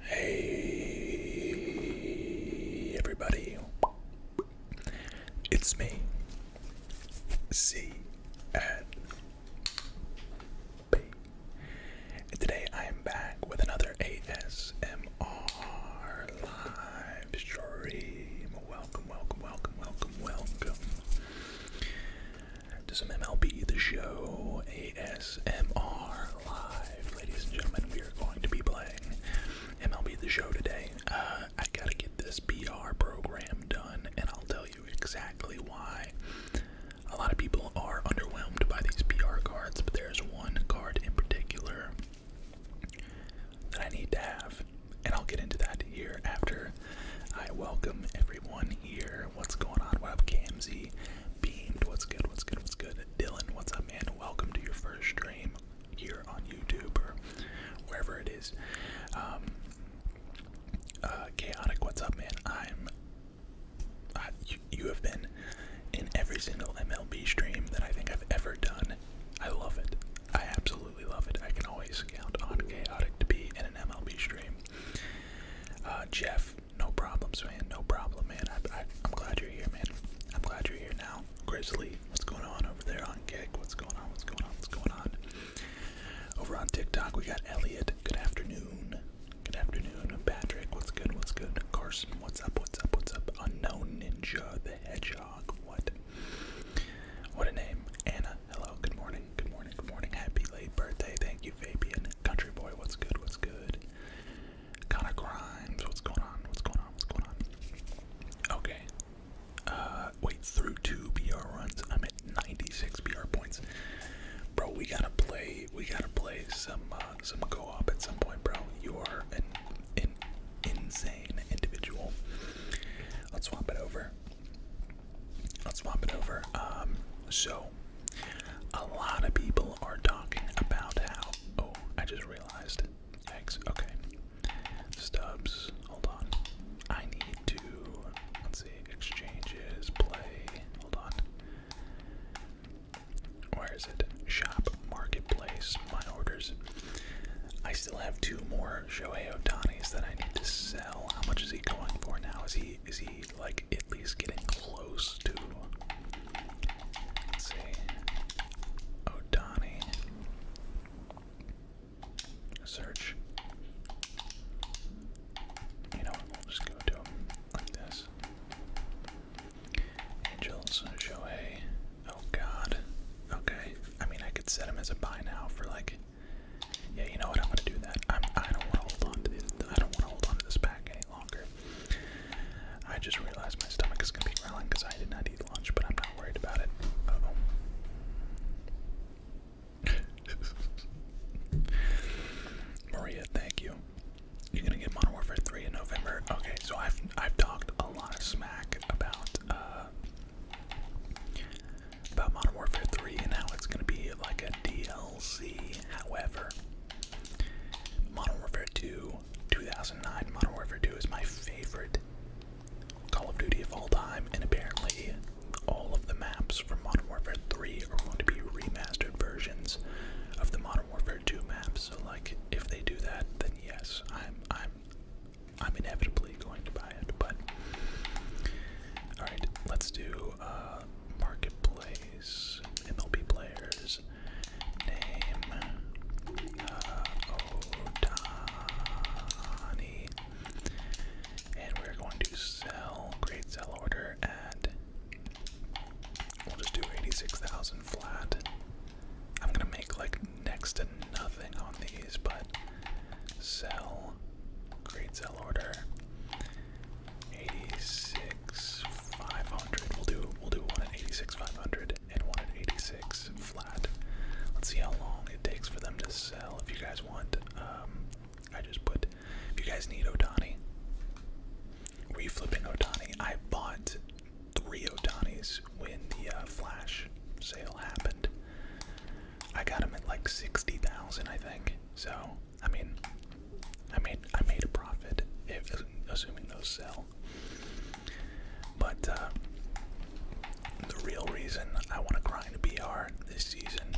Hey, everybody. It's me, C and B. And today I am back with another ASMR live stream. Welcome, welcome, welcome, welcome, welcome to some MLB The Show ASMR Live. Ladies and gentlemen, we are going to be playing MLB The Show today. Uh, I gotta get this PR program done, and I'll tell you exactly why. A lot of people are underwhelmed by these PR cards, but there's one card in particular that I need to have, and I'll get into that here after I welcome everyone here. What's going on? What up, Beamed? What's good? What's good? What's good? Dylan, what's up, man? Welcome to your first stream here on YouTube or wherever it is. Um, uh, Chaotic, what's up, man? I'm. you, have been in every single MLB stream that I think I've ever done. I love it. I absolutely love it. I can always count on Chaotic to be in an MLB stream. Uh, Jeff, no problem, man. No problem, man. I, I'm glad you're here, man. I'm glad you're here now. Grizzly, what's going on over there on Gig? What's going on? What's going on? What's going on? Over on TikTok, we got Elliot. Good afternoon. Good afternoon. Patrick, what's good? What's good? Carson, what's up? What's up? What's up? Unknown Ninja the Hedgehog. What? What a name. Anna, hello. Good morning. Good morning. Good morning. Happy late birthday. Thank you, Fabian. Country boy, what's good? What's good? Connor Grimes, what's going on? What's going on? What's going on? Okay. Uh, wait, through two BR runs, I'm at 96 BR points. Bro, we gotta play. We gotta play some uh, some co-op at some point, bro. You are an an insane individual. Let's swap it over. Let's swap it over. Um, so a lot of people are talking about how. Oh, I just realized. Eggs. Okay. Stubs. Hold on. I need to. Let's see. Exchanges. Play. Hold on. Where is it? Shop. Marketplace. My orders. I still have two more Shohei Otanis that I need to sell. How much is he going for now? Is he is he like at least getting close to Let's see. O'Donnell. Search. You know what? We'll just go to like this. Angels, Shohei. Oh god. Okay. I mean, I could set him as a buy now for like. Yeah, you know what? I'm gonna do that. I'm. I i do not want to hold on to this. I don't want to hold on to this pack any longer. I just realized my stomach is gonna be growling because I did not eat lunch, but I'm not worried about it. oh. Maria, thank you. You're gonna get Modern Warfare 3 in November. Okay, so I've I've talked a lot of smack about uh about Modern Warfare 3 and how it's gonna be like a DLC. However, Modern Warfare 2 2009 Modern Warfare 2 is my favorite Call of Duty of all time, and apparently all of the maps from Modern Warfare 3 are going to be remastered versions of the Modern Warfare 2 maps. So, like, if they do that, then yes, I'm I'm I'm inevitably going to buy it. But all right, let's do uh, marketplace, MLB players, name uh, Otani. And we're going to sell, great sell order at, we'll just do 86,000 flat. I'm gonna make like next to nothing on these, but sell, great sell order, 86,500. We'll do, we'll do one at 86,500. 100 and one flat. Let's see how long it takes for them to sell. If you guys want, um, I just put. If you guys need Otani, were flipping Otani? I bought three Otanis when the uh, flash sale happened. I got them at like 60,000, I think. So I mean, I made I made a profit if assuming those sell. But uh, the real reason I want to grind to be hard this season,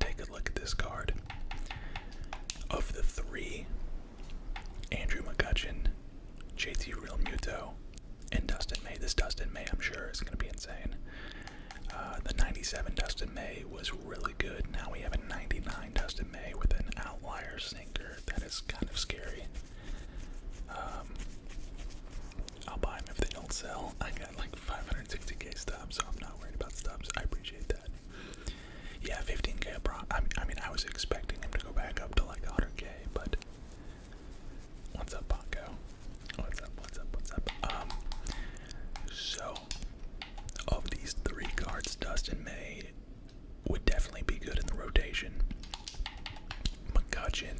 take a look at this card. Of the three, Andrew McCutcheon, JT Real Muto, and Dustin May. This Dustin May, I'm sure, is going to be insane. Uh, the 97 Dustin May was really good. Now we have a 99 Dustin May with an outlier sinker. That is kind of scary. Um, I'll buy them if they don't sell. I got like 560k stubs, so I'm not worried about stubs. I appreciate that. Yeah, 15k. Pro I, mean, I was expecting him to go back up to like 100k, but what's up, Paco? What's up? What's up? What's up? Um, so of these three cards Dustin made, would definitely be good in the rotation. McCutcheon,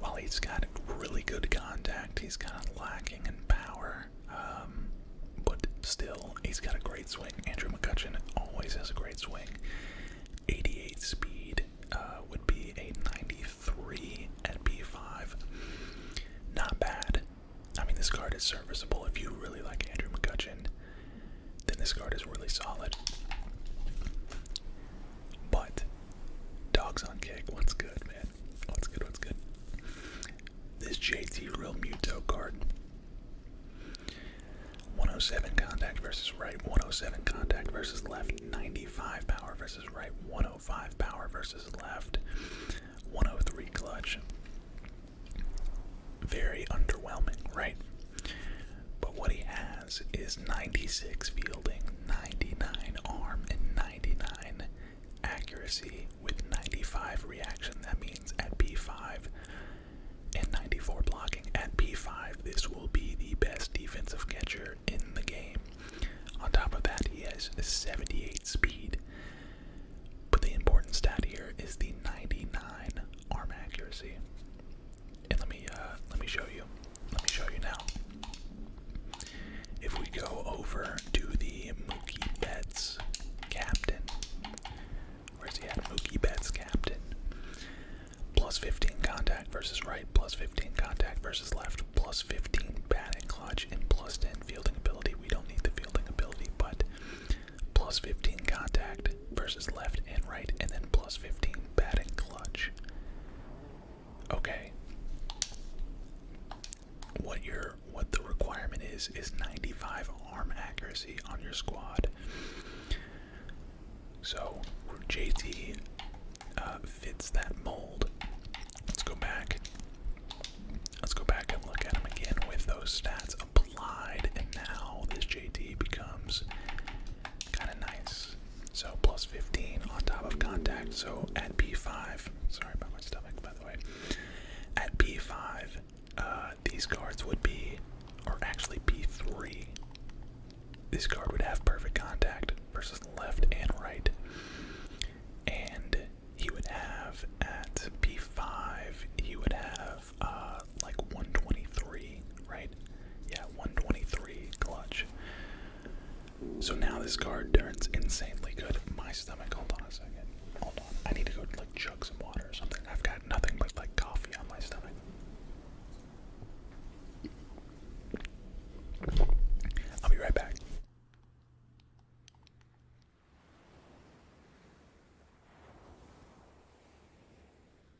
while he's got really good contact, he's kind of lacking in power. Um, but still, he's got a great swing. Andrew McCutcheon always has a great swing. 88 speed uh, would be a 93 at b 5 Not bad. I mean, this card is serviceable if you really like Andrew McCutcheon then this card is really solid. But dogs on kick. what's good, man? What's good? What's good? This JT Real Muto card. 107 contact versus right, 107 contact versus left, 95 power versus right, 105 power versus left, 103 clutch, very underwhelming, right? But what he has is 96 fielding, 99 arm, and 99 accuracy with 95 reaction. That means at P5 and 94 blocking. At P5, this will be the best defensive catcher in the game. On top of that, he has 78 speed. But the important stat here is the 99 arm accuracy. And let me uh, let me show you. Let me show you now. If we go over to the Mookie Betts captain, where's he at? Mookie Betts captain. Plus 15 contact versus right, plus 15 contact versus left, plus 15 batting clutch, and plus 10 fielding ability. We don't need the fielding ability, but plus 15 contact versus left and right, and then plus 15 batting clutch. Okay. What your what the requirement is is 95 arm accuracy on your squad. So JT uh, fits that mold. Let's go back. Let's go back and look at him again with those stats implied, and now this JT becomes kind of nice. So plus 15 on top of contact. So at p 5 sorry about my stomach, by the way. At p 5 uh, these cards would be, or actually B3. This card would have perfect contact versus left and right. And he would have at p 5 he would have uh, like 123, right? Yeah, 123 clutch. So now this card turns insanely good. My stomach, hold on a second. Hold on. I need to go like chug some water or something. I've got nothing but like coffee on my stomach. I'll be right back.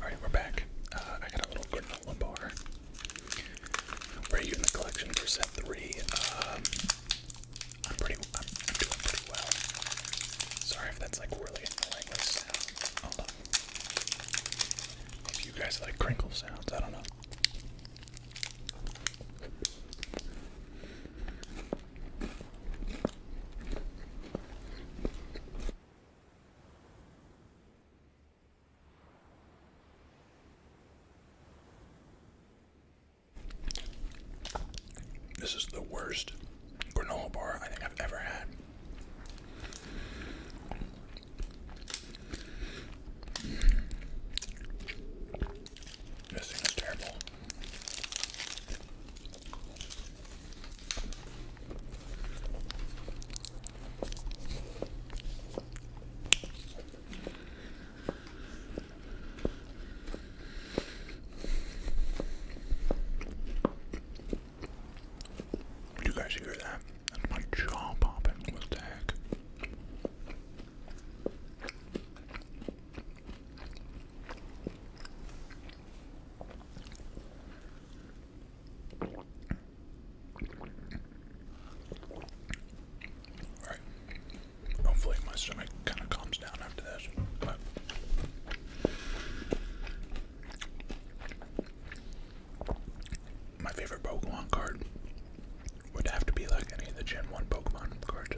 Alright, we're back. Uh, I got a little granola bar. We're using the collection for set three. Um, I'm pretty. I'm, doing pretty well. Sorry if that's like really annoying If you guys like crinkle sounds, I don't know. This is the worst granola bar I think I've ever had. This thing is terrible. Do you guys hear that? my jaw popping. What the heck? All right, Hopefully, my stomach kind of calms down after this. But my favorite Pokemon card would have to be like any of the Gen 1 Pokemon cards.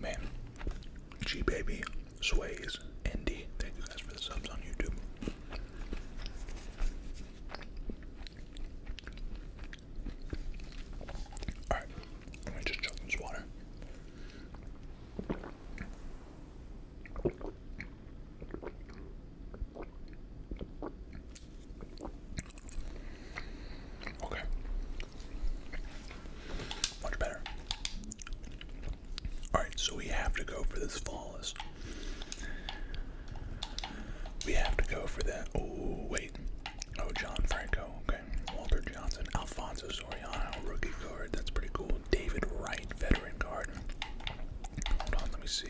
Man, G Baby, Sways, Indy, thank you guys for the subs on YouTube. Alright, let me just chug this water. Okay. Much better. Alright, so we have to go for this flawless. We have to go for that. Oh, wait. Oh, John Franco. Okay. Walter Johnson, Alfonso Soriano, rookie card. That's pretty cool. David Wright, veteran card. Hold on, let me see.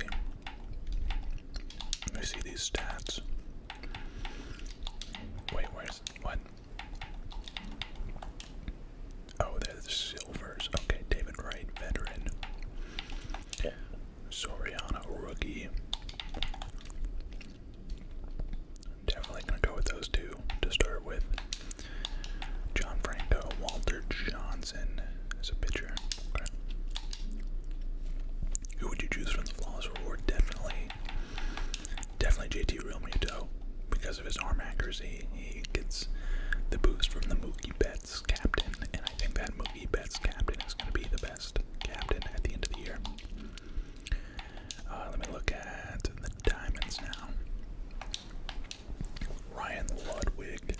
Let me see these stats. Wait, where's what? Oh, they're the silvers. Okay, David Wright, veteran. Yeah. Soriano, rookie definitely gonna go with those two to start with. John Franco, Walter Johnson as a pitcher. Who would you choose from the flaws reward? Definitely, definitely JT Real because of his arm accuracy. He gets the boost from the Mookie Betts captain, and I think that Mookie Betts captain is going to be the best captain at the end of the year. Uh, let me look at the diamonds now. Ryan Ludwig.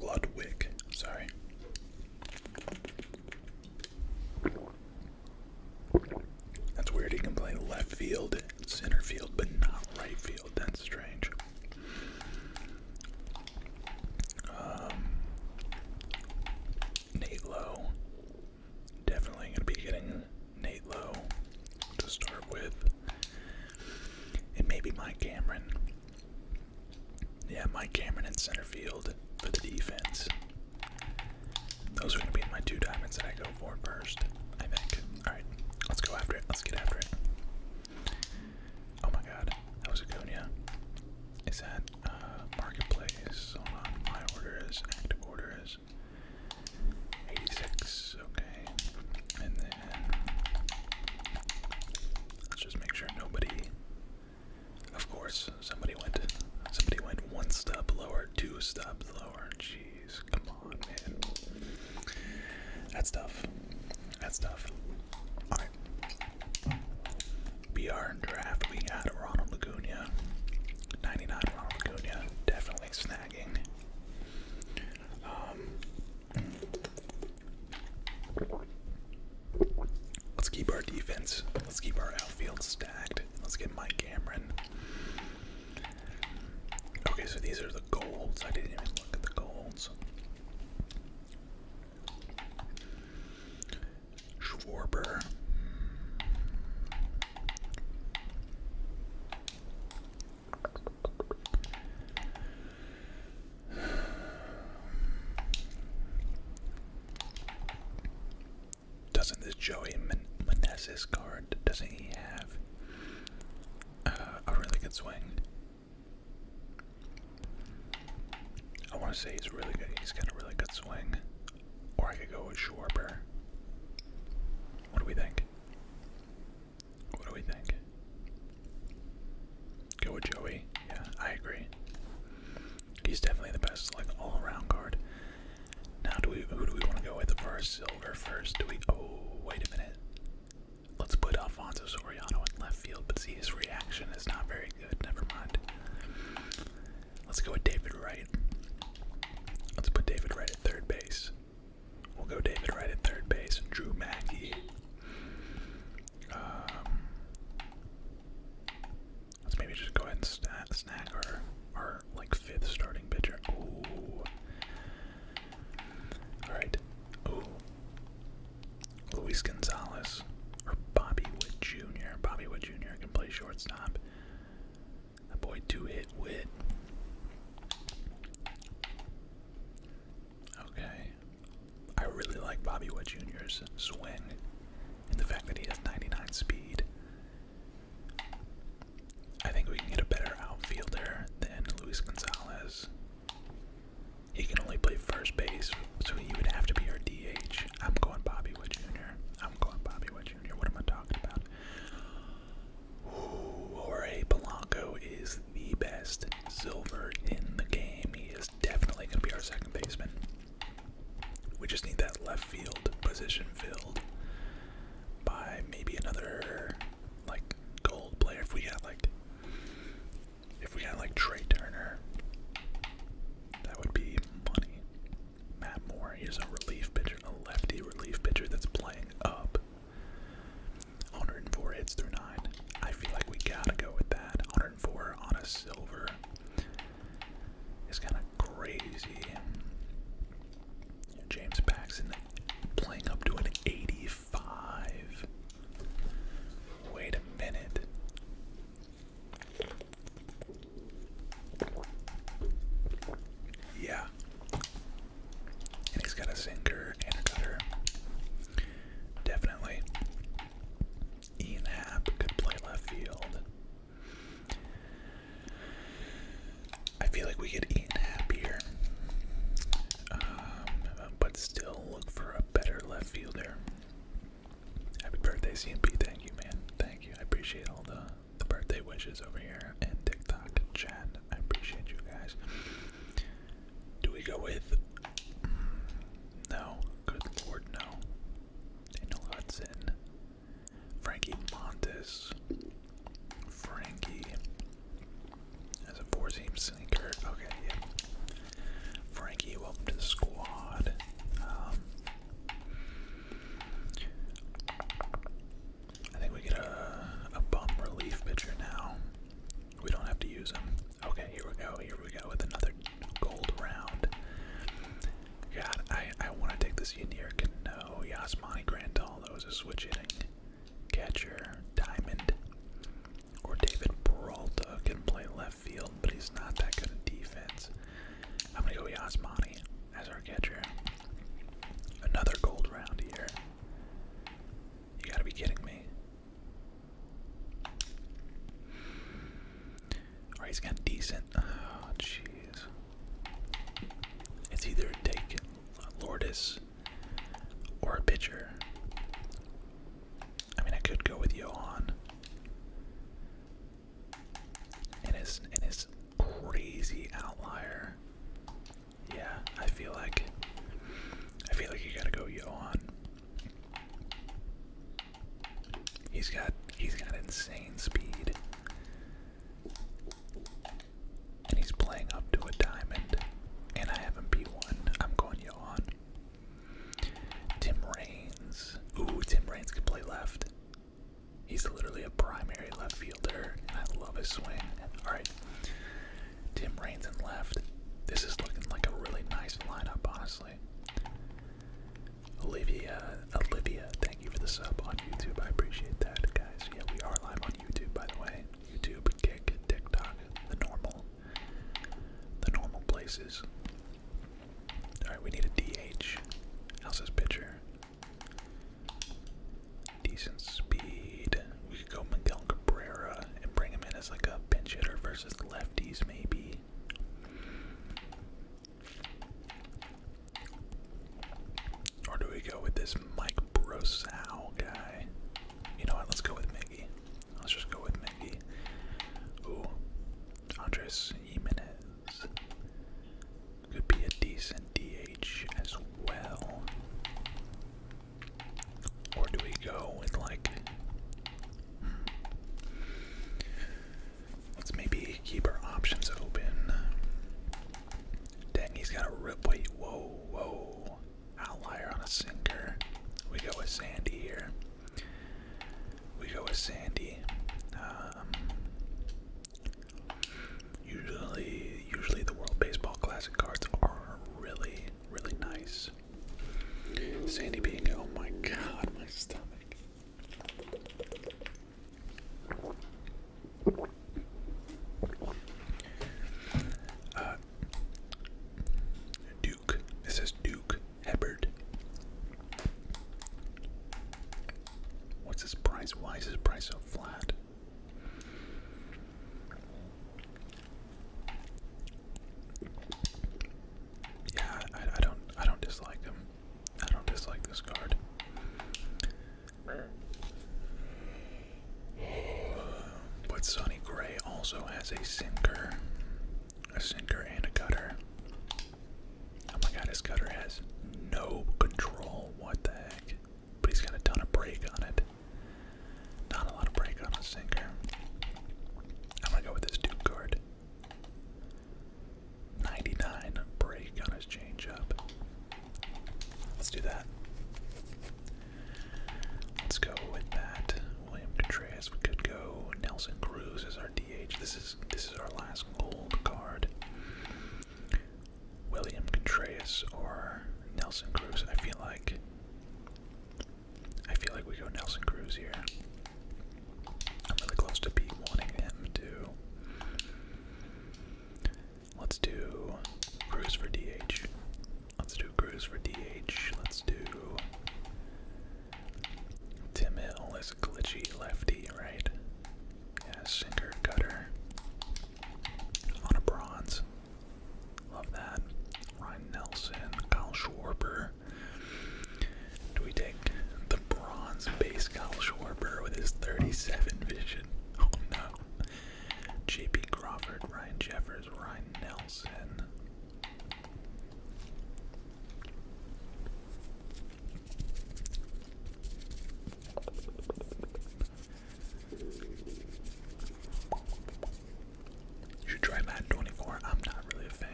Ludwig, sorry. That's weird. He can play left field, center field, but not right field. That's strange. Um, Nate Low, Definitely gonna be getting Nate Low to start with. And maybe Mike Cameron. Yeah, Mike Cameron in center field for the defense. Those are gonna be my two diamonds that I go for first, I think. Alright, let's go after it. Let's get after it. Oh my god, that was a Acuna. Is that marketplace. on. My order active order 86. Okay. And then let's just make sure nobody. Of course, somebody went. Somebody went one step lower, two steps lower. Jeez, come on, man. That's tough. That's tough. All right. BR and draft, we got Ronald Lagunia. 99 Ronald Lagunia, definitely snagging. Um, let's keep our defense, let's keep our outfield stacked. Let's get Mike Cameron. Okay, so these are the golds. I didn't even look at the golds. Doesn't this Joey Manessis card, doesn't he have uh, a really good swing? I want to say he's really good. He's got a really good swing. Or I could go with Schwarber. What do we think? What do we think? Go with Joey. Yeah, I agree. He's definitely the best, like all-around guard. Now, do we? Who do we want to go with the our silver first? Do we? Oh, wait a minute. Let's put Alfonso Soriano in left field, but see his reaction is not very good. Never mind. Let's go with David Wright. Let's put David Wright at third base. We'll go David Wright at third base. Drew Mackey. Um, let's maybe just go ahead and sna our, our like fifth starting pitcher. Ooh. All right. Ooh. Luis Gonzalez or Bobby Wood Jr. Bobby Wood Jr. Turner play shortstop. a boy two hit wit. Okay. I really like Bobby Witt Jr.'s swing and the fact that he has 99 speed. I think we can get a better outfielder than Luis Gonzalez. He can only play first base, so he would have to be our DH. I'm going Bobby Bobby Wood Jr. I'm going Bobby Wood Jr. What am I talking about? Ooh, Polanco is the best silver in the game. He is definitely going to be our second baseman. We just need that left field position filled by maybe another like gold player. If we got like, if we got like Trey Turner, that would be money. Matt Moore is a relief pitcher, a lefty relief pitcher that's playing up. 104 hits through nine. I feel like we gotta go with that. 104 on a silver It's kind of crazy. James Paxton playing up to an 85. Wait a minute. Yeah. And he's got a sinker and a cutter. Definitely. Ian Happ could play left field. I feel like we could Ian Happ here. Um, but still look for a better left fielder. Happy birthday, CMP. Thank you, man. Thank you. I appreciate all the, the birthday wishes over here and TikTok and chat. I appreciate you guys. Do we go with. Mm, no. Good lord, no. Daniel Hudson. Frankie Montes. Frankie. As a four seam sneaker. Okay, yeah. Frankie, welcome to the squad. Um, I think we get a, a bum relief pitcher now. We don't have to use him. Okay, here we go. Here we go with another gold round. God, I, I want to take this Can No Yasmani Grandal. That was a switch hitting catcher. Diamond or David Peralta can play left field, but he's not that good in defense. I'm going to go Yasmani as our catcher. Another gold round here. You gotta be kidding me. Alright, he's got decent. Oh, jeez. It's either take Lourdes or a pitcher. I mean, I could go with Johan. And it's and it's crazy outlier. Yeah, I feel like I feel like you gotta go Johan. He's got he's got insane speed. And he's playing up to a diamond. And I have him P1. I'm going Johan. Tim Raines. Ooh, Tim Raines could play left. He's literally a primary left fielder, and I love his swing. Alright, Tim Raines in left. This is looking like a really nice lineup, honestly. Olivia, Olivia, thank you for the sub on YouTube. I appreciate that, guys. Yeah, we are live on YouTube, by the way. YouTube, Kick, TikTok, the normal, the normal places. All right, we need a DH. How's this pitcher? Decent speed. We could go Miguel Cabrera and bring him in as like a pinch hitter versus lefties, maybe. Or do we go with this Mike Brosau guy? You know what? Let's go with Miggy. Let's just go with Miggy. Ooh, Andres Jimenez. Could be a decent DH as well. Or do we go with like. Let's maybe keep our options open. Dang, he's got a rip. Wait, whoa, whoa. Outlier on a sinker. We go with Sandy here. We go with Sandy. Um, Usually, usually the World Baseball Classic cards are really, really nice. Sandy being, oh my god, my stomach. Uh, Duke. It says Duke Hebert. What's his price? Why is his price so flat? Yeah, I, don't, I don't dislike them. I don't dislike this card. But Sonny Gray also has a sinker, a sinker and a cutter. Oh my god, his cutter has no control. What the heck? But he's got a ton of brake on it. Not a lot of break on a sinker. I'm gonna go with this Duke card. 99 break on his changeup. Let's do that. Let's go with that. William Contreras. We could go Nelson Cruz as our DH. This is this is our last gold card. William Contreras or Nelson Cruz. I feel like I feel like we go Nelson Cruz here. I'm really close to be wanting him to. Let's do Cruz for DH. Let's do Cruz for DH. Let's do Tim Hill is glitchy lefty, right? Yeah, sinker cutter on a bronze. Love that. Ryan Nelson, Kyle Schwarber. Do we take the bronze base Kyle Schwarber with his 37 vision? Oh no. JP Crawford, Ryan Jeffers, Ryan Nelson. You should try Madden 24. I'm not really a fan.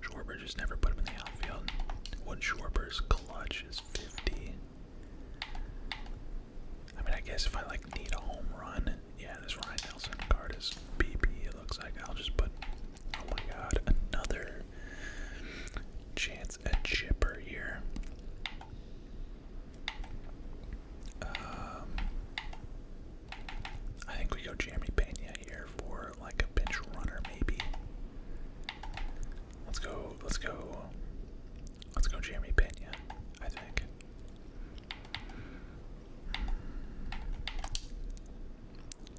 Schwarber just never put him in the outfield. What Schwarber's clutch is 50. I mean, I guess if I like need a home run, yeah, this Ryan Nelson card is BP. It looks like I'll just put. Oh my God, another chance a chipper here. Um, I think we go Jeremy Pena here for like a bench runner, maybe. Let's go. Let's go. Let's go, Jeremy Pena. I think.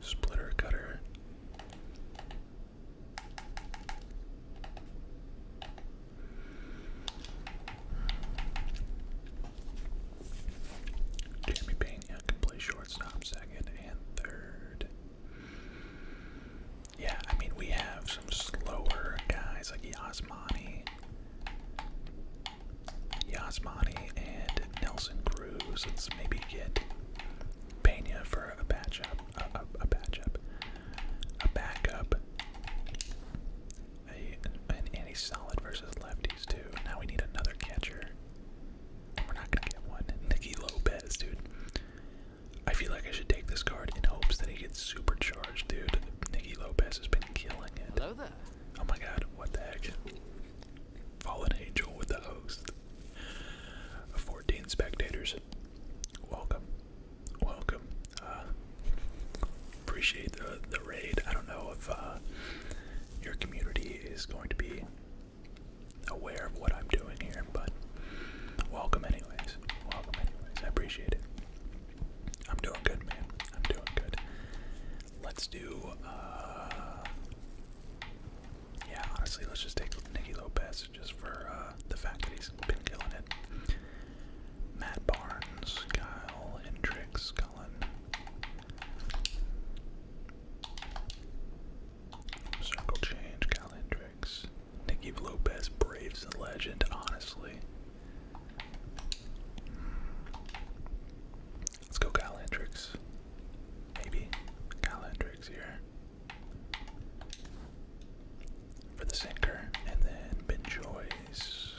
Splitter cutter. Jeremy Pena can play shortstop, second, and third. Yeah, I mean, we have some slower guys like Yasmani. Yasmani and Nelson Cruz. Let's maybe get Pena for a patch up a, a, a backup, a, an anti-solid versus lefties too. Now we need another catcher. We're not gonna get one. Nicky Lopez, dude. I feel like I should take this card in hopes that he gets super charged, dude. Nicky Lopez has been killing it. Hello there. Oh my god, what the heck? Fallen Angel with the host. 14 spectators welcome, welcome. Uh, appreciate the the raid. I don't know if uh, your community is going to be aware of what I'm doing here, but welcome anyways. Welcome anyways. I appreciate it. I'm doing good, man. I'm doing good. Let's do. Uh, yeah, honestly, let's just take Nicky Lopez just for uh, the fact that he's been killing it. Matt Barnes, Kyle Hendricks, Cullen. Circle change, Kyle Hendricks. Nicky Lopez braves legend, honestly. Let's go Kyle Hendricks. Maybe. Kyle Hendricks here for the sinker, and then Benjoy's.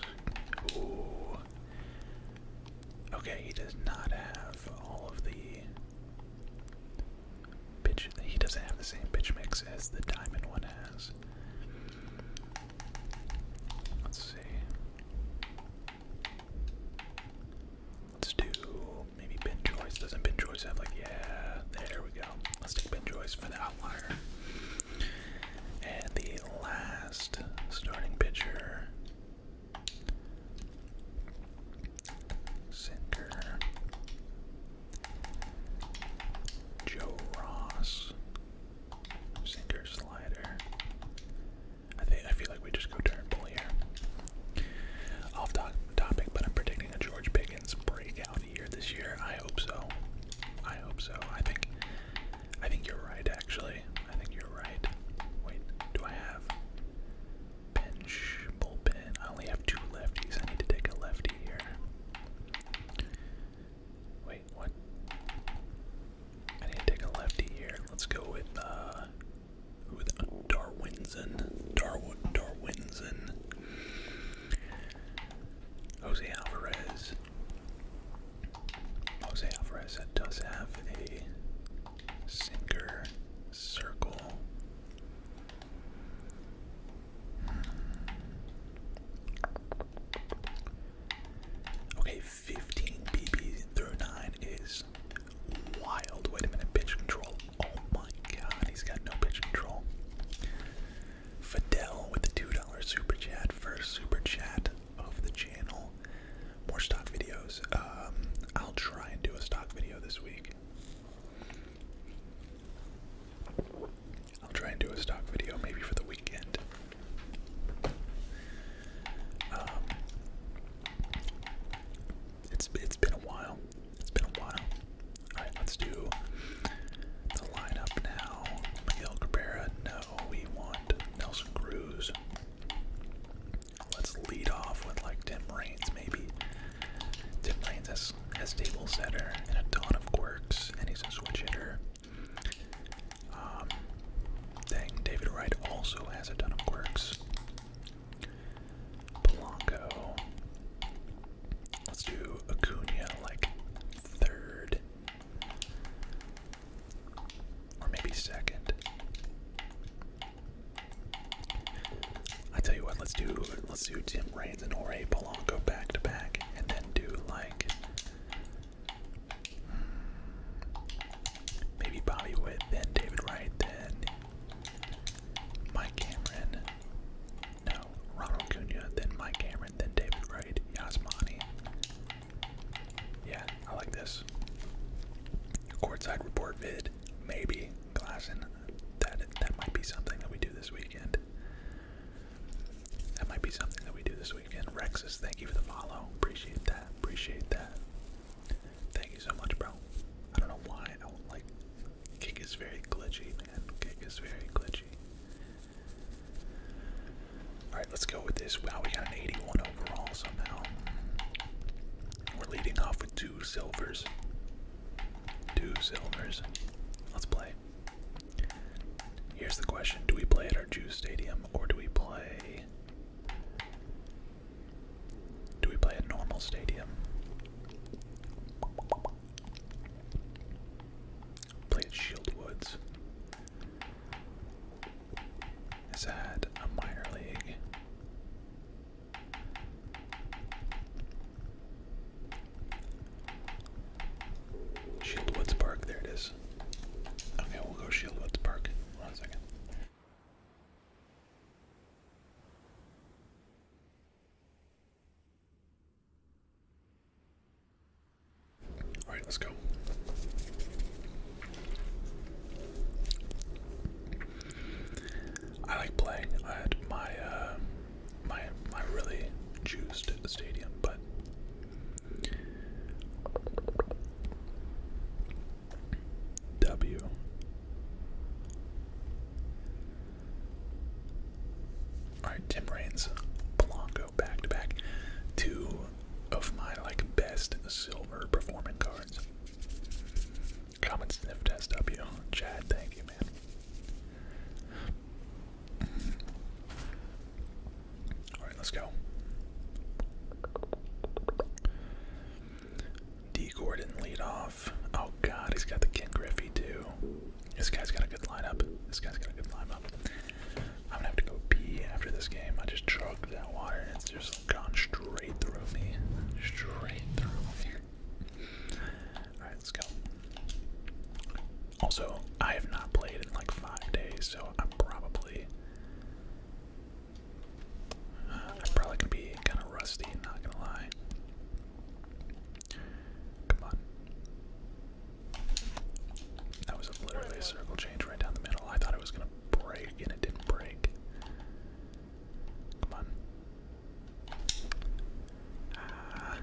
Okay, he does not have all of the pitch. He doesn't have the same pitch mix as the diamond one has. Let's see. Let's do Maybe Ben Joyce. Doesn't Ben Joyce have like, yeah, there we go. Let's take Ben Joyce for the outlier. And the last starting pitcher. Center. Joe Ross. Sinker slider. I think I feel like we just go turn pull here. Off topic, but I'm predicting a George Pick Higgins breakout year this year. I hope so. I hope so. I think I think you're right actually. I think you're right. Wait, do I have bench bullpen? I only have two lefties. I need to take a lefty here. Wait, what? I need to take a lefty here. Let's go with uh with Darwinson. Darwin Darwinson. Jose Alvarez. Jose Alvarez does have a sinker circle. Okay, 15 BB through 9 is wild. Wait a minute, pitch control Oh my god, he's got no pitch control. Fidel with the $2 super chat, first super chat of the channel. More stock videos. Um, I'll try and do a stock video this week. I'll try and do a stock video maybe for the weekend. Um, it's it's been a while. It's been a while. Alright, let's do the lineup now. Miguel Cabrera, no, we want Nelson Cruz. Let's lead off with like Tim Raines, maybe. Tim Raines has, has table setter and a ton of quirks, and he's a switch hitter. Um, dang, David Wright also has a ton of quirks. Blanco. Let's do Acuna like third. Or maybe second. I tell you what, let's do let's do Tim Raines and Ore Polanco back to back and then do like hmm, maybe Bobby Witt, then David Wright, then Mike Cameron. No, Ronald Cunha, then Mike Cameron, then David Wright, Yasmani. Yeah, I like this. Courtside report vid, maybe. Glasson, that that might be something that we do this weekend. That might be something that we do this weekend. Rexus, thank you for the follow. Appreciate that. Appreciate that. Thank you so much, bro. I don't know why I don't like Kick is very glitchy, man. Kick is very glitchy. Alright, let's go with this. Wow, we got an 81 overall somehow. We're leading off with two silvers. Two silvers. Let's play. Here's the question Do we play at our Jew Stadium or do we play. Do we play at normal stadium? Played Shield Woods. Has had a minor league. Shield Woods Park, there it is. Okay, we'll go Shield Woods Park. One second. All right, let's go. I like playing at my uh, my my really juiced stadium, but W Alright, Tim Raines, Blanco back to back. Two of my like best silver performing cards. Common sniff test up Chad, thank you, man. Alright, let's go. D Gordon lead off. Oh god, he's got the Ken Griffey too. This guy's got a good lineup. This guy's got a good lineup. I'm gonna have to go pee after this game. I just chugged that water and it's just gone straight through me. Straight through me. Alright, let's go. Also, I have not played in like five days, so I'm probably I'm probably gonna be kinda rusty, not gonna lie. Come on. That was literally a circle change right down the middle. I thought it was gonna break, and it didn't break. Come on. Ah.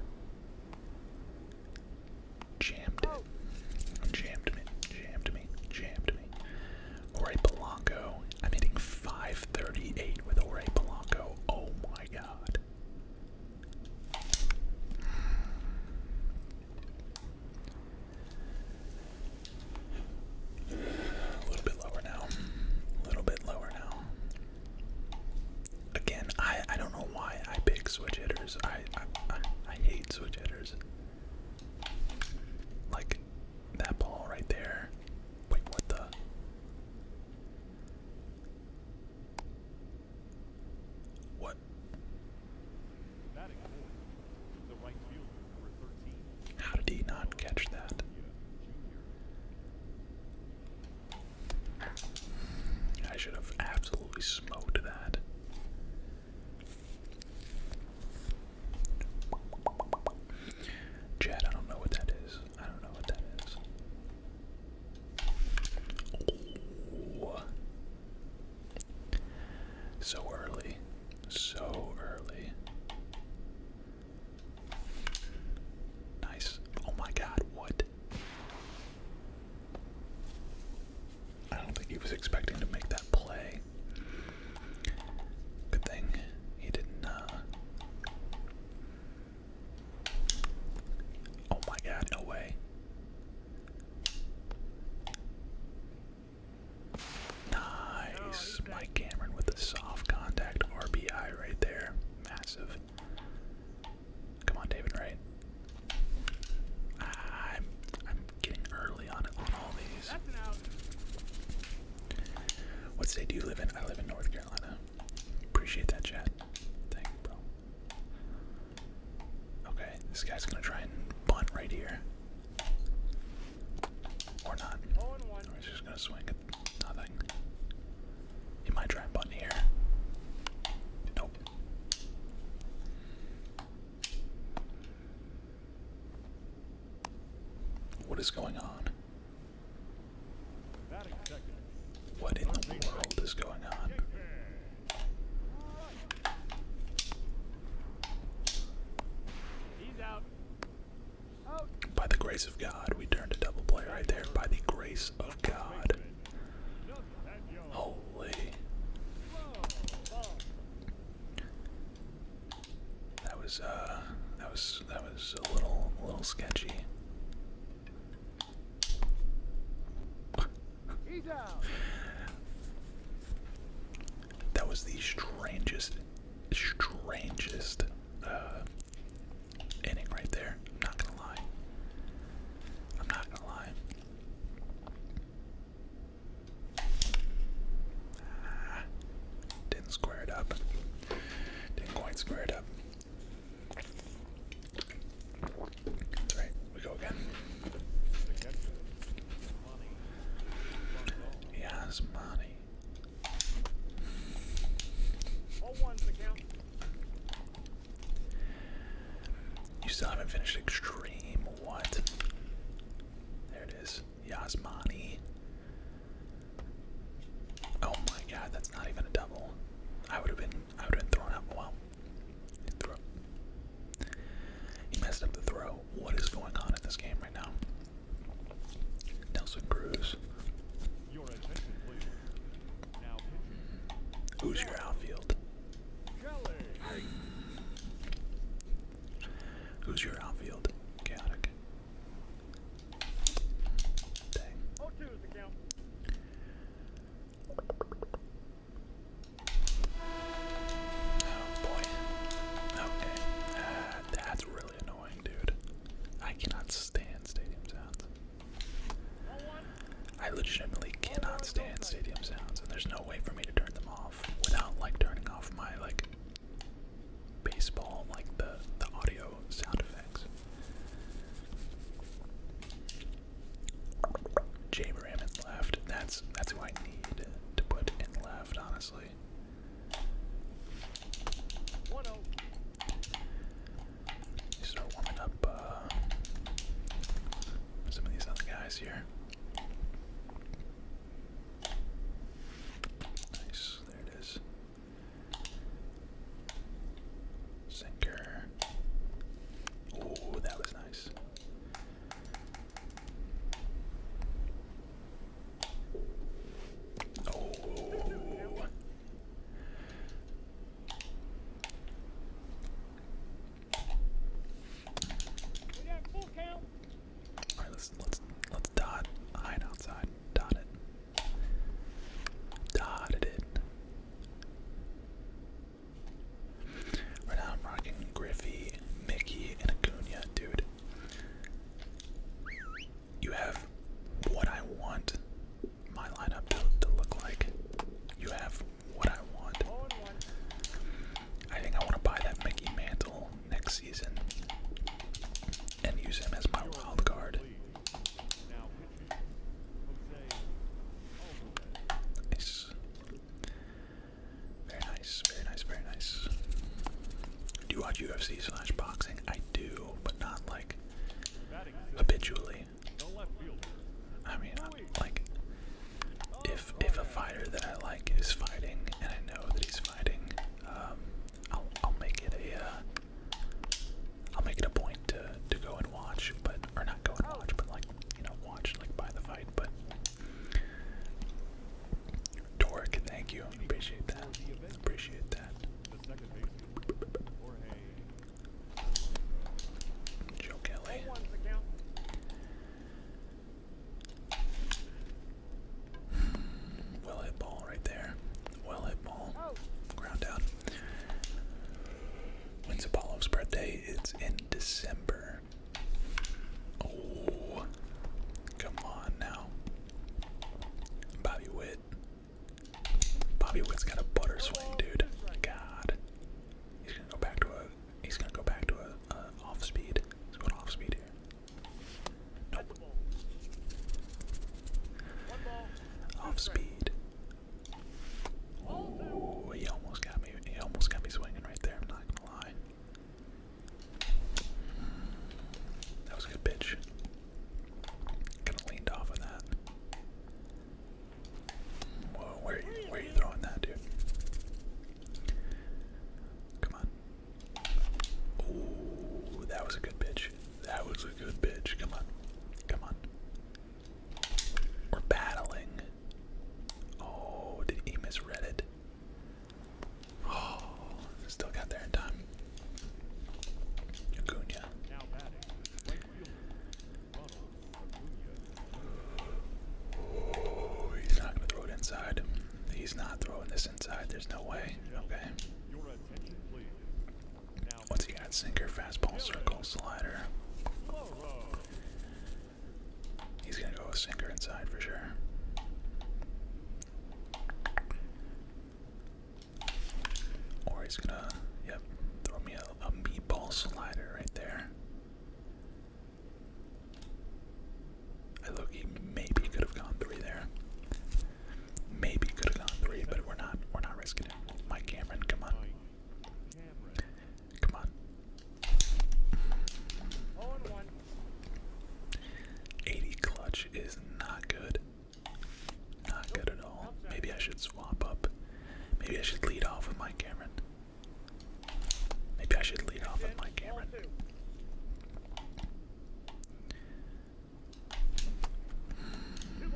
Jammed it. Jammed me. Jammed me. Jammed me. Ore Polanco. I'm hitting 538 with Ore Polanco. Oh my god. A little bit lower now. A little bit lower now. Again, I I don't know why I pick switch hitters. I I I, hate switch hitters. Like that ball right there. Wait, what the? What? How did he not catch that? I should have absolutely smoked that. Chad, I don't know what that is. So early. So early. Nice. Oh my god, what? I don't think he was expecting to make that play. Good thing he didn't uh, Oh my god, no way. Nice. No, Mike Cameron with the soft contact RBI right there. Massive. Come on, David Wright. I'm I'm getting early on on all these. What state do you live in? I live in North Carolina. Appreciate that chat. Thank bro. Okay, this guy's gonna try and bunt right here. Or not. he's just gonna swing at nothing. He might try and bunt here. Nope. What is going on? What in the world is going on? By the grace of God, we turned a double play right there. By the grace of God. Holy. That was uh that was that was a little a little sketchy. He's out. that was the strangest, strangest uh, inning right there. I'm not gonna lie. I'm not gonna lie. didn't square it up. Didn't quite square it up. That's right, we go again. Yes, money. You still haven't finished Extreme. What? There it is. Yasmani. Oh my god, that's not even a double. I would have been I have thrown up. Wow. He, threw he messed up the throw. What is going on at this game right now? Nelson Cruz. Who's your outfield? Who's your outfield? Chaotic. Oh boy. Okay. Uh, that's really annoying, dude. I cannot stand stadium sounds. I legitimately cannot stand stadium sounds, and there's no way for me to turn them off without like turning off my like baseball, like the the audio sound effects. Jay Ram left. That's that's who I need to put in left, honestly. start warming up uh, some of these other guys here. Nice, there it is. Sinker. Oh, that was nice. Oh. We got full count. All right, let's let's let's dot hide outside. Dot it. Dotted it. Right now I'm rocking Griffey, Mickey, and Acuna, dude. You have what I want my lineup to, to look like. You have what I want. I think I want to buy that Mickey Mantle next season and use him as my wild card. Very nice, very nice, very nice. Do you watch UFC slash boxing? I do, but not like habitually. I mean, like, if if a fighter that I like is fighting, and I know that he's fighting, um, I'll I'll make it a uh, I'll make it a point to to go and watch, but or not go and watch, but like you know watch like by the fight. But Torque, thank you, appreciate that, appreciate that. Joe Kelly. Well hit ball right there. Well hit ball. Ground out. When's Apollo's birthday? It's in December. Oh, come on now. Bobby Witt. Bobby Witt's got a butter swing, dude. God. He's gonna go back to a. He's gonna go back to a, off speed. Let's off speed Nope. Off speed. Oh, he almost got me. He almost got me swinging right there. I'm not gonna lie. That was a good bitch. Kind of leaned off of that. Whoa, where are you, throwing that, dude? Come on. Ooh, that was a good bitch. That was a good pitch. Come on. Come on. We're battling. Oh, did he misread it? Oh, still got there in time. Acuna. Oh, he's not gonna throw it inside. He's not throwing this inside. There's no way. Okay. What's he got? Sinker, fastball, circle, slider. He's gonna go a sinker inside for sure. Or he's gonna, yep, throw me a meatball slider right there. I look, he maybe could have gone three there. Maybe could have gone three, but we're not, we're not risking it. Mike Cameron, come on. Come on. 80 clutch is not good. Not good at all. Maybe I should swap up. Maybe I should lead off with my Cameron. Maybe I should lead off with my Cameron. Hmm.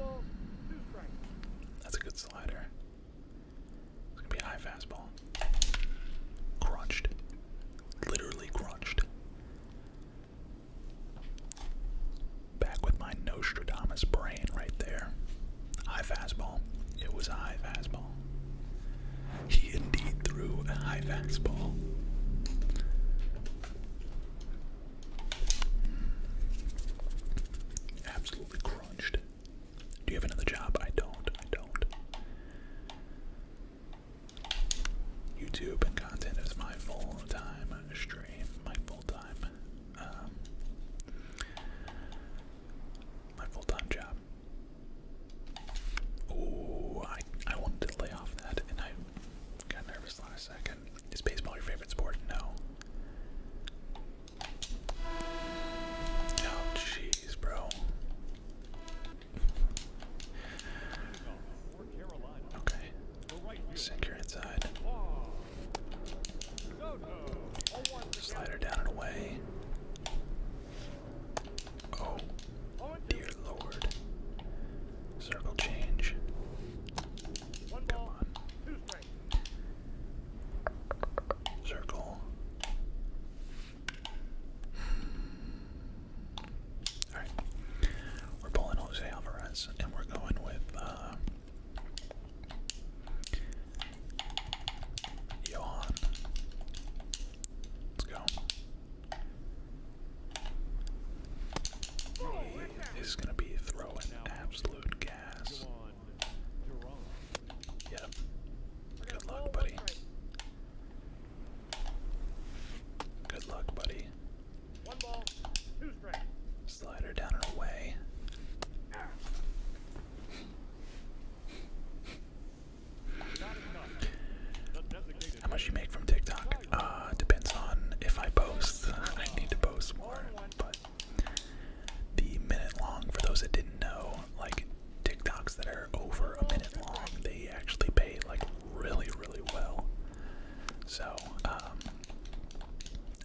That's a good slider. It's gonna be a high fastball. Crunched. Literally crunched. Back with my Nostradamus brain right there. High fastball. It was a high fastball. He indeed threw a high fastball. Absolutely crunched. Do you have another job? I don't. I don't. YouTube and content is my full time stream, my full time, um, my full time job. Oh, I I wanted to lay off that, and I got nervous last second. Is baseball your favorite sport? No. Oh, jeez, bro. Okay. Sink inside. Slide down and away. Oh, dear lord. Circle change. Come on. Circle. Alright. We're pulling Jose Alvarez and we're going with uh Let's go. He is gonna be throwing absolute gas. Yeah. Good luck, buddy. Good luck, buddy. Slider down and away. How much you make from TikTok? Uh, depends on if I post. I need to post more, but the minute long. For those that didn't know, like TikToks that are over a minute long, they actually pay like really, really well. So um,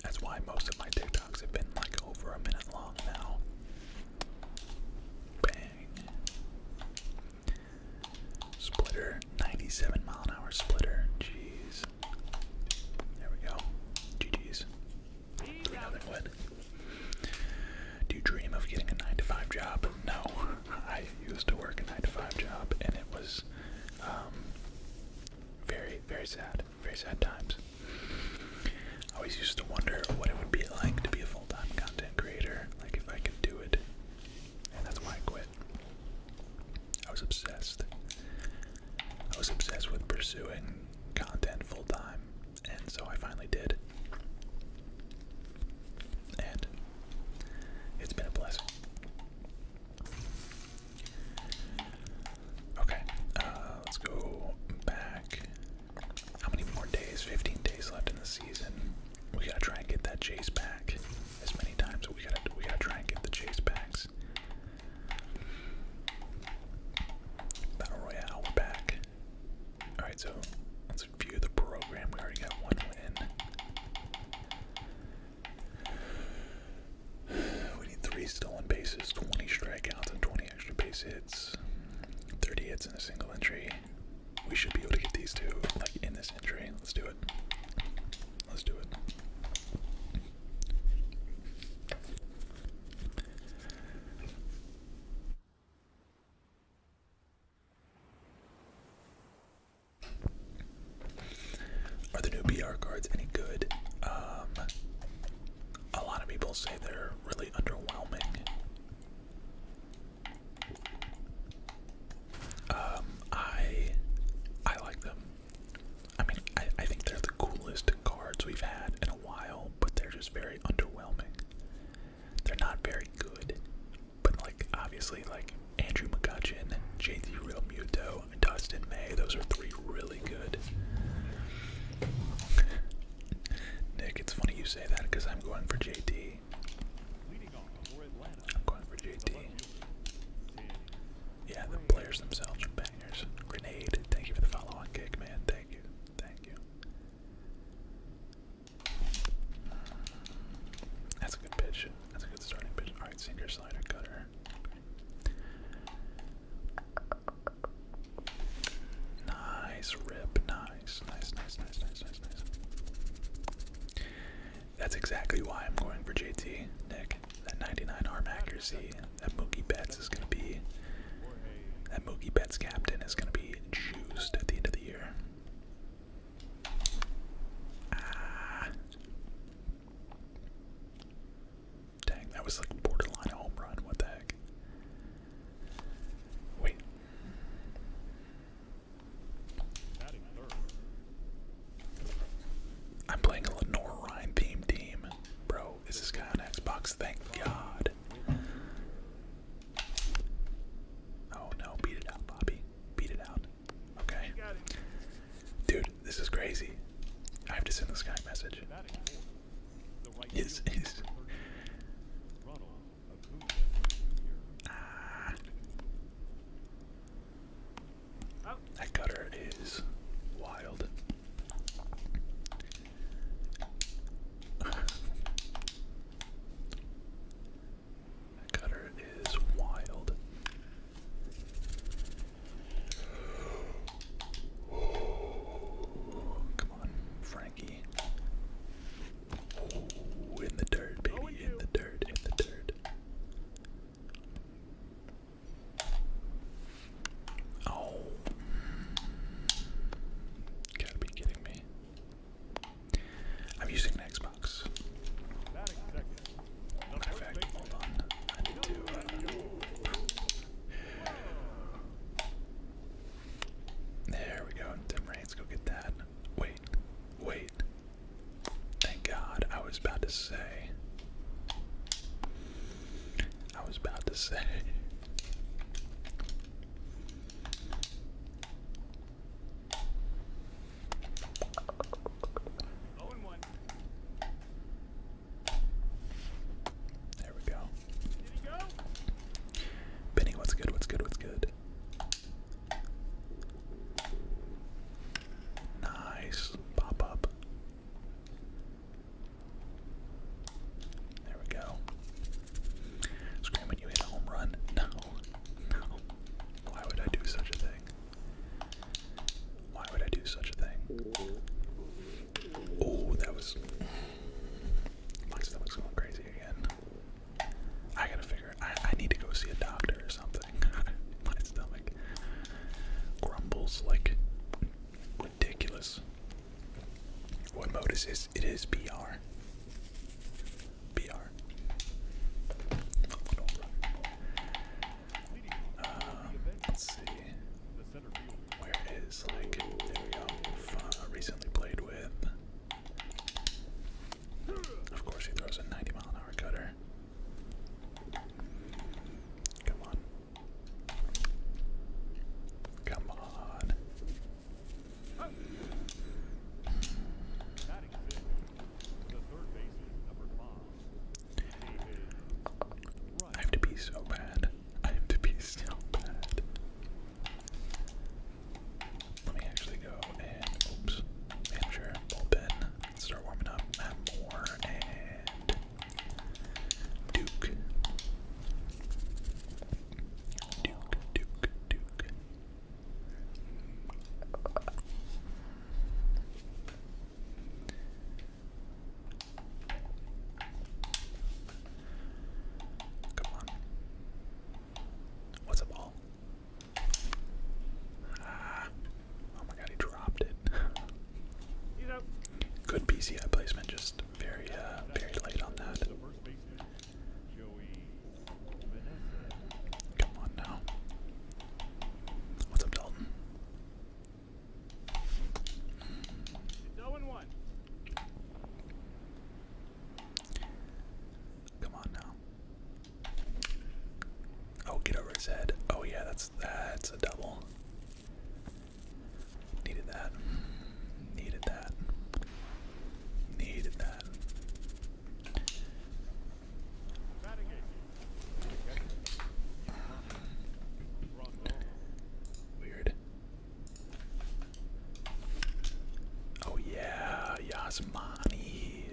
that's why most of my TikToks have been like over a minute long now. Bang. Splitter, 97 mile an hour splitter. Jeez. There we go. GG's. Do you dream of getting a 9 to 5 job? No. I used to work a 9 to 5 job and it was um, very, very sad. Very sad times. I always used to wonder what it would be like to be a full time content creator, like if I could do it. And that's why I quit. I was obsessed. I was obsessed with pursuing content full time. And so I finally did. And it's been a blessing. Okay, uh, let's go back. How many more days? 15 days left in the season. We gotta try and get that chase back as many times. We gotta we gotta try and get the chase backs. Battle Royale, we're back. Alright, so let's view the program. We already got one win. We need three stolen bases, 20 strikeouts, and 20 extra base hits. 30 hits in a single entry. We should be able to get these two like in this entry. Let's do it. Let's do it. Are the new BR cards any good? Um, a lot of people say they're really underwhelming. Um, I I like them. I mean, I, I think they're the coolest cards we've had while, but they're just very underwhelming. They're not very good, but like obviously like Andrew McCutcheon, JT Real Muto, Dustin May, those are three really good. Nick, it's funny you say that because I'm going for JD. I'm going for JD. Yeah, the players themselves are bangers. Grenade, thank you for the follow on kick, man. Thank you. Thank you. That's a good pitch. That's a good starting pitch. Alright, sinker, slider, cutter. Nice rip. Nice, nice, nice, nice, nice, nice. That's exactly why I'm going for JT, Nick. That 99 arm accuracy that Mookie Betts is going to be. That Mookie Betts captain is going to be juiced at the end of the year. Ah. Dang, that was like borderline home run. What the heck? Wait. I'm playing a Lenore Ryan themed team. Bro, is this guy on Xbox? Thank God. Oh no, beat it out, Bobby. Beat it out. Okay. Dude, this is crazy. I have to send this guy a message. Yes, ah. That cutter is wild. cutter is wild. Come on, Frankie. in the dirt, baby, in the dirt, in the dirt. Oh. Gotta be kidding me. I'm using an Xbox. Uh, there we go. Dim rains, go get that. Wait, wait. Thank God, I was about to say. I was about to say. There we go? Benny, what's good? What's good? What's good? Nice pop up. There we go. Scream you hit a home run. No. No. Why would I do such a thing? Why would I do such a thing? Oh, that was. My stomach's going crazy again. I gotta figure. I, I need to go see a doctor or something. My stomach grumbles like ridiculous. What mode is this? It is BR. BR. Uh, let's see. Where is like? There we recently played with. Of course, he throws a 90 mile an hour cutter. Come on. Come on. I have to be so bad. I have to be so bad. Let me actually go and oops, manager bullpen. Start warming up. Matt Moore and Duke. Duke, Duke, Duke. Come on. What's a ball? Ah. Oh my god, he dropped it. Good PCI placement, just very, uh, very late on that. Come on now. What's up, Dalton? Come on now. Oh, get over his head. Oh yeah, that's that's a double. Needed that. Needed that. Needed that. Weird. Oh yeah, Yasmani.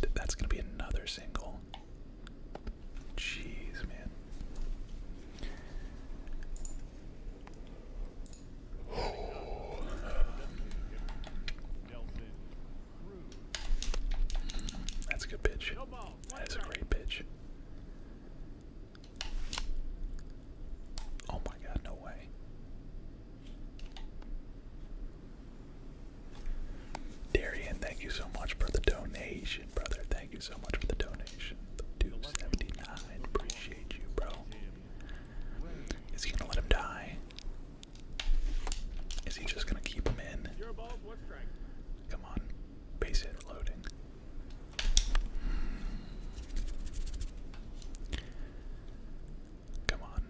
Dude, that's gonna be another single. Jeez, man. That's a good pitch. That's a great pitch. Oh my god, no way. Darian, thank you so much for the donation, brother. Thank you so much for the donation. Seventy nine. Appreciate you, bro. Is he gonna let him die? Is he just gonna keep him in? Come on. Base hit loading. Come on.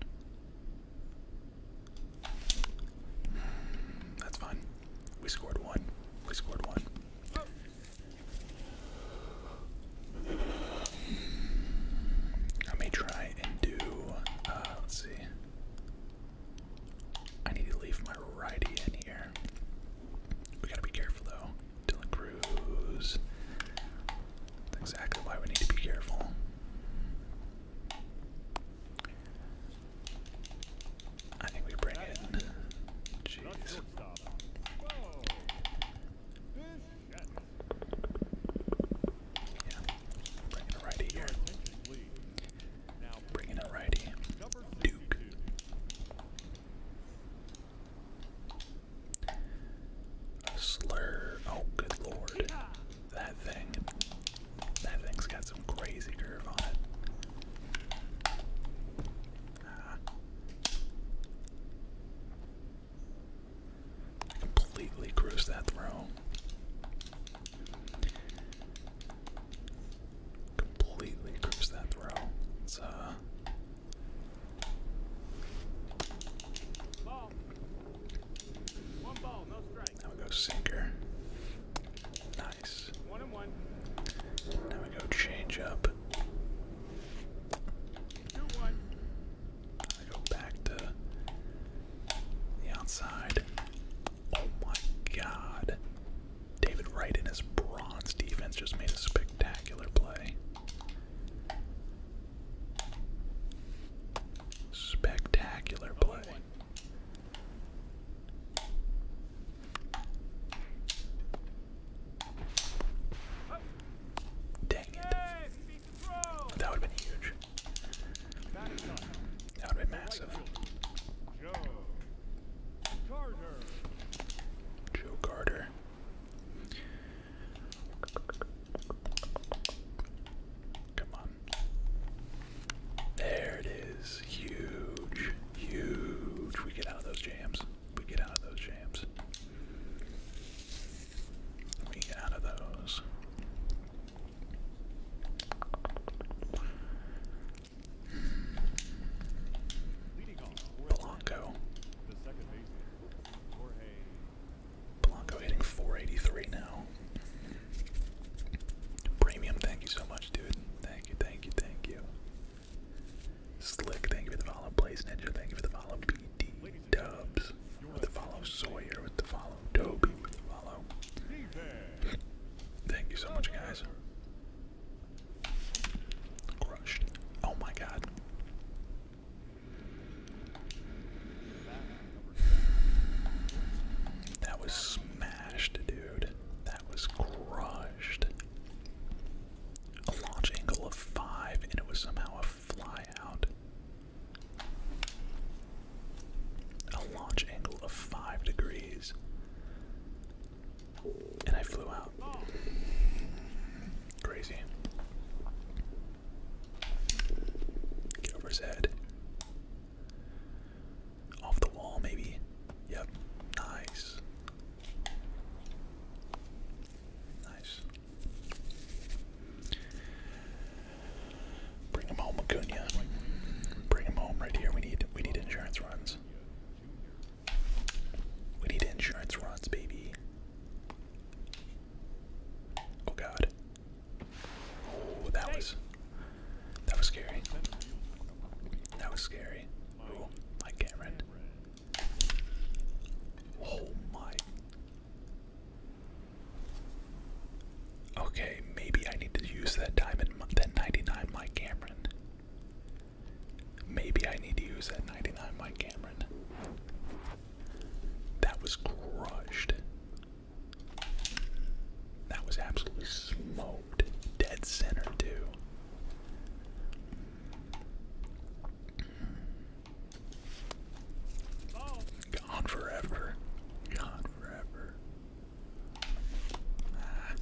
That's fine. We scored one. We scored one. Oh. Let me try and do. Uh, let's see. I need to leave my righty in here. We gotta be careful though. Dylan Cruz. That's exactly why we need to be careful. I think we bring in. Jeez. Yeah. a righty here. Bring a righty. Duke. A slur. Oh, good lord. That thing. That thing's got some crazy curve on it completely cruised that throw. Completely cruised that throw. It's uh. One ball, no strike. Now we go sinker. One and one. Now we go change up. I go back to the outside. Oh my god. David Wright in his bronze defense just made a spectacular play. Spectacular play. Dang it. That would have been huge. That would have been massive. Joe Carter. Come on. There it is. Huge. Huge. We get out of those jams we get out of those jams. We get out of those. Blanco. Blanco hitting 483 now. Premium, thank you so much, dude. Thank you, thank you, thank you. Slick, thank you for the follow. Blaze Ninja, thank you for the follow. PD Dubs with the follow. Sawyer with the follow. Toby with the follow. thank you so much, guys. Crushed. Oh my god. That was smashed, dude. That was crushed a launch angle of five, and it was somehow a flyout. A launch angle of five degrees. And I flew out. Crazy. Get over his head. Off the wall, maybe. Yep. Nice. Nice. Bring him home, Acuna. Bring him home right here. We need we need insurance runs. We need insurance runs, baby. Oh God. Oh, that was that was scary. That was scary. Oh, my Cameron. Oh my. Okay, maybe I need to use that diamond, that 99 Mike Cameron. Maybe I need to use that 99 Mike Cameron. That was crushed. That was absolutely smoked. Dead center, too. Gone forever. Gone forever. Ah,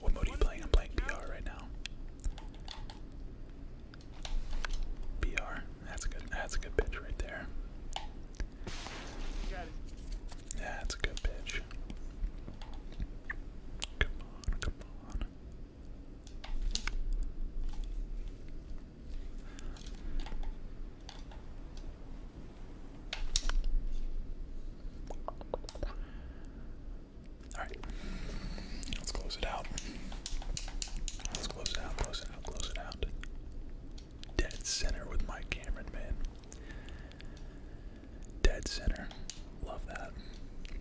what mode are you playing? I'm playing BR right now. BR. That's a good. That's a good pitch right there. That's a good pitch. Come on, come on. All right, let's close it out. Let's close it out, close it out, close it out. Dead center with my Cameron, man. Dead center. Love that.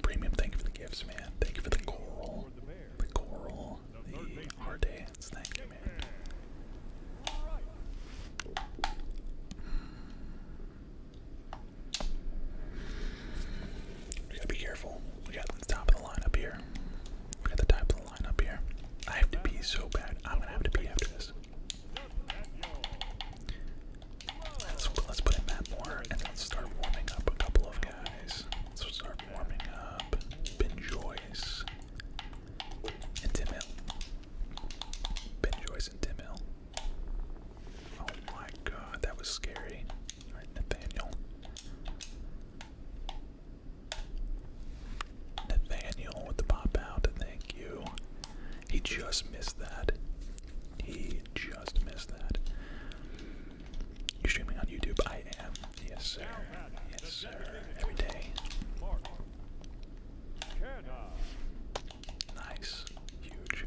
Premium, thank you for the gifts, man. Thank you for the coral. The coral. The hard dance. Thank you, man. We gotta be careful. We got the top of the line up here. We got the top of the line up here. I have to pee so bad. I'm gonna have to pee after this. Let's, put in Matt Moore and let's start warming up a couple of guys. Let's start warming up Ben Joyce and Tim Hill. Ben Joyce and Tim Hill. Oh my god, that was scary. Nathaniel. Nathaniel with the pop out, thank you. He just missed that. He just missed that. You are streaming on YouTube? I am. Yes, sir. Yes, sir. Every day. Nice. Huge.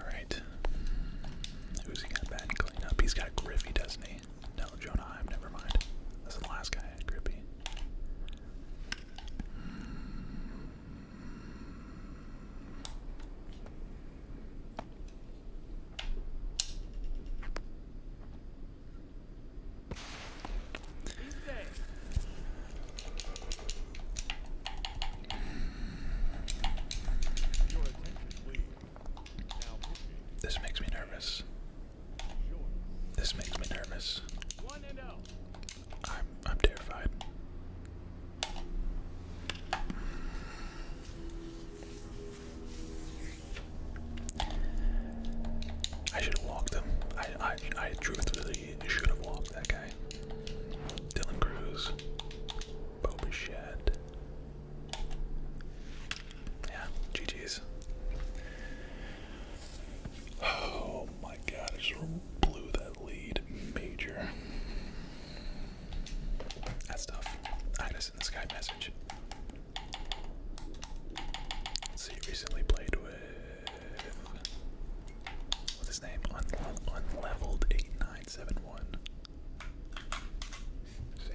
Alright. Who's he got bad clean up? He's got Griffey, doesn't he? No, Jonah never mind. That's the last guy Grippy. This makes me nervous. This makes me nervous. I'm I'm terrified. I should have walked him. I I I truthfully should have walked that guy. Dylan Cruz, Boba Shed yeah, GG's. Oh my god, I just blew that lead major. That's tough. I gotta send this message. Let's see, recently played with. What's his name? Un un unleveled 8971. See?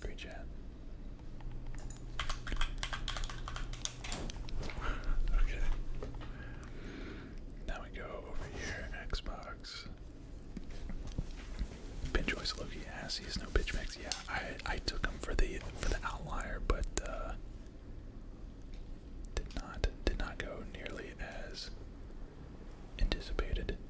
Great chat. okay. Now we go over here, Xbox. Bench Loki Loki ass, he no bitch mix. Yeah, I I took him for the for the outlier, but uh, did not did not go nearly as anticipated.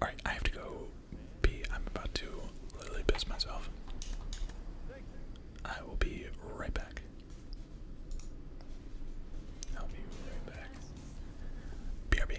Alright, I have to go pee. I'm about to literally piss myself. I will be right back. I'll be right back. BRB.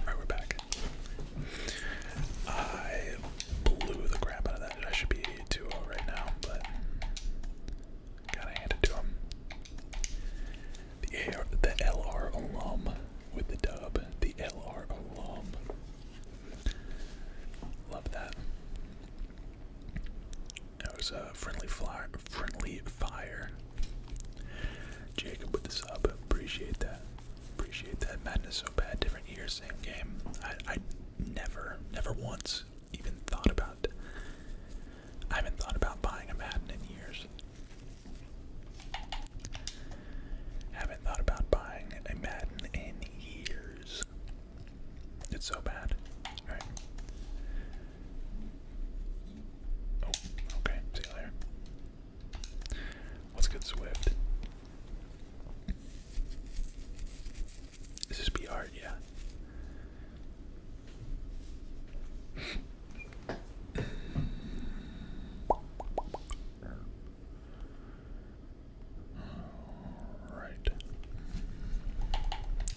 Alright, we're back. I blew the crap out of that. I should be 2 0 right now, but gotta hand it to him. The, the LR alum with the dub. The LR alum. Love that. That was a friendly fire. Friendly fire. Jacob with the sub. Appreciate that. Appreciate that. Madness so bad. Different year, same game. I, never, never once even thought about. I haven't thought about buying a Madden in years. Haven't thought about buying a Madden in years. It's so bad. All right. Oh, okay. See you later. Let's get Swift. Is be art? Yeah. All right.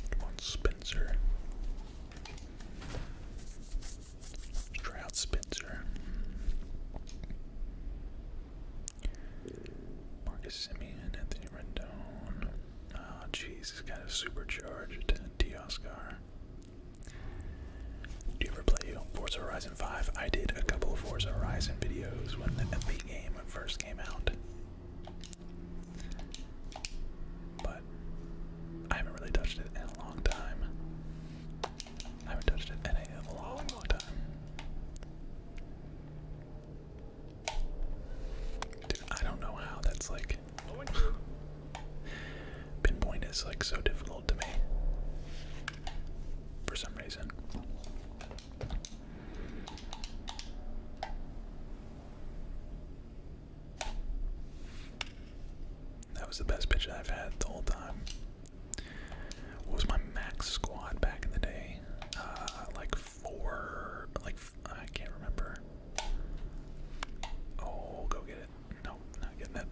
Come on, Spencer. Trout Spencer. Marcus Simeon, Anthony Rendon. Oh, jeez, he's got a supercharged Dioscar. Do you ever play Forza Horizon 5? I did a couple of Forza Horizon videos when the, the game first came out. But I haven't really touched it in a long time. haven't touched it in a long, long time. Dude, I don't know how that's like. Pinpoint is like so difficult to me for some reason. That was the best pitch I've had the whole time. What was my max squad back in the day? Uh, like four, like I can't remember. Oh, go get it. No, not getting it.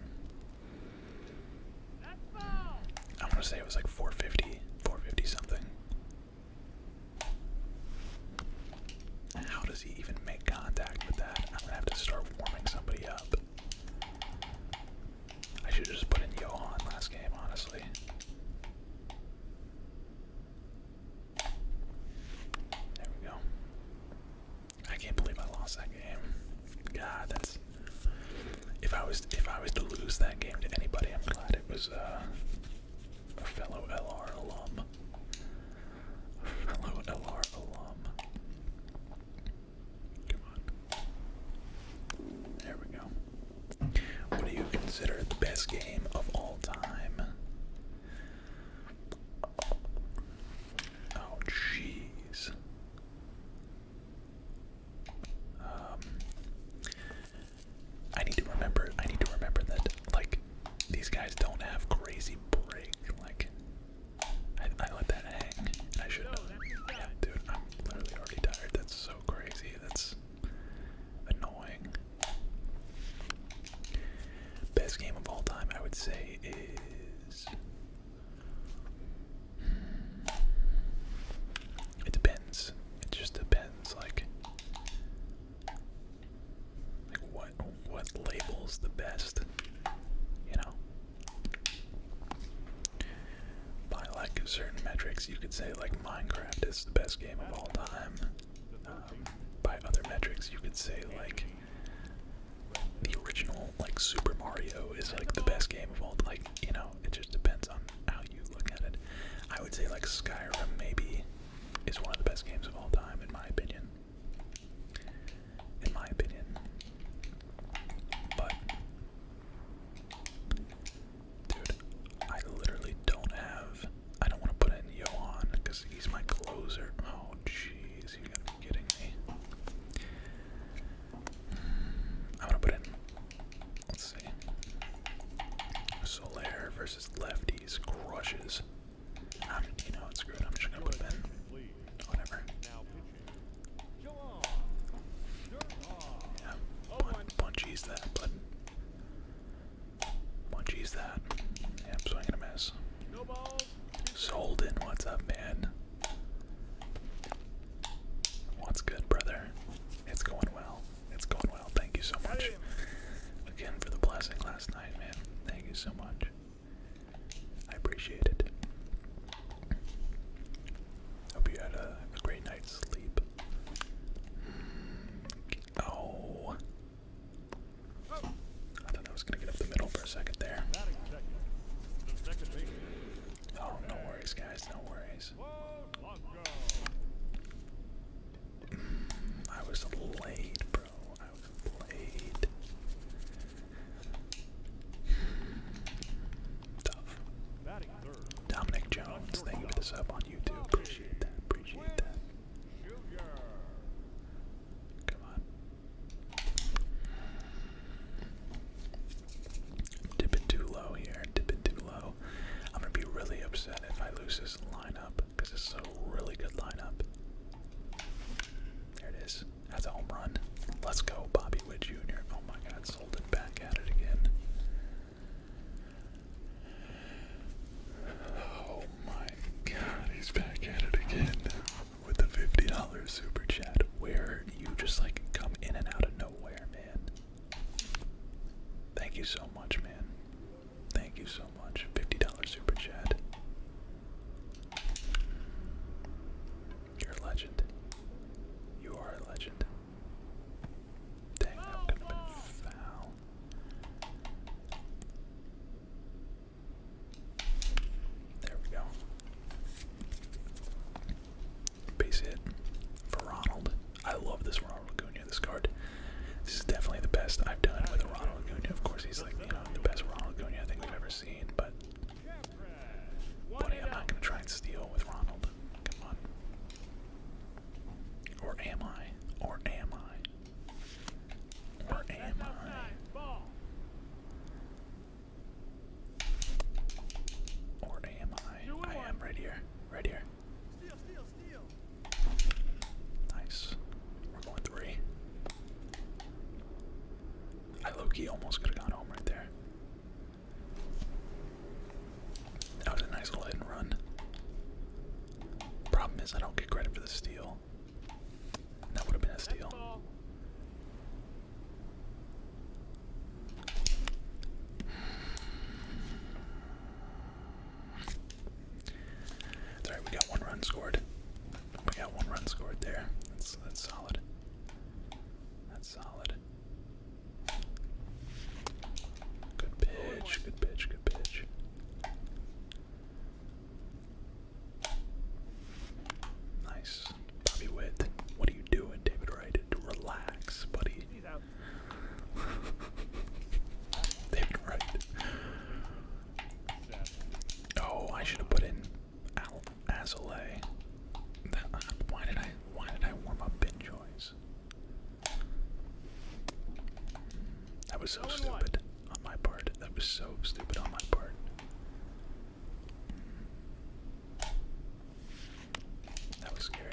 I want to say it was like 450, 450 something. How does he even make contact with that? I'm gonna have to start warming somebody up. I should just put in on last game, honestly. There we go. I can't believe I lost that game. God, that's if I was if I was to lose that game to anybody, I'm glad it was uh, a fellow LR alum. A fellow LR alum. Come on. There we go. What do you consider the best game of all time? Oh, jeez. Um, I need to remember. I need to remember that, like, these guys don't have crazy break. Like, I, let that hang. I should have. Yeah, dude, I'm literally already tired. That's so crazy. That's annoying. Best game of all time, I would say, is. It depends. It just depends, like, like what what labels the best, you know. By lack of certain metrics, you could say like Minecraft is the best game of all time. Um, by other metrics, you could say like the original like Super Mario is like the best game of all. Like you know, it just depends on how you look at it. I would say like Skyrim maybe is one of the best games of all time in my opinion in my opinion. But, dude, I literally don't have. I don't want to put in Johan because he's my closer. Oh, jeez, you gotta be kidding me. I'm to put in. Let's see. Solaire versus lefties crushes. Um, that, but that. Yeah, swinging a miss. Solden, what's up, man? What's good, brother? It's going well. It's going well. Thank you so much again for the blessing last night. Thank you so much. I appreciate it. Hope you had a great night's sleep. Mm, oh. I thought I was gonna get up the middle for a second there. Oh, no worries, guys, no worries. Mm, I was late, bro. Dominic Jones, thank you for the sub on YouTube. Appreciate that. Appreciate that. Come on. Dip too low here. Dip too low. I'm gonna be really upset if I lose this lineup because it's a really good lineup. There it is. That's a home run. Let's go, Bobby Wood Jr. Oh my God, sold it back at it again. Oh my God, he's back at it again with the fifty dollars super chat. Where you just like come in and out of nowhere, man. Thank you so much, man. Thank you so much. $50 super chat. You're a legend. You are a legend. Dang, that could have been foul. There we go. Base hit for Ronald. I love this Ronald Acuna, this card. This is definitely the best I've done with a Ronald Acuna. Of course, he's like, the best Ronald Acuna I we've ever seen, but buddy, I'm not gonna try and steal with Ronald. Come on. Or am I? Or am I? Or am I? Or am I? I am right here. Right here. Nice. We're going three. I low almost could have gone home right there. That was a nice little hit and run. Problem is, I don't get credit for the steal. That would have been a steal. All right, we got one run scored. We got one run scored there. That's that's solid. That's solid. Good pitch, good pitch, good pitch. Nice. Bobby Witt, what are you doing, David Wright? Relax, buddy. David Wright. Oh, I should have put in Azalea. That, uh, why did I? Why did I warm up Benjoy's? That was so stupid on my part. That was so stupid on my part. That was scary.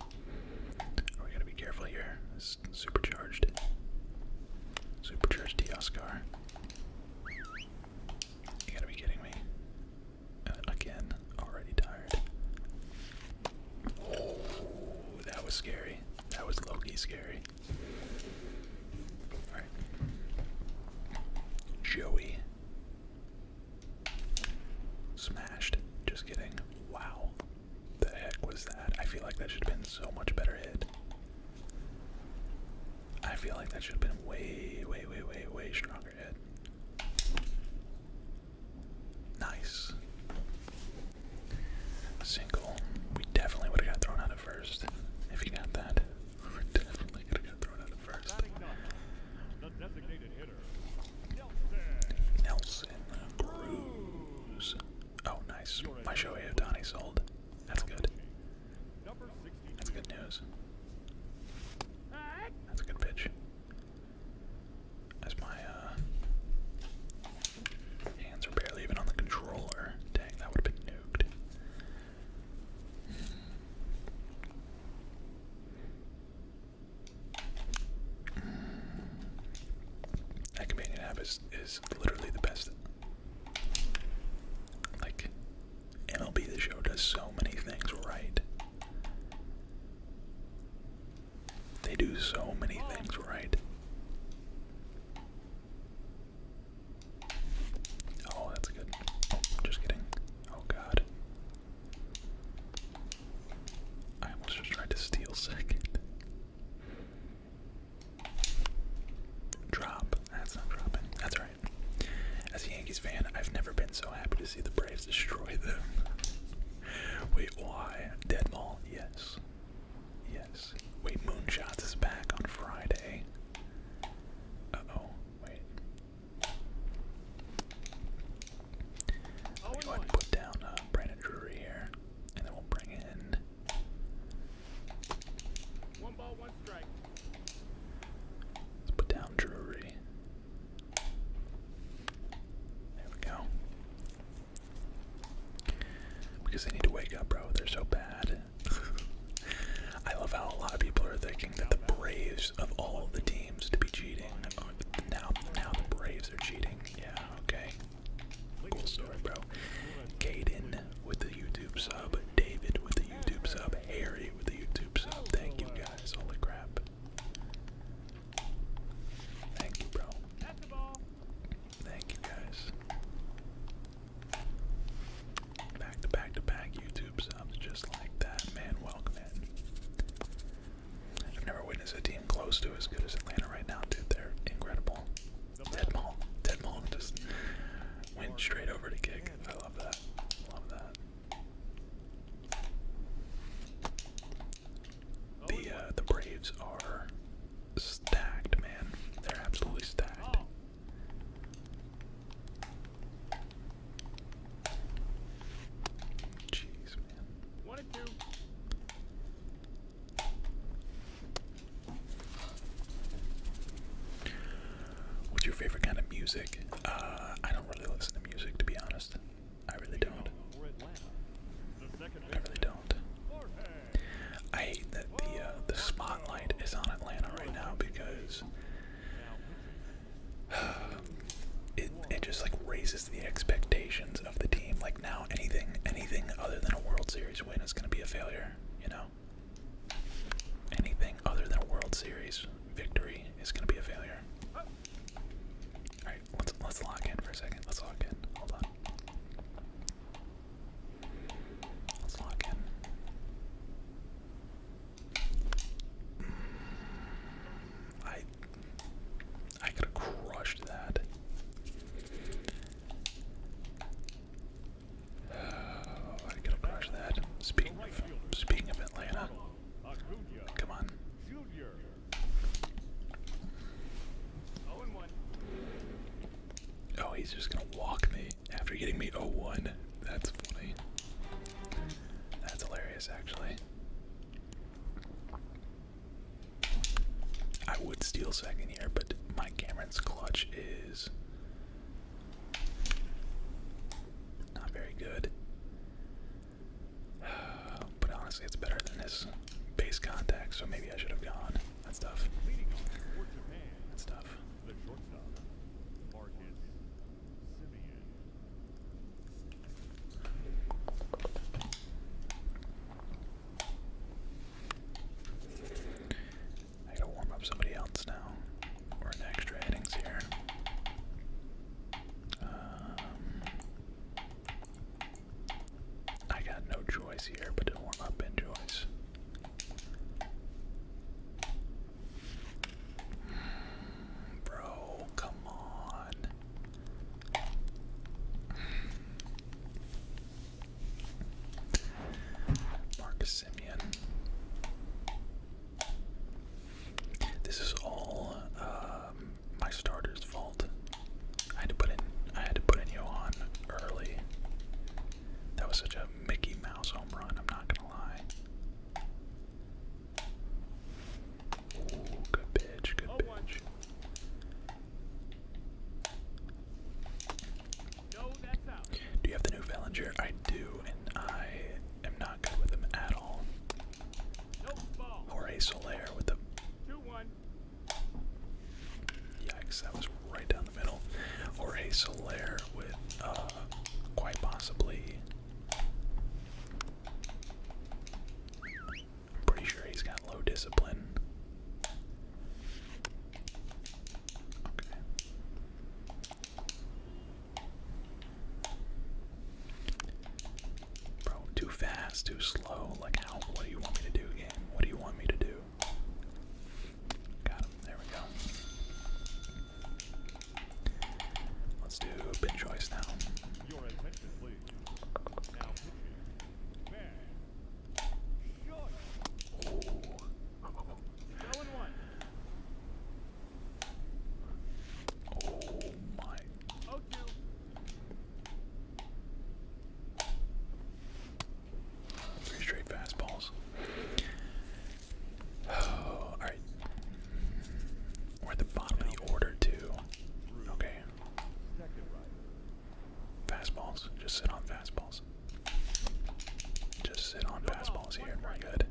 Oh, we gotta be careful here. supercharged. Supercharged Dioscar. You gotta be kidding me. Uh, again, already tired. Oh, that was scary. That was Loki scary. Alright. Joey. Smashed. Just kidding. Wow. The heck was that? I feel like that should have been so much better hit. I feel like that should have been way, way, way, way, way stronger hit. Nice. Single. We definitely would have got thrown out at first. If you got that, definitely gonna get thrown out at first. Nelson Cruz. Oh, nice. My Shohei Otani sold. That's good. That's good news. That's a good pitch. As my uh, hands are barely even on the controller. Dang, that would have been nuked. That companion app is, is literally the best. Like, MLB The Show does so many things right. They do so many things right. Oh, that's good. just kidding. Oh, God. I almost just tried to steal second. Drop. That's not dropping. That's right. As a Yankees fan, I've never been so happy to see the Braves destroy them. Wait, why? Dead Mall? Yes. Yes. Wait, Moonshots is back on Friday. Uh oh. Wait. I'm put down uh, Brandon Drury here, and then we'll bring in. One ball, one strike. Let's put down Drury. There we go. Because they need to wake up, bro. They're so bad. I love how a lot of people are thinking that the Braves of all the teams to be cheating now now the Braves are cheating. Yeah, okay. Cool story, bro. Caden with the YouTube sub, David with the YouTube sub, Harry with the YouTube sub. Thank you guys. Holy crap. Thank you, bro. Thank you guys. Back to back to back YouTube subs just like that. Man, welcome in. I've never witnessed a team close to as good as Atlanta right now, dude. They're incredible. Dead ball. Dead ball. just went straight over to kick. I love that. Love that. The uh, the Braves are stacked, man. They're absolutely stacked. Jeez, What's your favorite kind of music? Uh, I don't really listen to music, to be honest. I really don't. I really don't. I hate that the uh, the spotlight is on Atlanta right now because. it it just like raises the expectations of the team. Like now, anything anything other than a World Series win is going to be a failure. You know, anything other than a World Series victory is going to be a failure. All right, let's let's log in for a second. Let's log in. Hold on. Let's log in. I I could have crushed that. Oh, I could have crushed that. Speaking of, speaking of Atlanta, come on. Oh, he's just gonna walk me after getting me o-one. Oh That's funny. That's hilarious, actually. I would steal second here, but my Cameron's clutch is not very good. But honestly, it's better than this base contact, so maybe I should have gone. That's tough. That's tough. I gotta warm up somebody else now. We're in extra innings here. Um, I got no choice here but to warm up in choice. Bro, come on. Marcus Simeon. This is all um, my starter's fault. I had to put in. I had to put in Johan early. That was such a Mickey Mouse home run. I'm not gonna lie. Good pitch, good pitch. Do you have the new Valinger? I do, and I am not good with him at all. Jorge Soler with the. Yikes, that was right down the middle. Jorge Soler with, uh, quite possibly. I'm pretty sure he's got low discipline. Bro, too fast, too slow. Like, how? What do you want me to do, game? What do you want me to do? Got him. There we go. Let's do a choice Now, Three straight fastballs. Oh, all right. We're at the bottom of the order too. Okay. Fastballs. Just sit on fastballs. Just sit on fastballs here and we're good.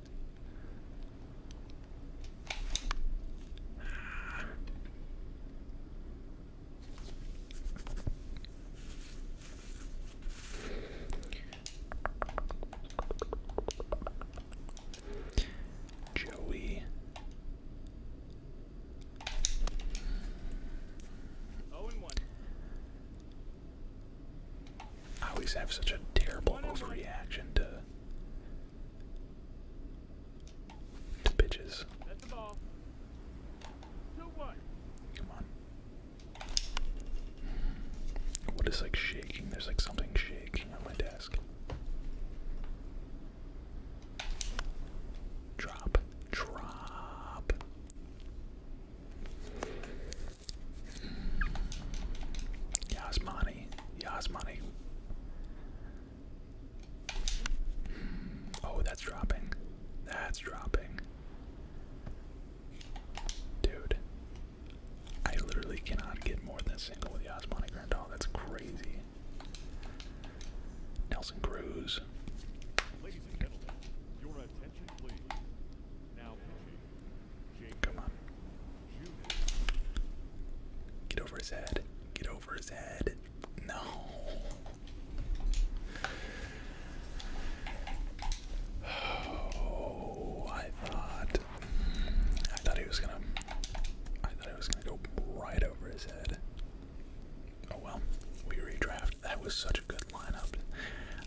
Joey I always have such a terrible overreaction to to pitches. That's the ball. Come on. What is like shaking? There's like something shaking on my desk. Drop, drop. Yasmani, Yasmani. Oh, that's dropping. That's dropping. Dude, I literally cannot get more than single with Yasmani Grandal. That's crazy. Nelson Cruz. Ladies and gentlemen, your attention please. Now Come on. Get over his head. Get over his head. No. Oh, I thought mm, I thought he was gonna I thought he was gonna go right over his head. Oh well, we redraft. That was such a good lineup.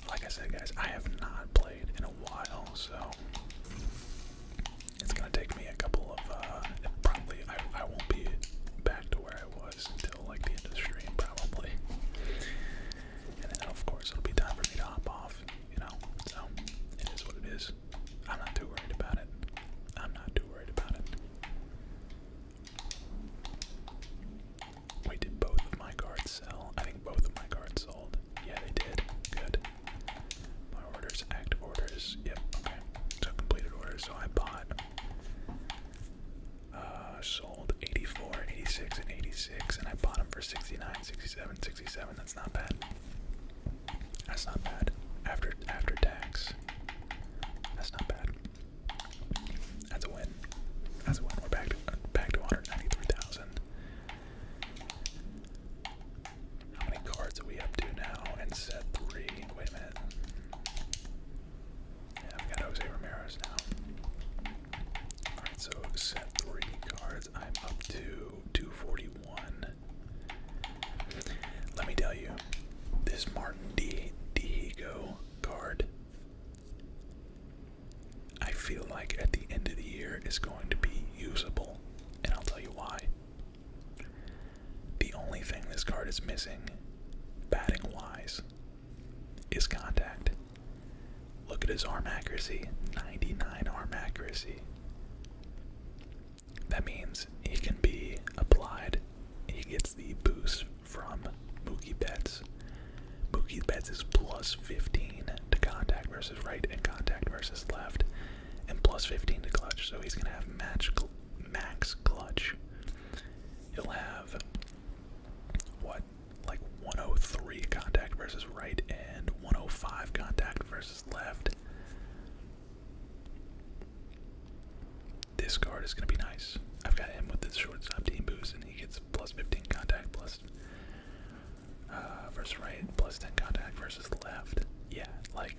Like I said, guys, I have not played in a while, so it's gonna take me a couple of. Uh, probably I I won't be back to where I was until like the end of the stream, probably. And then of course it'll be time for me to hop off. You know, so it is what it is. I'm not too worried about it. I'm not too worried about it. Wait, did both of my cards sell? I think both of my cards sold. Yeah, they did. Good. My orders, active orders. Yep, okay. So completed orders. So I bought, uh, sold 84, 86, and 86, and I bought them for 69, 67, 67. That's not bad. That's not bad. After after tax. That's not bad. That's a win. That's a win. We're back to back to 193,000. How many cards are we up to now? And set three. Wait a minute. Yeah, I've got Jose Ramirez now. Alright, so set three cards. I'm up to 241. Let me tell you, this Martin D. Diego card, I feel like at the end of the year is going to be usable, and I'll tell you why. The only thing this card is missing, batting wise, is contact. Look at his arm accuracy 99 arm accuracy. That means he can be applied he gets the boost from Mookie Betts. Mookie Betts is plus 15 to contact versus right and contact versus left, and plus 15 to clutch. So he's going to have match max clutch. He'll have, what, like 103 contact versus right and 105 contact versus left. This card is going to be nice. I've got him with this shortstop team boost, and he gets plus 15 contact, plus uh, versus right, plus 10 contact versus left. Yeah, like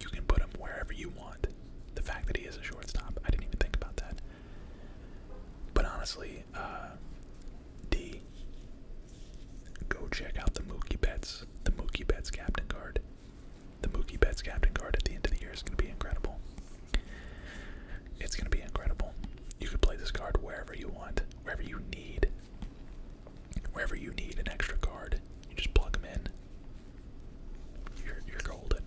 you can put him wherever you want. The fact that he is a shortstop, I didn't even think about that. But honestly, uh, D, go check out the Mookie Betts, the Mookie Betts captain card the Mookie Betts captain card at the end of the year is going to be incredible. It's going to be incredible. You could play this card wherever you want, wherever you need. Wherever you need an extra card, you just plug them in. You're golden.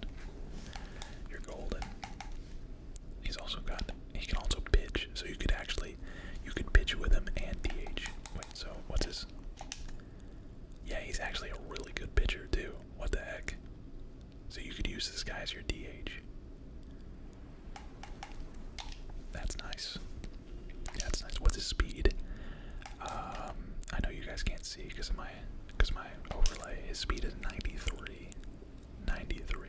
You're golden. He's also got. He can also pitch, so you could actually, you could pitch with him and DH. Wait, so what's his? Yeah, he's actually a really good pitcher, too. What the heck? So you could use this guy as your DH. That's nice. that's nice. What's his speed? Um, I know you guys can't see because of my because my overlay. His speed is 93. 93.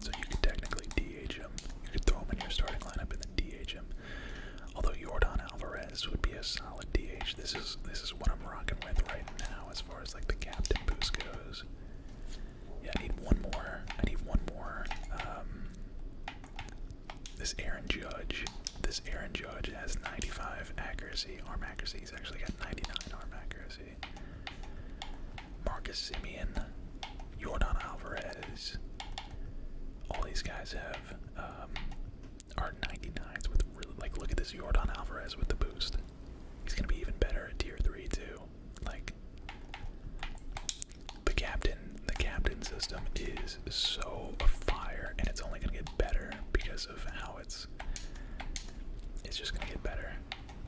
So you could technically DHM. him. You could throw him in your starting lineup and then DH Although Jordan Alvarez would be a solid DH. This is this is what I'm rocking with right now as far as like the captain boost goes. Yeah, I need one more. I need one more. Um, this Aaron Judge. This Aaron Judge has 95 accuracy, arm accuracy. He's actually got 99 arm accuracy. Marcus Simeon, Jordan Alvarez. All these guys have um, are 99s with really like look at this Jordan Alvarez with the boost. He's gonna be even better at tier three too. Like the captain, the captain system is so fire, and it's only gonna get better because of how it's. It's just gonna get better.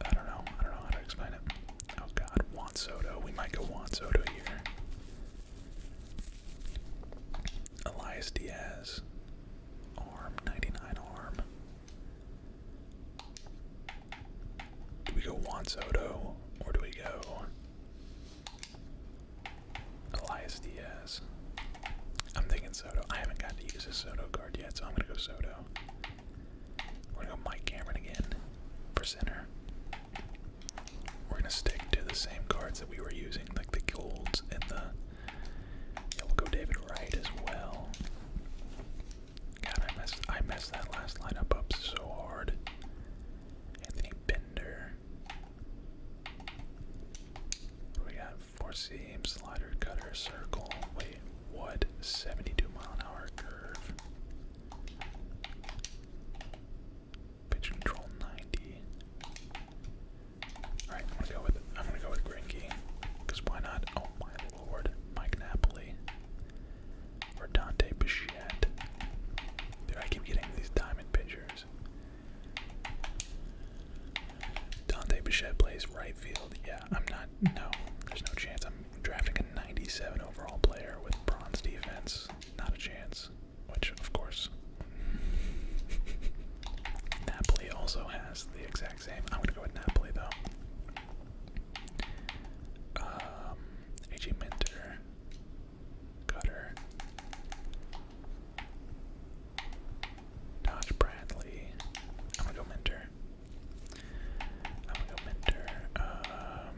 I don't know. I don't know how to explain it. Oh god, Juan Soto. We might go Juan Soto here. Elias Diaz. Arm, 99 arm. Do we go Juan Soto or do we go Elias Diaz? I'm thinking Soto. I haven't got to use a Soto card yet, so I'm gonna go Soto. We're gonna go Mike Cameron again for center. We're gonna stick to the same cards that we were using, like the golds and the. we'll go David Wright as well. God, I messed I messed that last lineup up so hard. Anthony Bender. we got? Four seam, slider, cutter, circle. Wait, what? 72 mile an hour curve. Pitch control 90. Alright, I'm gonna go with I'm gonna go with Grinky. Because why not? Oh my lord, Mike Napoli. Or Dante Bichette. Dude, I keep getting these diamond pictures. Dante Bichette plays right field. Yeah, I'm not no, there's no chance I'm drafting a 97 overall player with bronze defense. Not a chance. Which, of course, Napoli also has the exact same. I'm gonna go with Napoli though. Um, AG Minter, Cutter, Dodge Bradley. I'm gonna go Minter. I'm gonna go Minter. Um.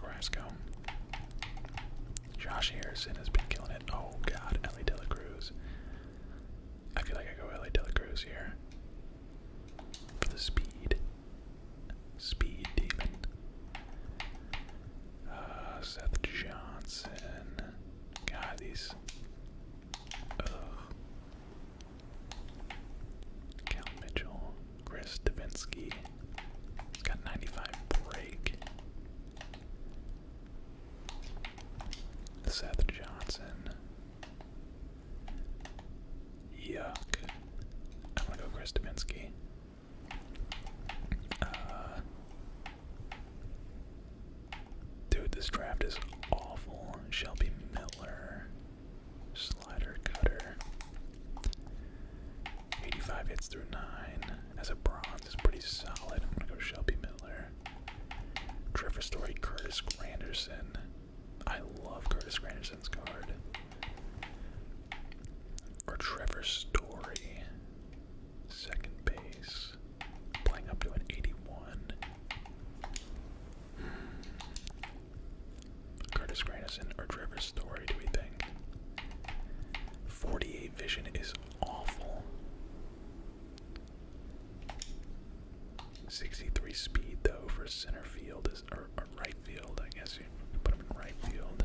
Carrasco. Josh Harrison has been killing it. Oh god, Ellie De La Cruz. I feel like I go Ellie De La Cruz here. For the speed. Speed Demon. Uh, Seth Johnson. God, these. Ugh. Cal Mitchell. Chris Davinsky. got 95 break. Seth Johnson. Yuck. I'm gonna go Chris Davinsky. Uh, dude, this draft is awful. Shelby Miller, slider cutter. 85 hits through 9. As a bronze is pretty solid. I'm gonna go Shelby Miller. Trevor Story, Curtis Granderson. I love Curtis Granderson's card or Trevor Story, second base, playing up to an 81. Curtis Granison or Trevor Story, do we think? 48 vision is awful. 63 speed though for center field is or, or right field, I guess you put him in right field.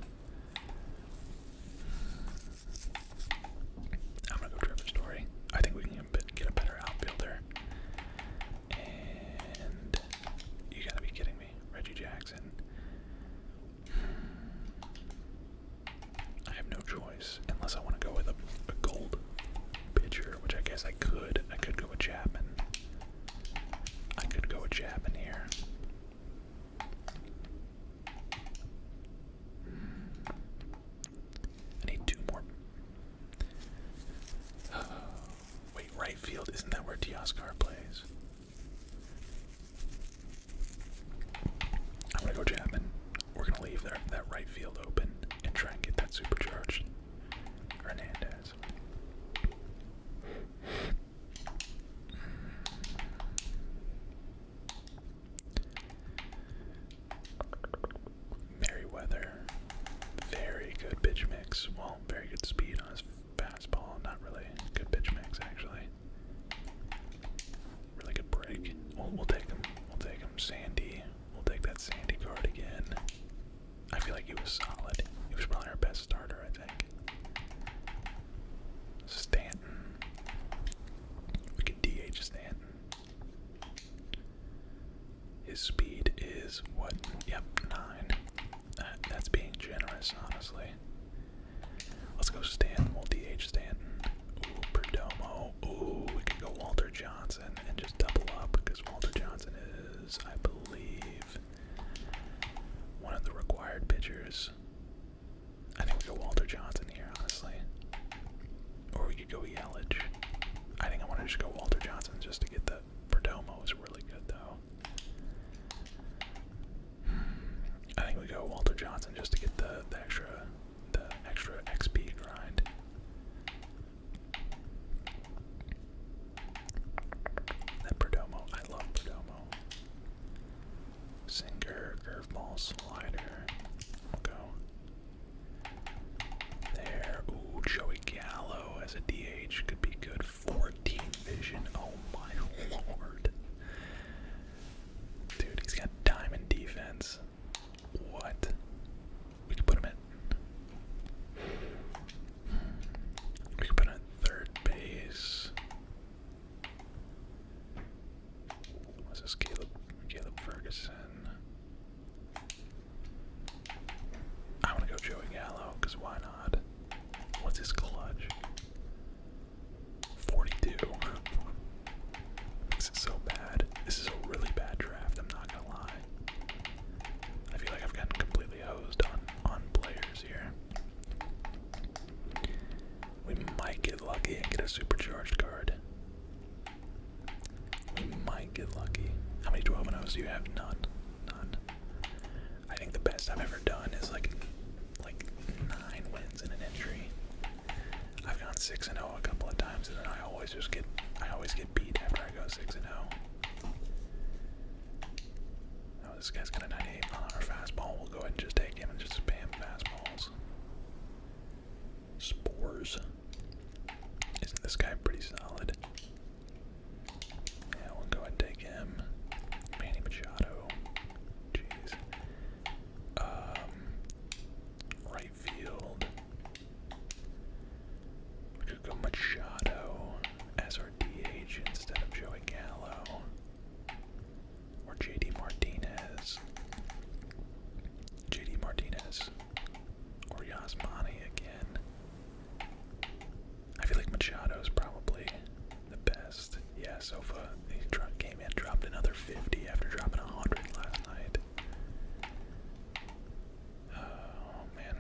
I'm gonna go Trevor Story. I think we can get a better outfielder. And you gotta be kidding me, Reggie Jackson. I have no choice unless I want to go with a, a gold pitcher, which I guess I could. I could go with Chapman. I could go with Chapman here need two more. wait, right field, isn't that where Dioscar plays? I'm gonna go Chapman. We're gonna leave that, that right field open and try and get that supercharged. Hernandez. Merriweather, very good pitch mix. Well, very good speed on his fastball. Not really good pitch mix, actually. Really good break. We'll, take him. We'll take him. Sandy. We'll take that Sandy card again. I feel like he was solid. He was probably our best starter. I'd think. Stanton. We could DH Stanton. His speed is what? Yep, nine. that's being generous, honestly. Let's go Stanton. We'll DH Stanton. Perdomo. Ooh, we could go Walter Johnson and just double up because Walter Johnson is, I believe, one of the required pitchers I think we go Walter Johnson here, honestly. Or we could go Yelich. I think I want to just go Walter Johnson just to get the Perdomo is really good though. I think we go Walter Johnson just to get the, the extra the extra XP grind. That Perdomo, I love Perdomo. Sinker, curveball, slider. We'll go there. Ooh, Joey Gallo as a DH could be good. 14 vision. Oh my lord. Dude, he's got diamond defense. What? We could put him at. We could put him at third base. What's this, Caleb? Caleb Ferguson. I want to go Joey Gallo, because why not? What's his clutch? 42. This is so bad. This is a really bad draft, I'm not gonna lie. I feel like I've gotten completely hosed on on players here. We might get lucky and get a supercharged card. We might get lucky. How many 12 and 0s do you have? None. None. I think the best I've ever done is like like nine wins in an entry. I've gone 6 and 0 a couple of times and then I always just get I always get beat after I go 6 and 0 this guy's got a 98 mile an hour fastball. We'll go ahead and just take him and just spam fastballs. Spores. Isn't this guy pretty solid? Yeah, we'll go and take him. Manny Machado. Jeez. Um, right field. We could go Machado as our DH instead of Joey Gallo or JD Martinez. JD Martinez or Yasmani again. I feel like Machado's probably the best. Yeah, Sofa, he came in, dropped another 50 after dropping 100 last night. Oh, man.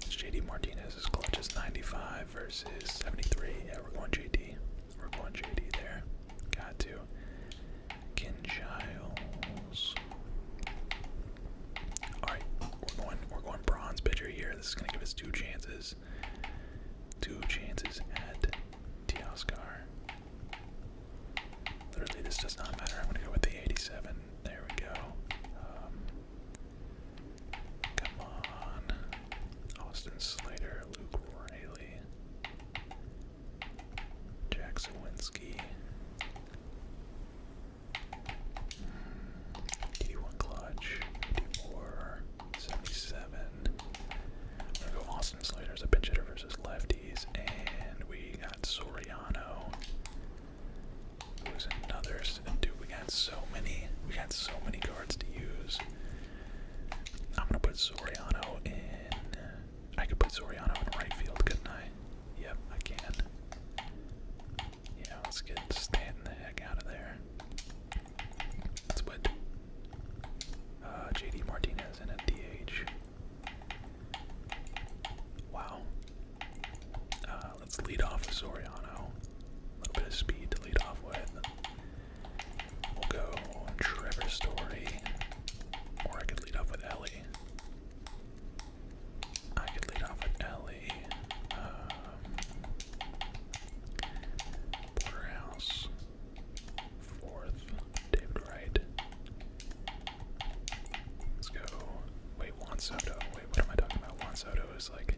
JD Martinez's clutch is 95 versus 73. Yeah, we're going JD. We're going JD there. Got to. Ken Giles. Alright, we're going we're going bronze pitcher here. This is gonna give us two chances. Two chances at Teoscar. Literally this does not matter. I'm gonna go with the 87. There we go. Um, Come on. Austin Slater, Luke Riley, Jack Zawinski. Eighty-one mm, clutch, eighty-four, seventy-seven. go Austin Slater as a pinch hitter versus lefties, and we got Soriano, who's another we got so many. We got so many cards to use. I'm gonna put Soriano in. I could put Soriano in right field, couldn't I? Yep, I can. Yeah, let's get standing the heck out of there. Let's uh, JD Martinez in at DH. Wow. Uh, let's lead off with Soriano. A little bit of speed to lead off with. We'll go Trevor Story. Or I could lead off with Ellie. I could lead off with Ellie. Um, Porterhouse. Fourth. David Wright. Let's go. Wait, Juan Soto. Wait, what am I talking about? Juan Soto is like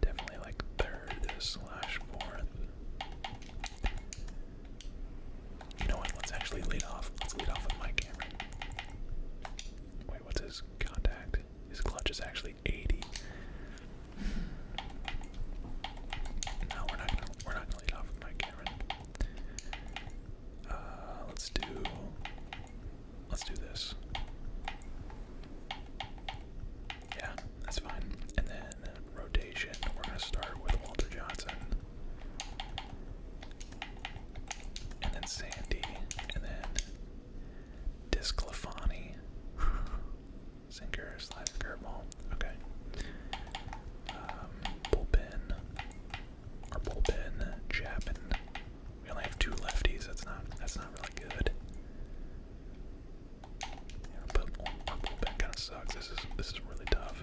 Definitely like third slash fourth. You know what? Let's actually lead off. Let's lead off with my camera. Wait, what's his contact? His clutch is actually 80. No, we're not we're not lead off with Mike Cameron. Uh, let's do Let's do this. Yeah, that's fine. And then rotation. We're gonna start with Walter Johnson. And then Sandy. And then Disclafani. Sinker, slide curveball. Okay. Um, bullpen. Our bullpen. Chapman. We only have two lefties. That's not. That's not really good. Yeah, but kind of sucks. This is this is really tough.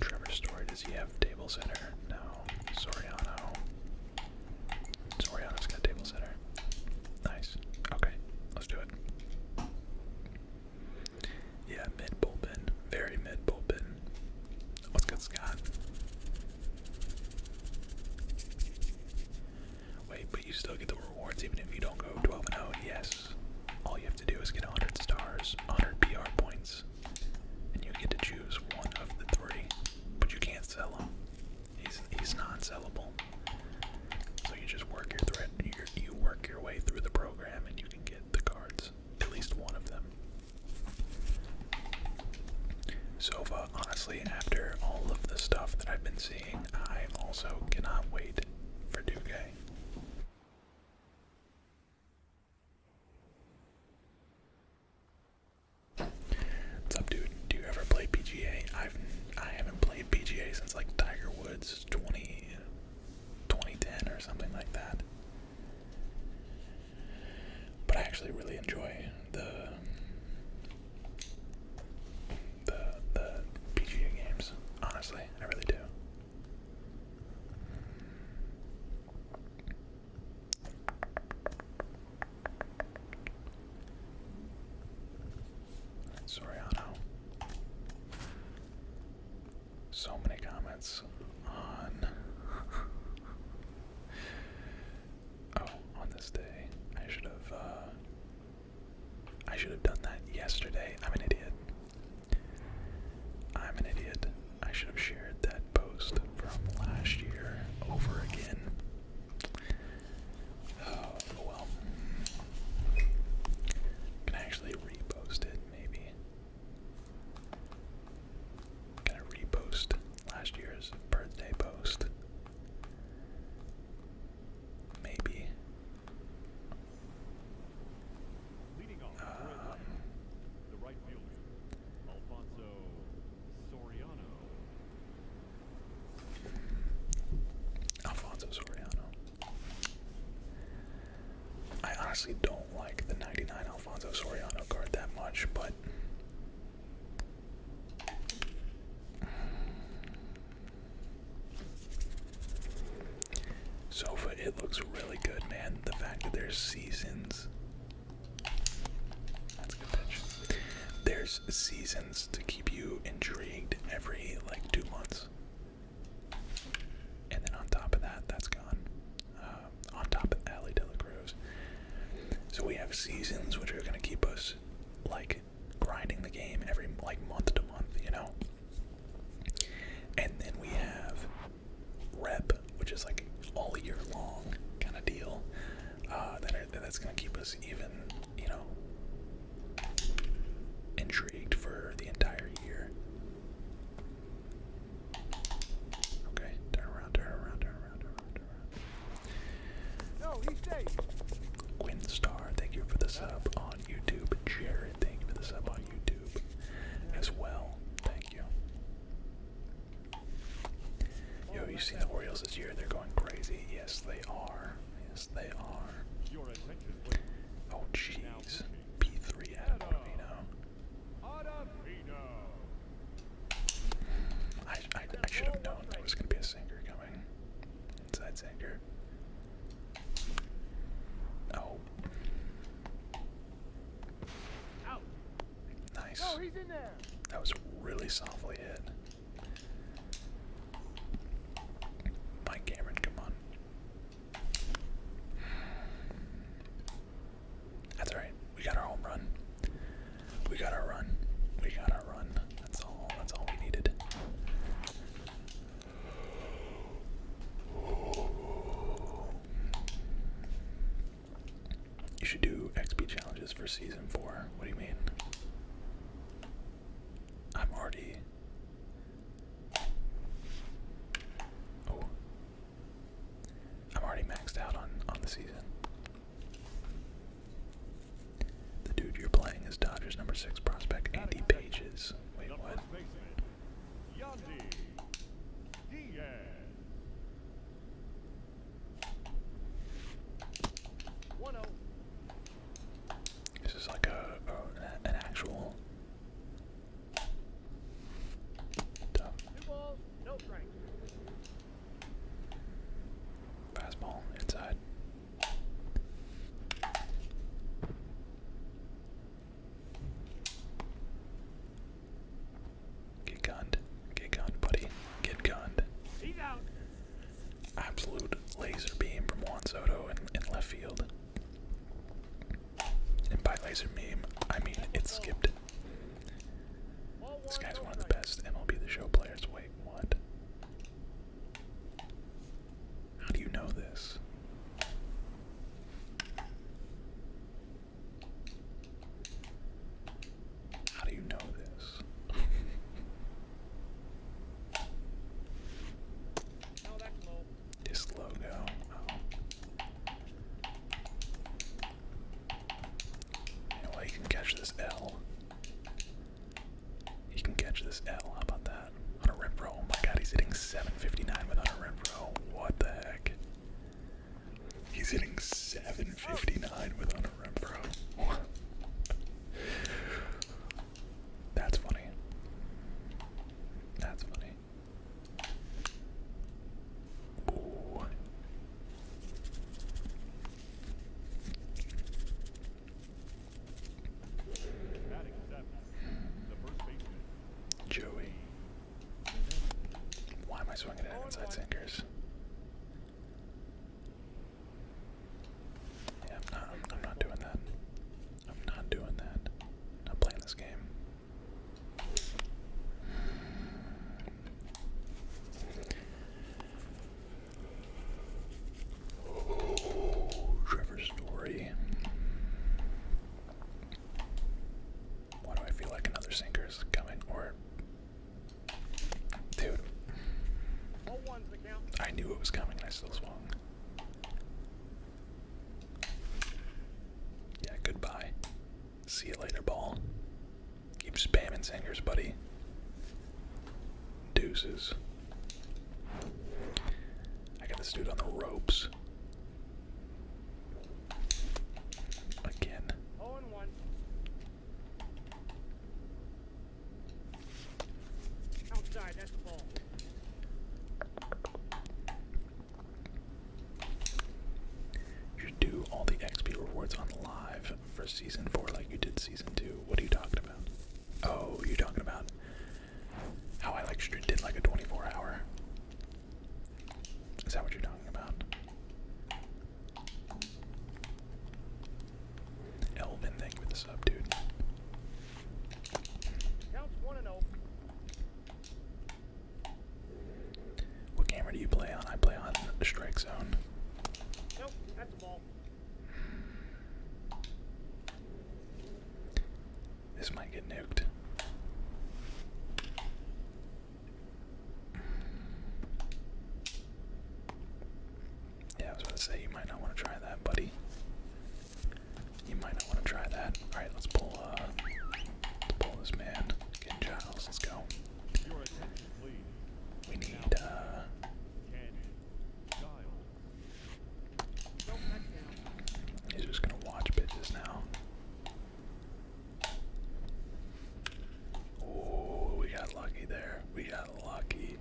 Trevor Story. Does he have table center? No. Soriano. Soriano's got table center. Nice. Okay, let's do it. Yeah, mid bullpen, very mid bullpen. What's good, Scott? Wait, but you still get the rewards even if you don't go 12 and 0. Yes. All you have to do is get 100 stars, 100 PR points, and you get to choose one of the three. But you can't sell them. He's he's non-sellable. So you just work your thread. threat. You work your way through the program, and you can get the cards. At least one of them. Sova, honestly, after all of the stuff that I've been seeing, I also cannot wait for Duque. What's up, dude? Do you ever play PGA? I've I haven't played PGA since like Tiger Woods 20, or something like that. But I actually really enjoy the the the PGA games. Honestly, I really do. Soriano. So many comments on Oh, on this day, I should have. Uh, I should have done that yesterday. I'm an idiot. I'm an idiot. I should have shared that post from last year over again. Oh well. Can I actually repost it? Maybe. Gonna repost last year's birthday post. Maybe. um, Alfonso Soriano. I honestly don't like the 99 Alfonso Soriano card that much, but Sofa, it looks really good, man. The fact that there's seasons. There's seasons to keep you intrigued every like two months. And then on top of that, that's gone. Uh, uh, on top of Allie De Cruz. So we have seasons which are going to keep us like grinding the game every like month to month, you know. And then we have rep, which is like all year long kind of deal. Uh, that that's going to keep us even, you know, intrigued for the entire year. Okay, turn around, turn around, turn around, turn Quinn Star, thank you for the sub on YouTube. Jared, thank you for the sub on YouTube as well. Thank you. Yo, you seen the Orioles this year? They're going crazy. Yes, they are. Yes, they are. Oh, jeez. P3 Adam Ottavino. I, I, should have known there was going to be a singer coming. Inside singer. Oh. Out. Nice. Oh, he's in there. That was really softly hit. Mike Cameron, come on. That's alright. We got our home run. We got our run. We got our run. That's all. That's all we needed. You should do XP challenges for season four. What do you mean? I'm already. Oh. I'm already maxed out on on the season. The dude you're playing is Dodgers number six prospect Andy Pages. Wait, what? This is like a, an actual Fastball inside. Get gunned. Get gunned, buddy. Get gunned. He's out. Absolute laser beam from Juan Soto in, left field. And by laser beam, I mean it skipped this guy's one of the best MLB The Show players. Wait, what? How do you know this? How do you know this? This logo. Oh. No he can catch this L. He can catch this L. How about that? On a rip row. Oh my god, he's hitting 759 without a rip row. What the heck? He's hitting 759 without a rip row. That's funny. That's funny. Joey. Why am I swinging at inside sinkers? I'm not. I'm, I'm not doing that. I'm not doing that. I'm not playing this game. Trevor Story. Why do I feel like another sinker is coming? Or. Dude. I knew it was coming and I still swung. Yeah, goodbye. See you later, ball. Keep spamming singers, buddy. Deuces. I got this dude on the ropes. Again. Oh and one. Outside, that's the ball. You do all the XP rewards on live for season four like you did season two. What are you talking about? Oh, you talking about how I like did like a 24 hour. Is that what you're talking about? Elvin, thank you the sub, dude. Counts one and oh. What camera do you play on? I play on Strike Zone. Nope, that's a ball. This might get nuked. Yeah, I was about to say, you might not want to try that, buddy. You might not want to try that. Alright, let's pull, uh, let's pull this man. Get Giles, let's go. We need, uh... He's just gonna watch bitches now. Oh, we got lucky there. We got lucky.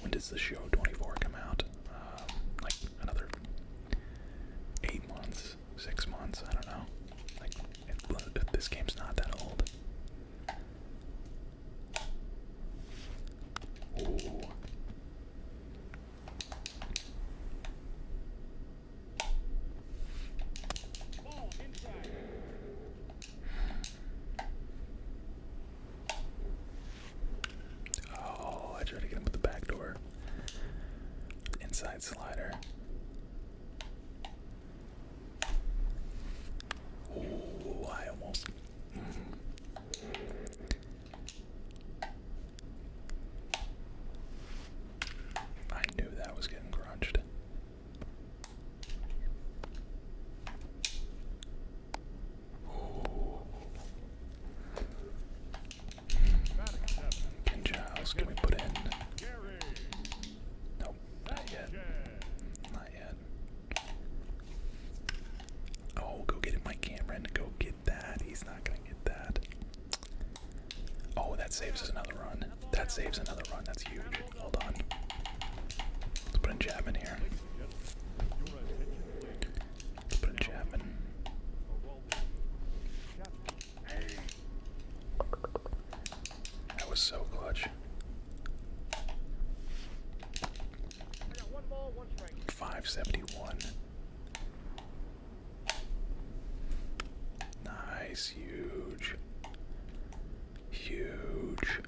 When does the show 24 come out? Um, like another eight months, six months, I don't know this game's not that old. Ooh. Oh, I tried to get him with the back door. Inside slider. Ooh, I almost. knew that was getting crunched. Ooh. Giles, can we put in? Nope, not yet. Not yet. Oh, go get it, Mike Cameron. Go get that. He's not gonna get that. Oh, that saves us another run. That saves another run. That's huge. Hold on. Let's put in Chapman here. Let's put in Chapman. That was so clutch. Five seventy one. Nice, huge, huge.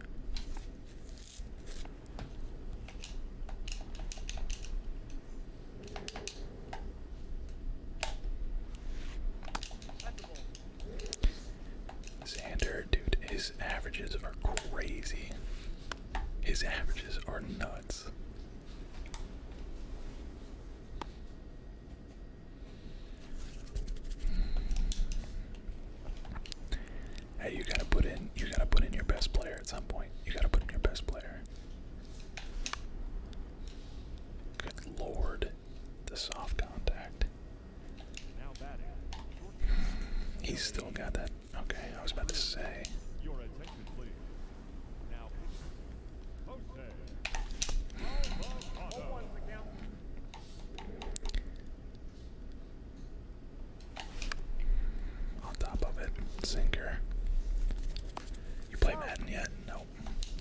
Xander, dude, his averages are crazy. His averages are nuts. Hey, you gotta put in you gotta put in your best player at some point. You gotta put in your best player. Good lord. The soft contact it. He's still got that. Okay, I was about to say. On top of it, sinker. You play Madden yet?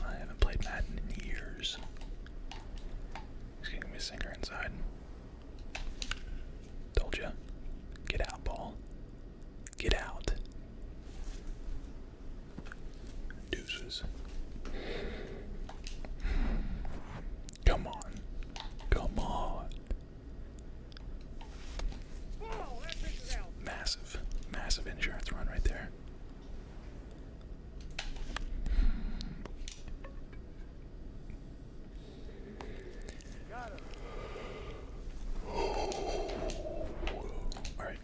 I haven't played Madden in years. He's getting me a sinker inside. Told ya. Get out, ball. Get out. Deuces. Come on. Come on. Massive, massive insurance run right there. All right.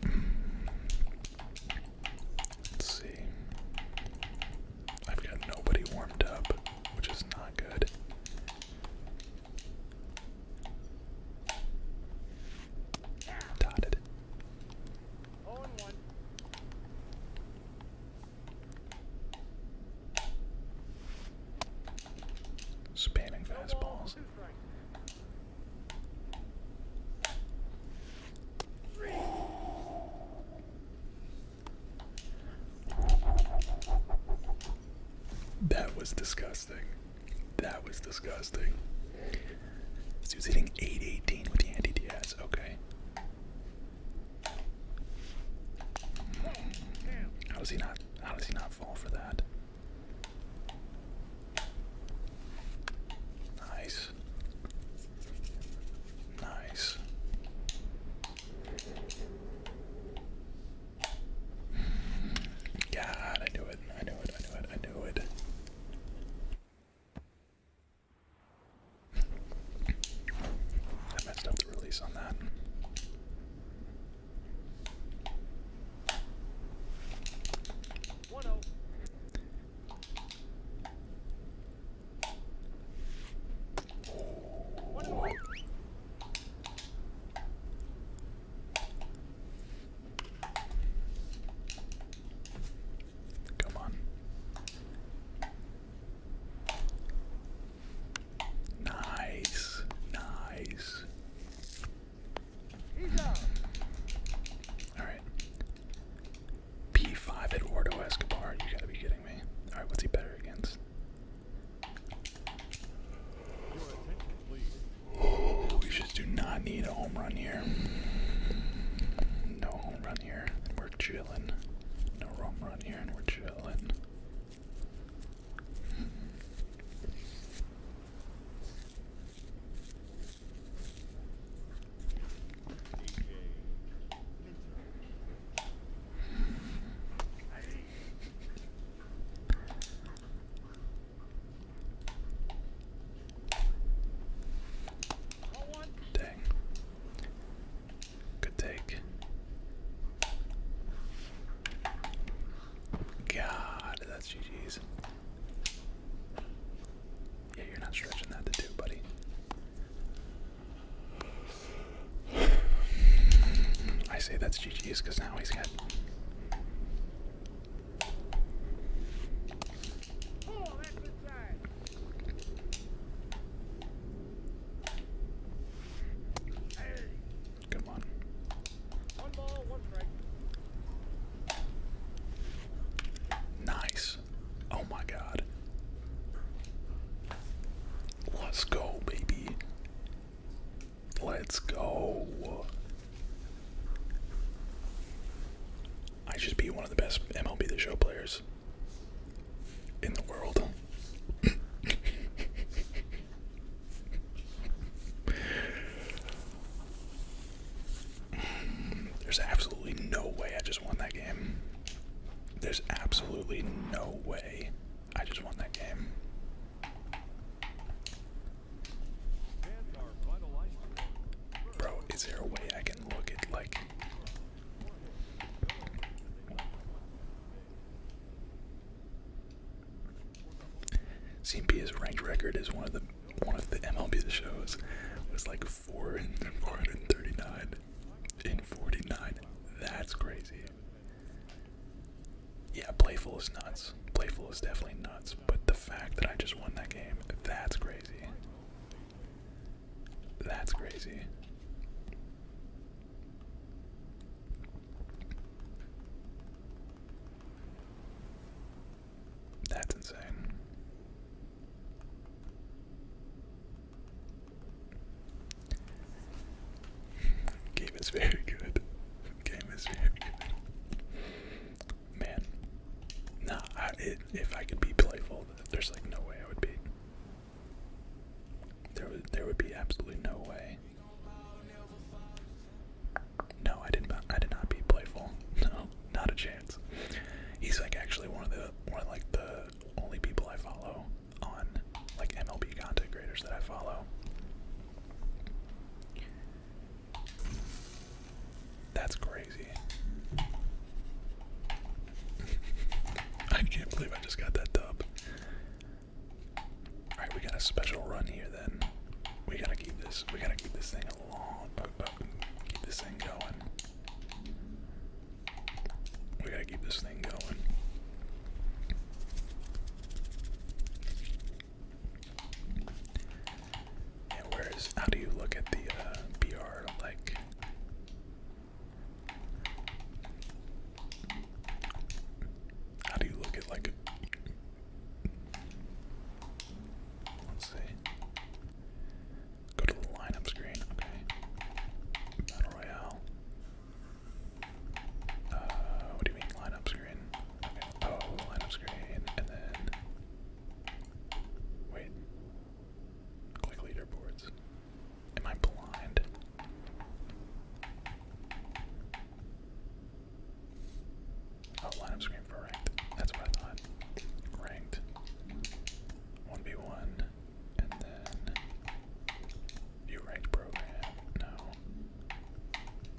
Let's see. I've got nobody warmed up, which is not good. Dotted. Spanning fastballs. That was disgusting. That was disgusting. So he was hitting 818 with Yandy Diaz. Okay. How does he not? How does he not fall for that? Nice. Nice. God, I knew it. I knew it. I knew it. I knew it. I messed up the release on that. Oh. Come on. Nice, nice. Alright. P5 at Eduardo Escobar, you gotta be kidding me. Alright, what's he better against? Oh, we just do not need a home run here. No home run here we're chilling. No roam run here, and we're chilling. Dang. Good take. God, that's GG's. Yeah, you're not stretching that to buddy. I say that's GG's because now he's got. Come on. nice. Oh my god. Let's go, baby. Let's go. I should be one of the best MLB The Show players in the world. There's absolutely no way I just won that game. There's absolutely no way I just won that game. Bro, is there a way I can look at like CMP's ranked record is one of the one of the MLB shows was like four and four hundred and thirty-nine in forty-nine. That's crazy. Yeah, playful is nuts. Playful is definitely nuts, but the fact that I just won that game, that's crazy. That's crazy. That's insane. Game is very good. Game is very good. Man, nah, if I could be playful, there's like no way I would be. There would there would be absolutely no way. No, I didn't. I did not be playful. No, not a chance. He's like actually one of the one like the only people I follow on like MLB content graders that I follow. That's great. I can't believe I just got that dub. Alright, we got a special run here then. We gotta keep this we gotta keep this thing uh, uh, going. We gotta keep this thing going. Yeah, how do you look at the uh, BR like how do you look at like a let's see. Go to the lineup screen, okay. Battle Royale. Uh what do you mean lineup screen? Okay. Oh, lineup screen and then wait. Click leaderboards. Am I blind? Oh, line up for ranked. That's what I thought. Ranked. 1v1. And then. View ranked program. No.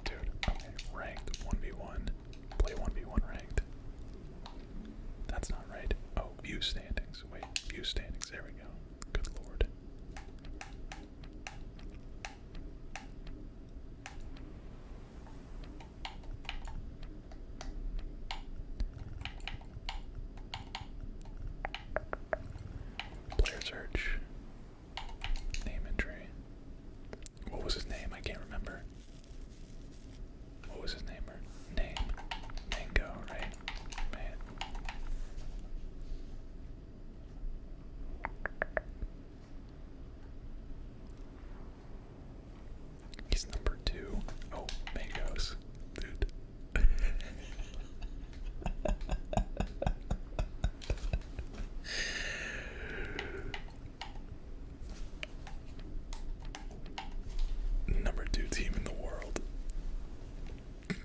Dude, okay. Ranked 1v1. Play 1v1 ranked. That's not right. Oh, view standing. Wait, view standings. There we go. Good lord. Player search. Name entry. What was his name? I can't remember what was his name or name? Mango, right? Man. He's number two. Oh, mangoes, dude. number two team in the world.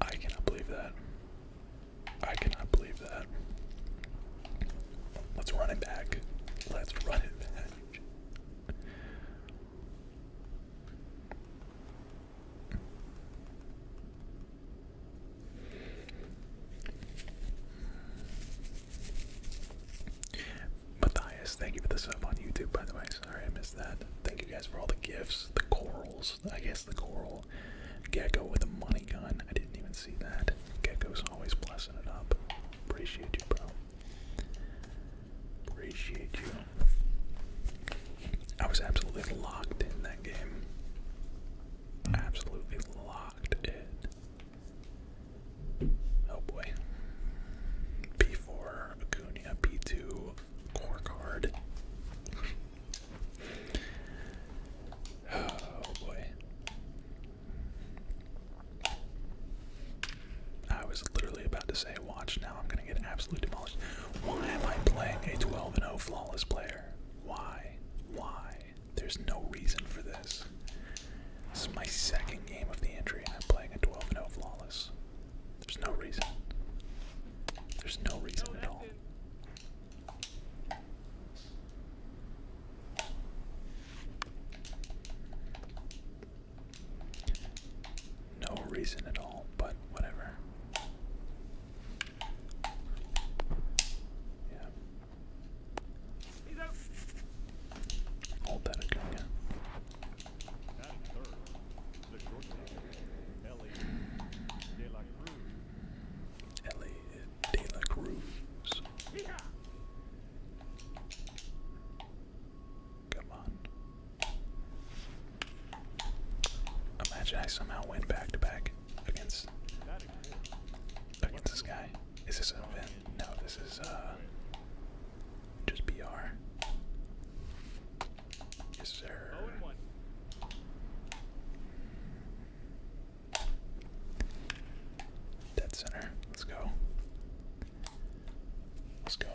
I cannot believe that. I cannot believe that. Let's run it back. Let's run it back. Matthias, thank you for the sub on YouTube, by the way. Sorry I missed that. Thank you guys for all the gifts, the corals. I guess the coral Gecko. with a money gun. I didn't even see that. Gecko's always blessing it up. Appreciate you, bro. Appreciate you. I was absolutely locked in that game. Absolutely locked in. Oh boy. P4, Acuna, P2, core card. Oh boy. I was literally about to say watch now I'm gonna get absolutely demolished. Why am I playing a 12 0 flawless player? Why? Why? There's no reason for this. This is my second game of the entry and I'm playing a 12 0 flawless. There's no reason. There's no reason at all. No reason at all, but whatever. Yeah. Hold that again. Ellie De La Cruz. Come on. Imagine I somehow went back to back against against this guy. Is this an event? No, this is uh just BR. Yes, sir. Dead center. Let's go. Let's go.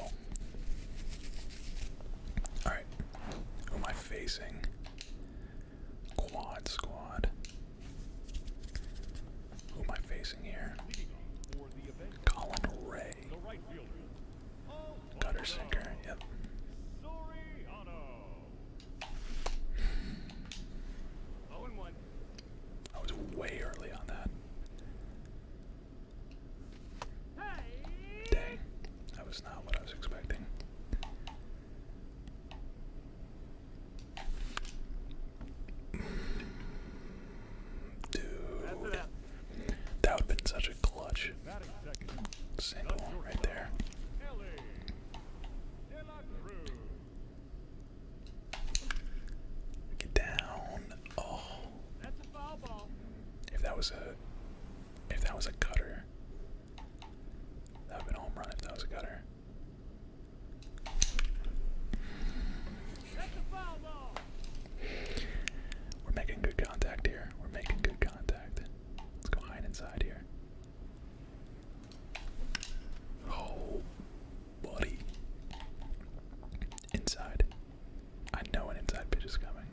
Alright. Who am I facing? Quad squad. Who am I facing here? Colin Ray. Gutter sinker. Yep. I was way early on that. Dang, that was not what I was expecting. Dude, that would been such a clutch single right there. Get down. Oh. That's a foul ball. If that was a if that was a cutter. That would have been a home run if that was a cutter. That's a foul ball. We're making good contact here. We're making good contact. Let's go hide inside here. Oh, buddy. Inside. I know an inside pitch is coming.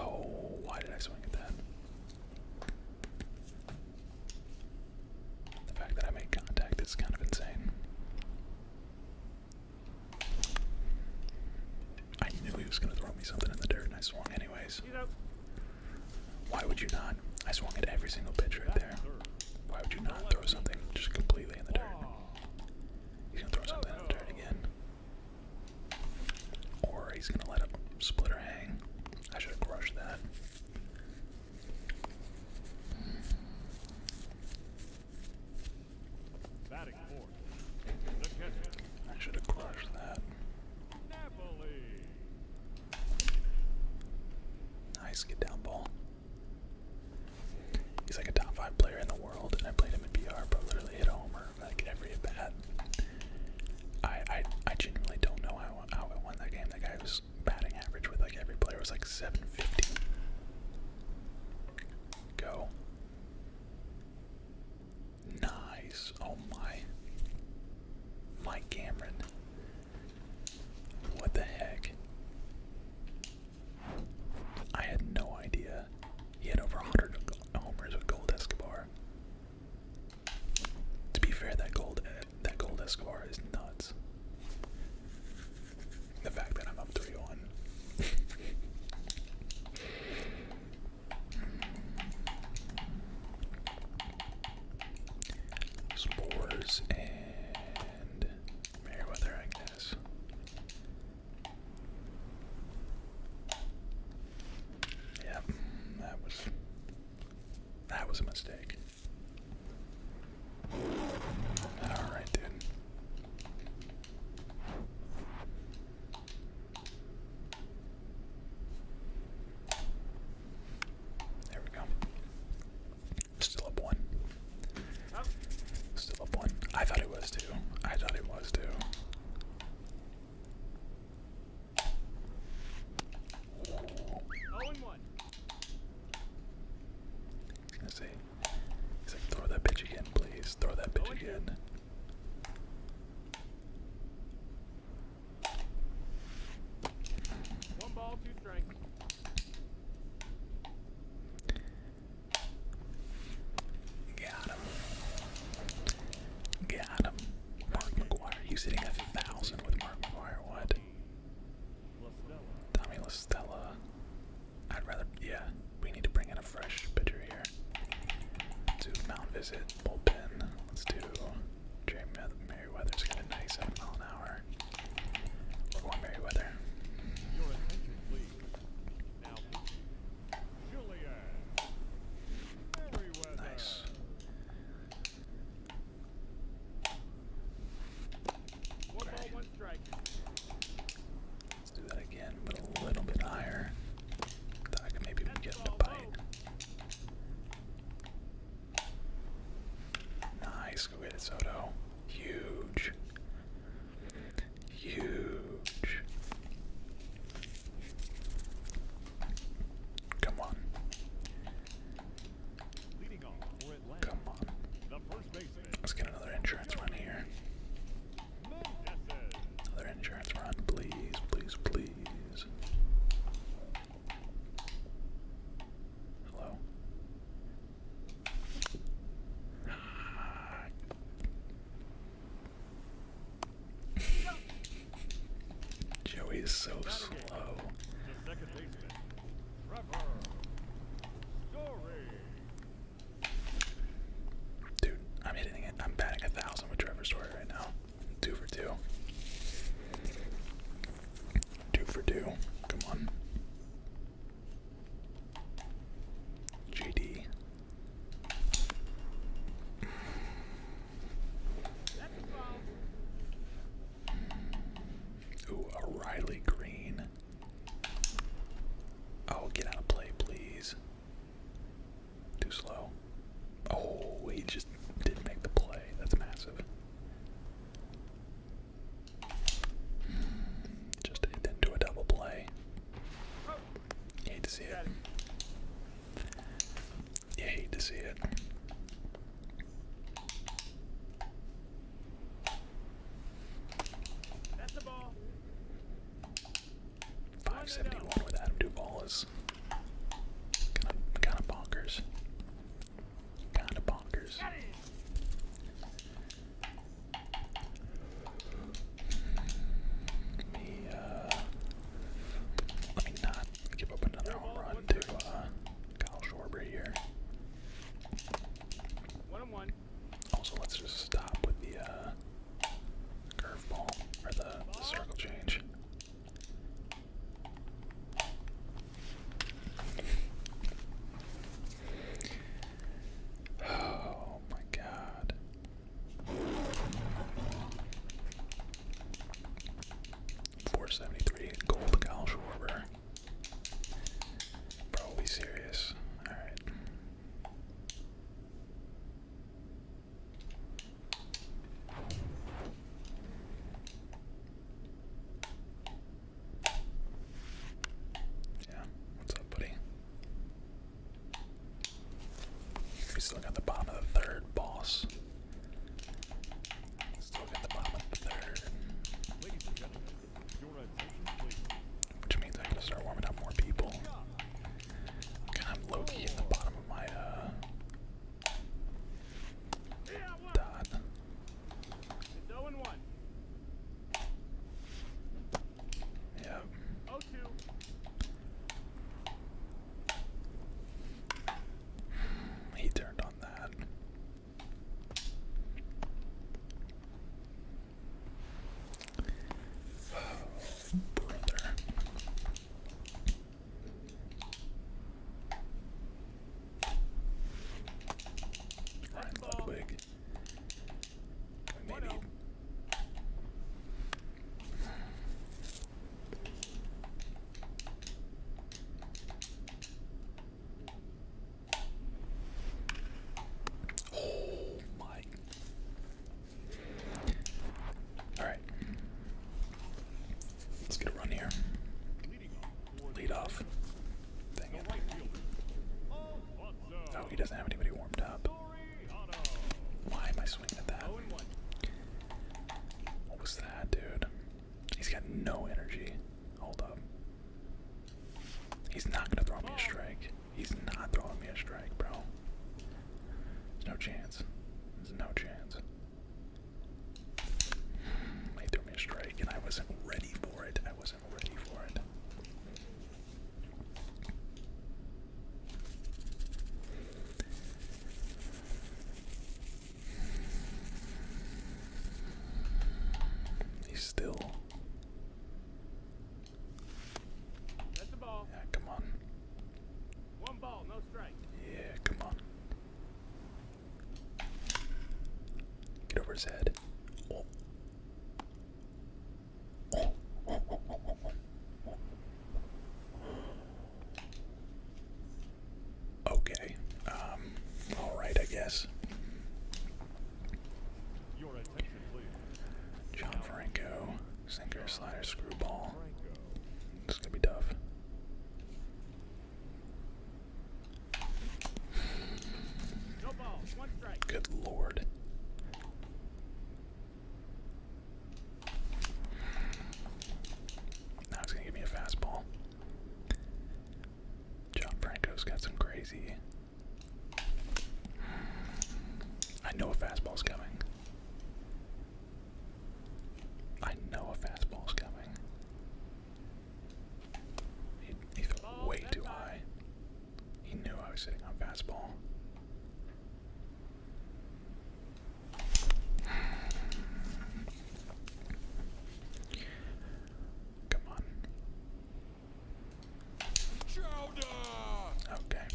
Oh, why did I swing at that? The fact that I made contact is kind of insane. I knew he was going to throw me something in the dirt, and I swung anyways. Why would you not? I swung at every single pitch right there. Why would you not throw something just completely in the dirt? He's gonna throw something in the dirt again. Or he's gonna let a splitter hang. I should have crushed that. I should have crushed that. Nice, get down ball. He's like a top five player in the world, and I played him in BR, but literally hit a homer like every at bat. I I I genuinely don't know how how I won that game. That guy was batting average with like every player was like 750. Go. Nice. Oh my. My Cameron. What the heck? I had no idea. He had over 100 homers with Gold Escobar. To be fair, that Gold that Gold Escobar is nuts. The fact that I'm up 3-1. Spores and Meriwether, I guess. Yep, that was that was a mistake. All right, dude. There we go. Still up one. Still up one. I thought it was two. I thought it was two. Oh and one. let He's like, throw that bitch again, please. Throw that bitch again. One ball, two strikes. Got him. Got him. Mark McGuire. He's hitting a thousand with Mark McGuire. What? Tommy LaStella. I'd rather. Yeah, we need to bring in a fresh pitcher here. Let's visit, bullpen. Let's do Merry weather's kind of nice, seven an hour. Let's do that again, but a little bit higher. maybe That's get the bite. Nice. Go get it, Soto. Huge. Huge. Come on. Come on. Let's get another insurance run here. Another insurance run, please, please, please. Hello. Joey is so slow. Dude, I'm hitting it. I'm batting a thousand with Trevor Story right now. Two for two. Two for two. Come on. GD. Ooh, a Green. Oh, get out of play, please. Too slow. Oh, he just didn't make the play. That's massive. Just into a double play. hate to see it. You hate to see it. 571 with Adam Duval is Kind of, kind of bonkers. Kind of bonkers. Let me, uh, let me not give up another home run to uh, Kyle Schwarber here. Also, let's just stop with the uh, curveball or the circle change. Oh my god. Four seventy three gold Kyle Schwarber. Probably serious. Alright. Yeah, what's up, buddy? We still got the bottom of the third, boss. Still got the bottom of the third. Which means I can start warming up more people. Kind of low in the bottom of my uh. Dot. No and one. Yep. Oh two. He turned on that. Oh, brother. Right, Ludwig. Maybe. Oh my. All right. Let's get a run here. Lead off. Dang Oh, he doesn't have anybody warmed up. Why am I swinging at that? What was that, dude? He's got no energy. Hold up. He's not gonna throw me a strike. He's not throwing me a strike, bro. There's no chance. There's no chance. They threw me a strike, and I wasn't ready for it. I wasn't ready for it. He's still. Yeah, come on. One ball, no strike. Yeah, come on. Get over his head. Okay. Um, all right, I guess. John Franco, sinker, slider, screwball. It's going be tough. Good lord. Now he's gonna give me a fastball. John Franco's got some crazy. I know a fastball's coming. I know a fastball's coming. He, he way too high. He knew I was sitting on fastball. Come on. Okay.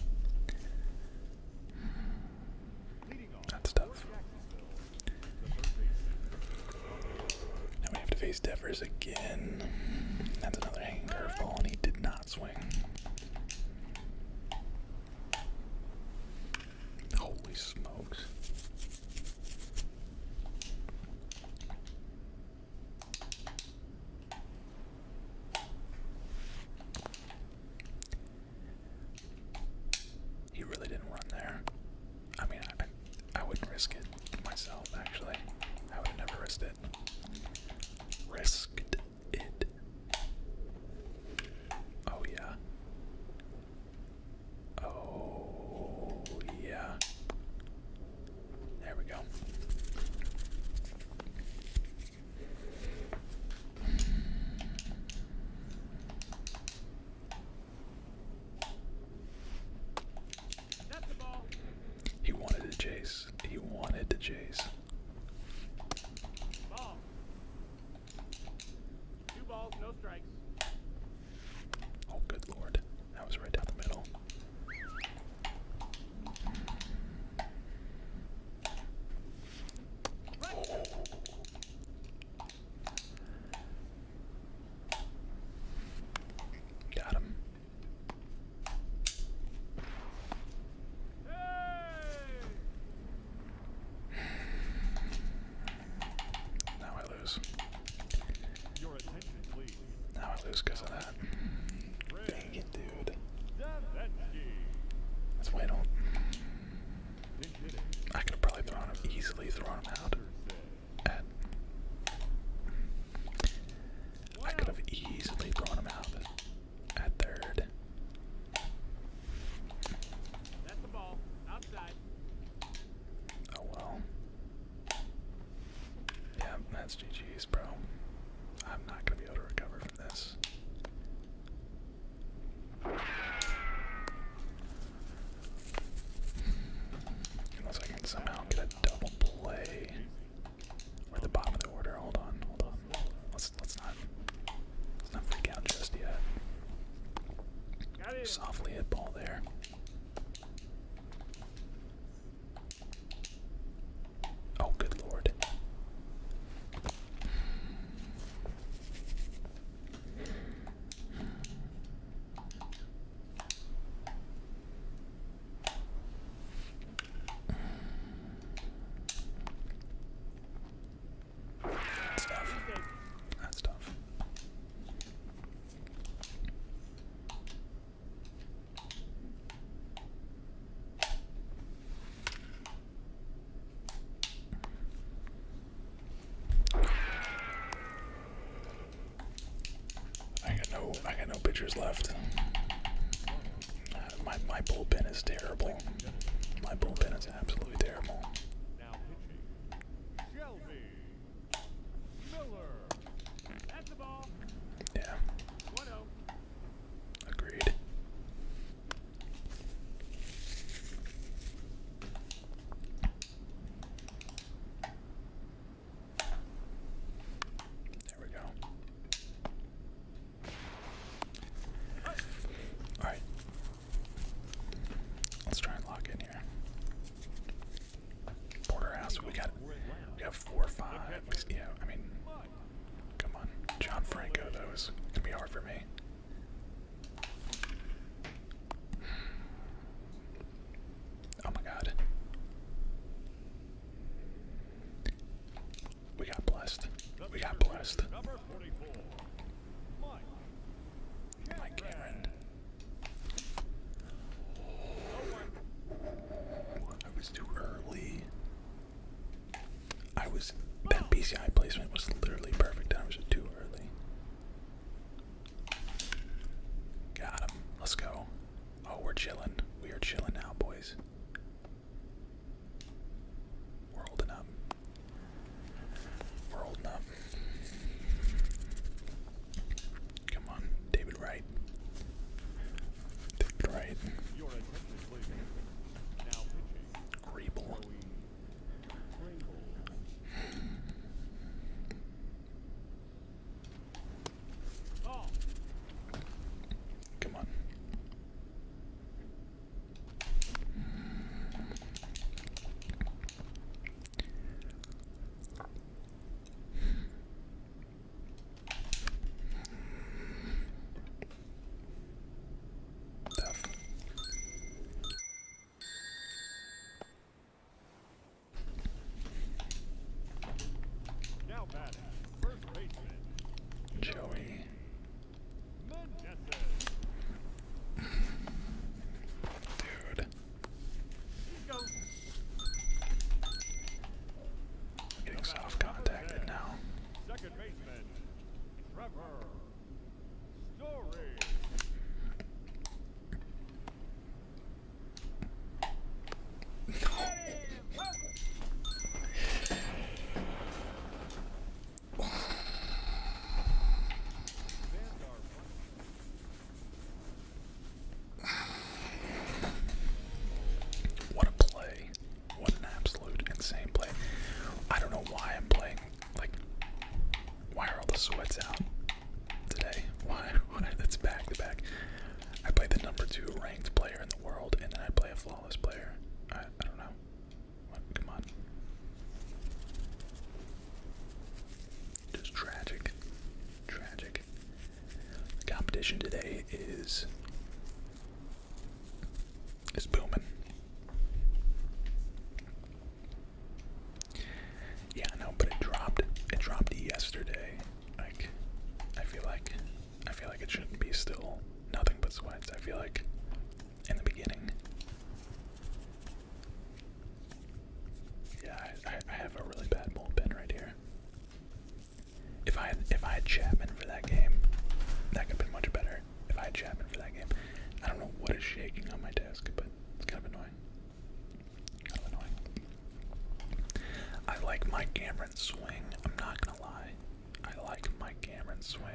That's tough. Now we have to face Devers again. That's another hanging curveball, and he did not swing. Holy smokes. He really didn't run there. I mean, I, wouldn't risk it myself, actually. I would have never risked it. Risked it. Oh, yeah. Oh, yeah. There we go. He wanted to chase. He wanted to chase. Oh, good lord. That was right down the middle. Got him. Now I lose. Now I lose because of that. Dang it, dude. Let's wait on. I could probably throw him easily Throw him out. I could have easily thrown him out at third. Oh well. Yeah, that's GG's, bro. I'm not gonna be able to recover from this. Unless I can somehow get a double play. at the bottom of the order. Hold on, hold on. Let's let's not let's not freak out just yet. Softly hit ball there. Oh, good lord. That's tough. That's tough. I got no, I got no pitchers left. Uh, my my bullpen is terrible. My bullpen is absolutely terrible. Now pitching, Shelby Miller. Yeah. Oh. Agreed. There we go. Alright. Let's try and lock in here. Porterhouse, we got we have four five. Yeah, I mean come on. John Franco though is gonna be hard for me. Oh my god. We got blessed. We got blessed. Mike Cameron. I was too early. I was. That PCI placement was literally perfect. I was too early. Got him. Let's go. Oh, we're chilling. We are chilling now, boys. We're holding up. We're holding up. Come on, David Wright. David Wright. Greeble. Come on. Tough. Now batting, first baseman. Joey. Dude. I'm getting soft contacted now. Second baseman, Trevor Story. What a play. What an absolute insane play. I don't know why I'm playing like why are all the sweats out? today. Why? Why? That's back to back. I play the number two ranked player in the world, and then I play a flawless player. I, don't know. Come on. Just tragic. Tragic. The competition today is is booming. Yeah, I know, but it dropped. It dropped yesterday. Like, I feel like, I feel like it shouldn't be still nothing but sweats. I feel like, in the beginning. Yeah, I, have a really bad bullpen right here. If I had, if I had Chapman for that game, that could be much better. If I had Chapman for that game, I don't know what is shaking on my desk, but it's kind of annoying. Kind of annoying. I like Mike Cameron's swing. I'm not gonna lie. I like Mike Cameron's swing.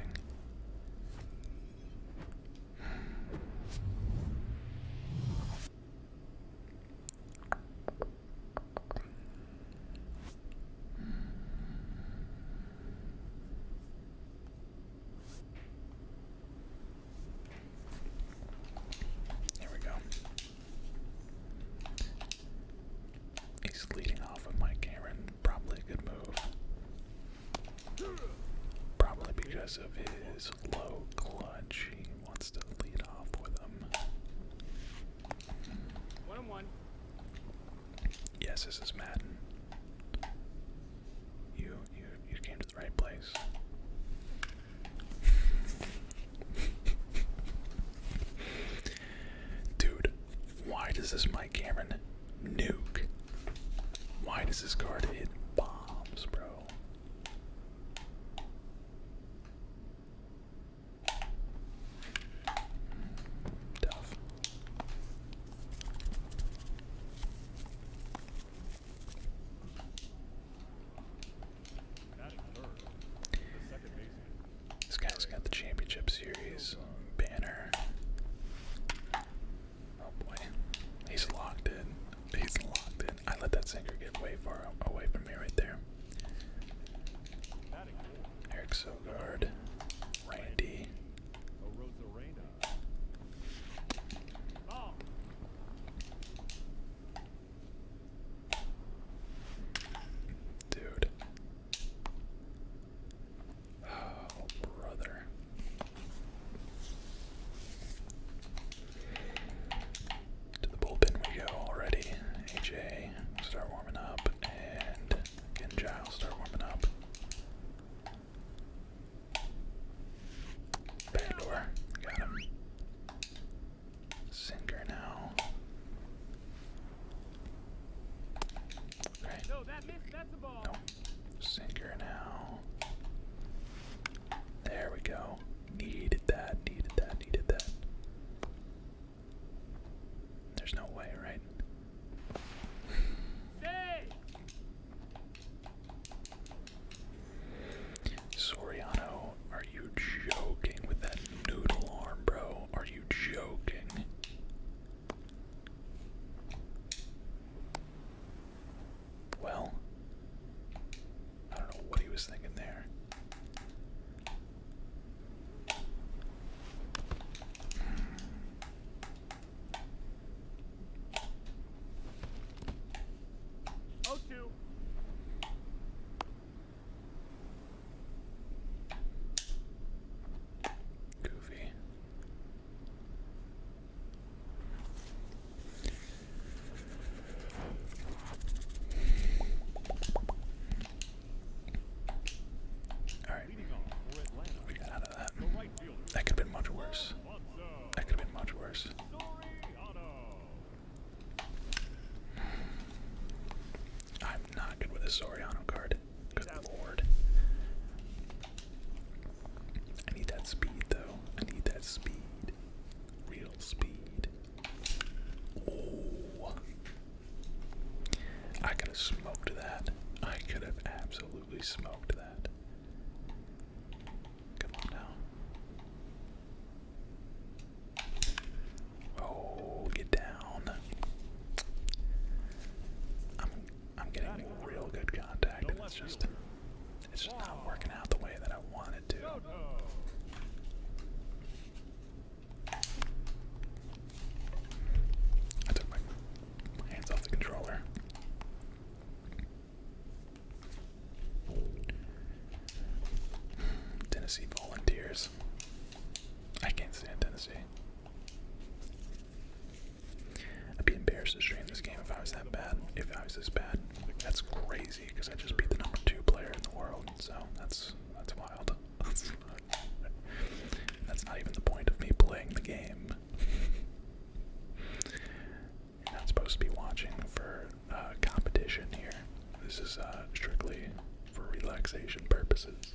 There we go. He's leading off with Mike Cameron. Probably a good move. Probably because of his low clutch. He wants to lead off with him. One on one. Yes, this is Madden. You you you came to the right place. Dude, why does this Mike Cameron nuke? Why does this card hit bombs, bro? Tough. This guy's got the championship series banner. Oh boy, he's locked in. He's locked in. I let that sinker get way far away from me right there. Eric Sogard, Randy. Dude. Oh, brother. To the bullpen we go already. AJ, start warming up, and again Giles, start warming up. Backdoor, got him. Sinker now. Okay. No, that missed. That's a ball. Sinker now. There we go. Needed that, needed that, needed that. There's no way, right? Stay. Soriano, are you joking with that noodle arm, bro? Are you joking? Well, I don't know what he was thinking there. O two Goofy. All right, we got out of that. That could have been much worse. That could have been much worse. I'm not good with a Soriano card. Good lord. I need that speed though. I need that speed. Real speed. Oh. I could have smoked that. I could have absolutely smoked that. Come on now. Oh, get down. I'm I'm getting real good contact and it's just it's just not working out the way that I wanted to. I took my hands off the controller. Tennessee Volunteers. I can't stand Tennessee. I'd be embarrassed to stream this game if I was that bad. If I was this bad, that's crazy because I just beat the number two player in the world. So that's that's wild. that's not even the point of me playing the game. You're not supposed to be watching for uh, competition here. This is uh, strictly for relaxation purposes.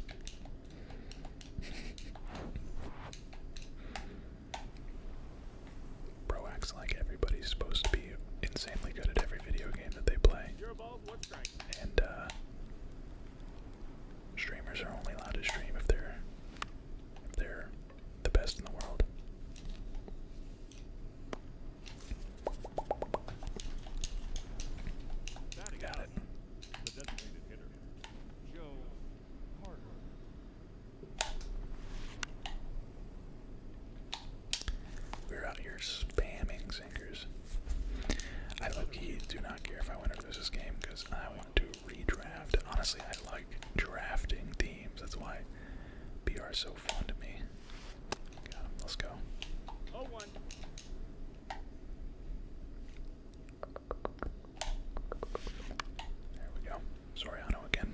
Bro acts like everybody's supposed to be insanely good at every video game that they play. And uh, streamers are only allowed to stream if they're if they're the best in the world. Got it. We're out here spamming zingers. I do not care if I win or lose this game because I want to redraft. Honestly, I like drafting teams. That's why are so so fond me. Let's go. Oh, one. There we go. Soriano again.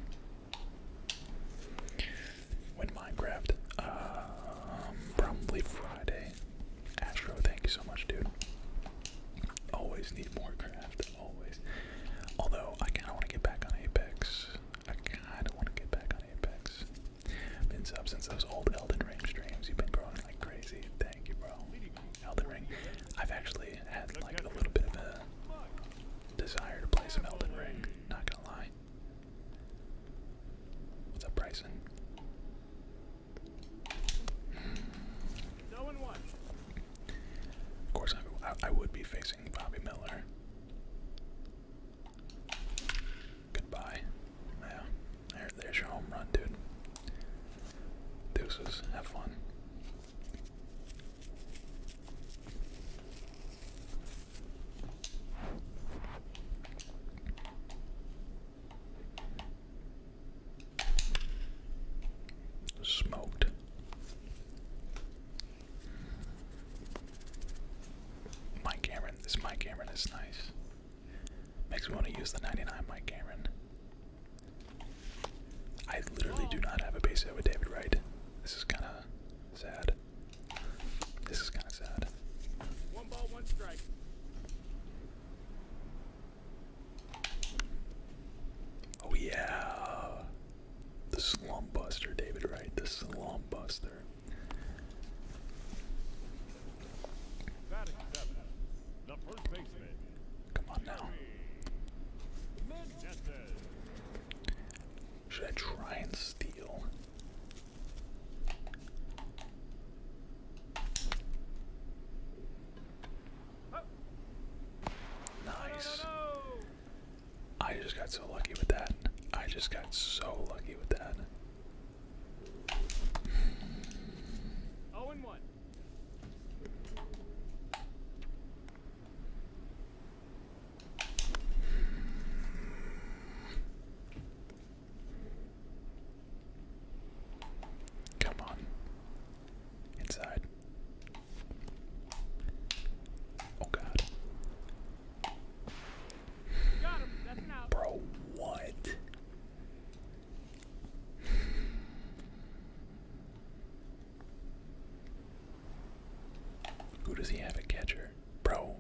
When Minecraft, um, probably Friday. Astro, thank you so much, dude. Always need more craft. Always. Although I kind of want to get back on Apex. I kind of want to get back on Apex. Been sub since those old Elden Ring streams. You've been growing like crazy. Thank you, bro. Elden Ring. I've actually had like a little bit of a desire to play some Elden Ring. Not gonna lie. What's up, Bryson? Of course, I would be facing Bobby Miller. Goodbye. Yeah, there, there's your home run, dude. Deuces, have fun. Smoked. Mike Cameron, this Mike Cameron is nice. Makes me want to use the 99 Mike Cameron. I literally do not have a base hit with David Wright. This is kind of sad. This is kind of sad. One ball, one strike. Oh yeah, the slump buster, David Wright, the slump buster. Come on now. Should I try and steal? Nice. I just got so lucky with that. I just got so lucky with that. Come on. Inside. Oh, God. Bro, what? Who does he have a catcher? Bro.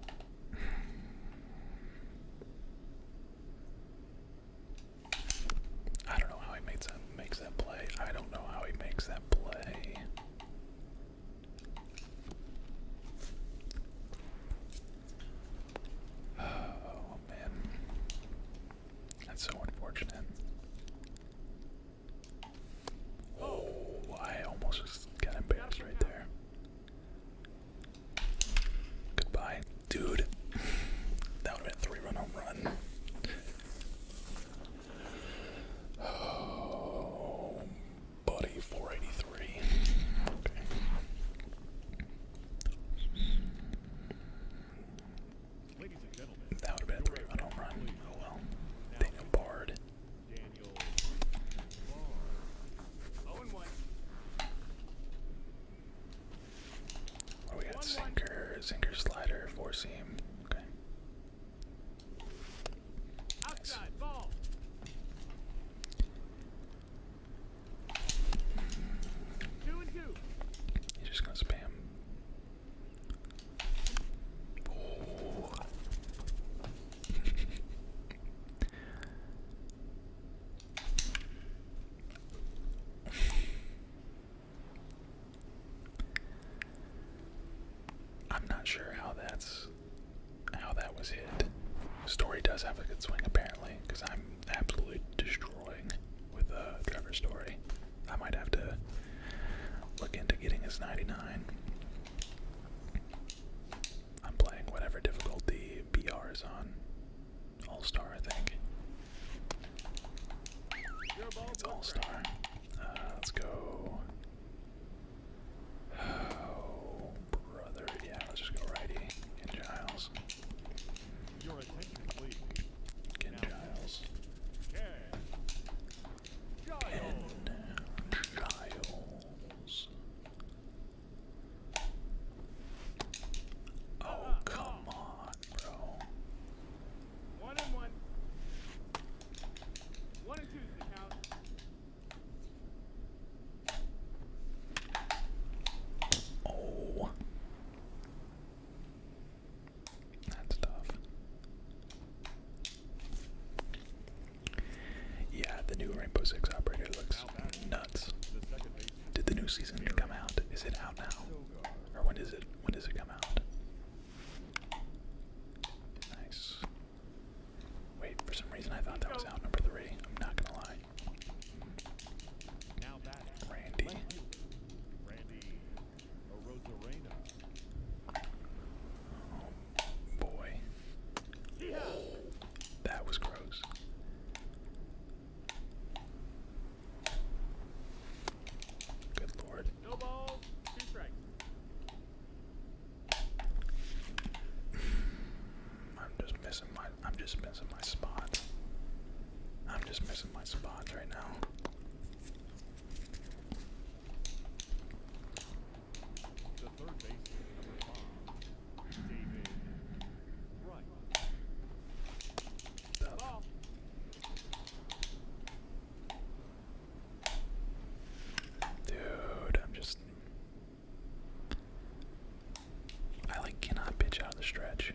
I don't know how he makes that makes that play. I don't know how he makes that play. Oh, man. That's so unfortunate. Oh, I almost just got embarrassed right there. Goodbye, dude. That would have been a three run home run. Oh Buddy, 483. that would have been a three run home run. Oh well. Daniel Bard. Daniel oh, we got sinker, sinker, slider, four seam. Okay. Outside, ball. just gonna spam. I'm not sure how that's how that was hit. Story does have a good swing apparently, because I'm absolutely destroying with uh, Trevor Story. I might have to look into getting his 99. I'm playing whatever difficulty BR is on. All Star, I think. It's All Star. Uh, let's go Oh, brother. Yeah, let's just go righty. Ken Giles. Ken Giles. Ken Giles. Oh, ah, come on, bro. One and one. One and two is the count. Oh. That's tough. Yeah, the new Rainbow Six operator looks nuts. Did the new season come out? Is it out now? Or when is it when does it come out? Nice. Wait, for some reason I thought that was out number three. I'm not gonna lie. Now Randy. Randy. Oh boy. That was gross. Good lord. No ball, two strikes. I'm just missing my I'm just missing my spot. I'm just missing my spots right now. Dude, I'm just I like cannot pitch out of the stretch.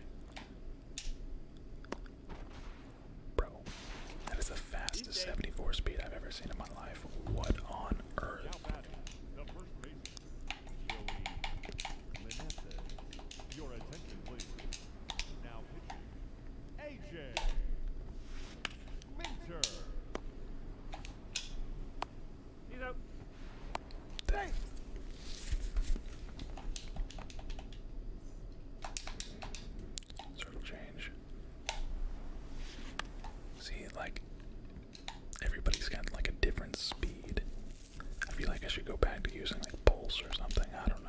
Bro, that is the fastest 74 speed I've ever seen in my life. What on earth? He's out. Sort of change. See, like, everybody's got like a different speed. I feel like I should go back to using like pulse or something. I don't know.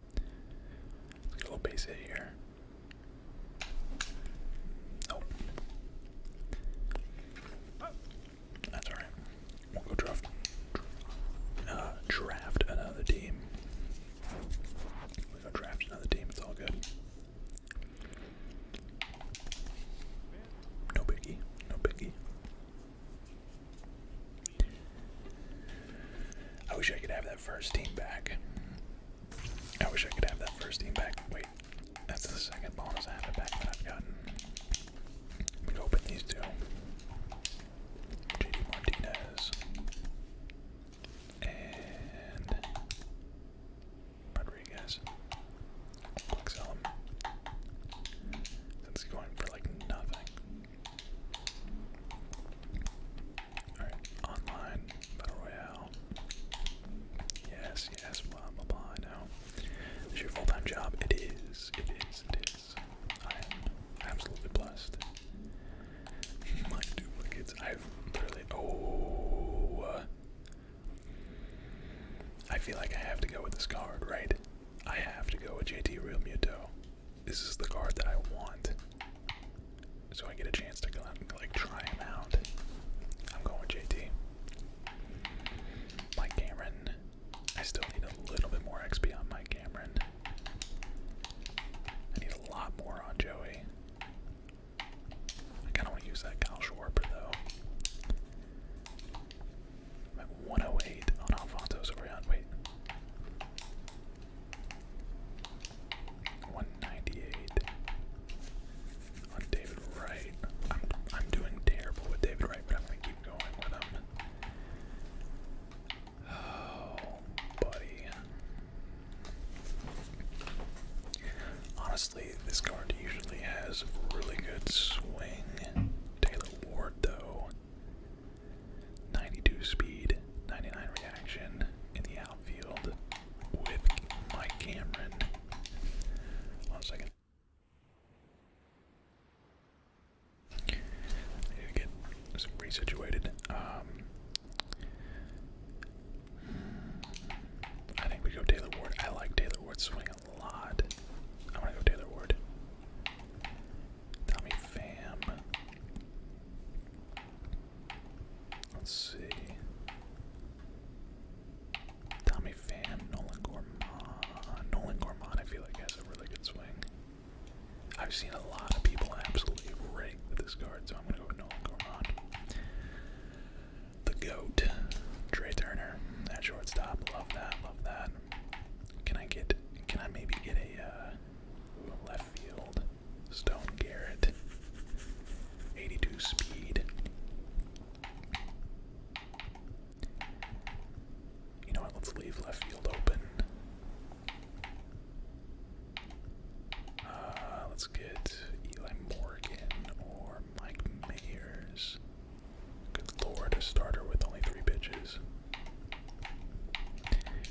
Let's a little base hit here. Nope. That's alright. We'll go draft, uh, draft another team. we go draft another team. It's all good. No biggie. No biggie. I wish I could have that first team back. I wish I could have that first team back. Wait, that's the second bonus I have it back that I've gotten. Let me open these two. JD Martinez. And Rodriguez. Quick sell him. Since going for like nothing. Alright, online, battle royale. Yes, yes, blah, blah, blah, now. This is your full-time job. It is, it is, it is. I am absolutely blessed. My duplicates, I've literally, oh. I feel like I have to go with this card, right? I have to go with JT Real Muto. This is the card that I want so I get a chance to go out and like try him out. I'm going with JT. Cameron. I still need a little bit more XP on my Cameron. I need a lot more on Joey. I kind of want to use that Kyle Schwarber though. i 108 on Alfonso Wait. 198 on David Wright. I'm I'm doing terrible with David Wright, but I'm gonna keep going with him. Oh, buddy. Honestly, this card usually has really good swing. Taylor Ward, though, 92 speed, 99 reaction in the outfield with Mike Cameron. One second. I need to get resituated. Um, I think we go Taylor Ward. I like Taylor Ward's swing a lot. I want to go Taylor Ward. Tommy Pham. Let's see. Tommy Pham, Nolan Gorman. Nolan Gorman, I feel like, has a really good swing. I've seen a lot of people absolutely rake with this card, so I'm going to go with Nolan Gorman. The GOAT, Trey Turner, that shortstop. Love that, love that. Can I get, can I maybe get a, uh, Left field, Stone Garrett, 82 speed. You know what? Let's leave left field open. Uh, let's get Eli Morgan or Mike Mayers. Good lord, a starter with only three pitches.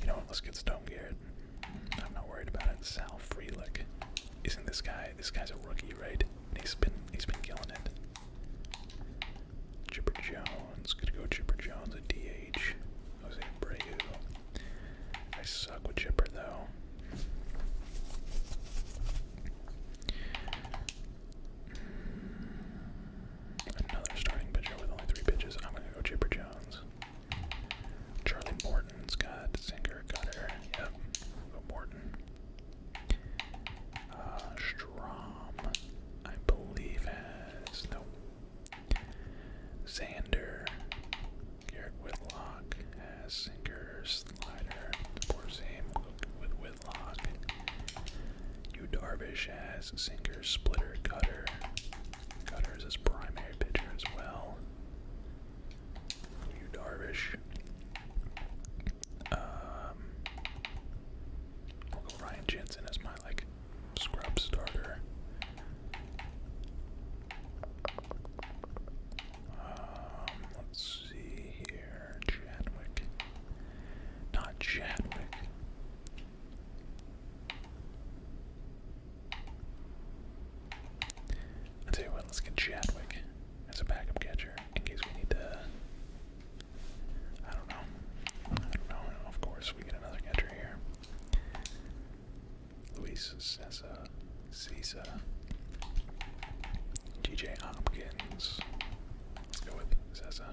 You know what? Let's get Stone Garrett. I'm not worried about it. Sal Freelick. Isn't this guy this guy's a rookie, right? He's been he's been killing it. Chipper Jones, gonna go Chipper Jones a DH. Jose Abreu. I suck with Chipper though. Another starting pitcher with only three pitches. I'm gonna go Chipper Jones. Charlie Morton's got Zinger Cutter. Yep. Morton. Uh, Strom, I believe, has. No. Xander. Garrett Whitlock has Sinker, Slider. Poor same with Whitlock. Yu Darvish has Sinker, Splitter, Cutter. Cutter is his primary pitcher as well. You Darvish. Um, I'll go Ryan Jensen as my like scrub starter. Um, let's see here, Chadwick. Not Chadwick i tell you what, let's get Chadwick as a backup catcher in case we need to. I don't know. Of course, we get another catcher here. Luis Cessa, Cessa, DJ Hopkins. Let's go with Cessa.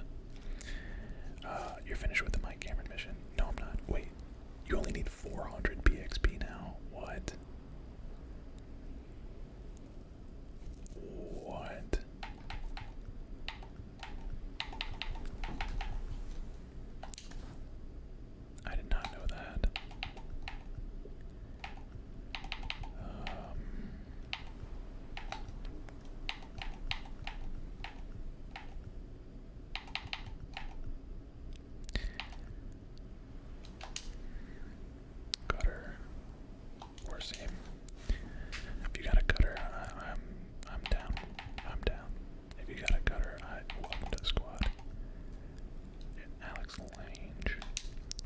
Uh, you're finished with the Mike Cameron mission. No, I'm not. Wait, you only need 400 BXP now. What? What? I did not know that. Um, Cutter or If you got a cutter, I, am I'm down. I'm down. If you got a cutter, I welcome to the squad. Alex Lange,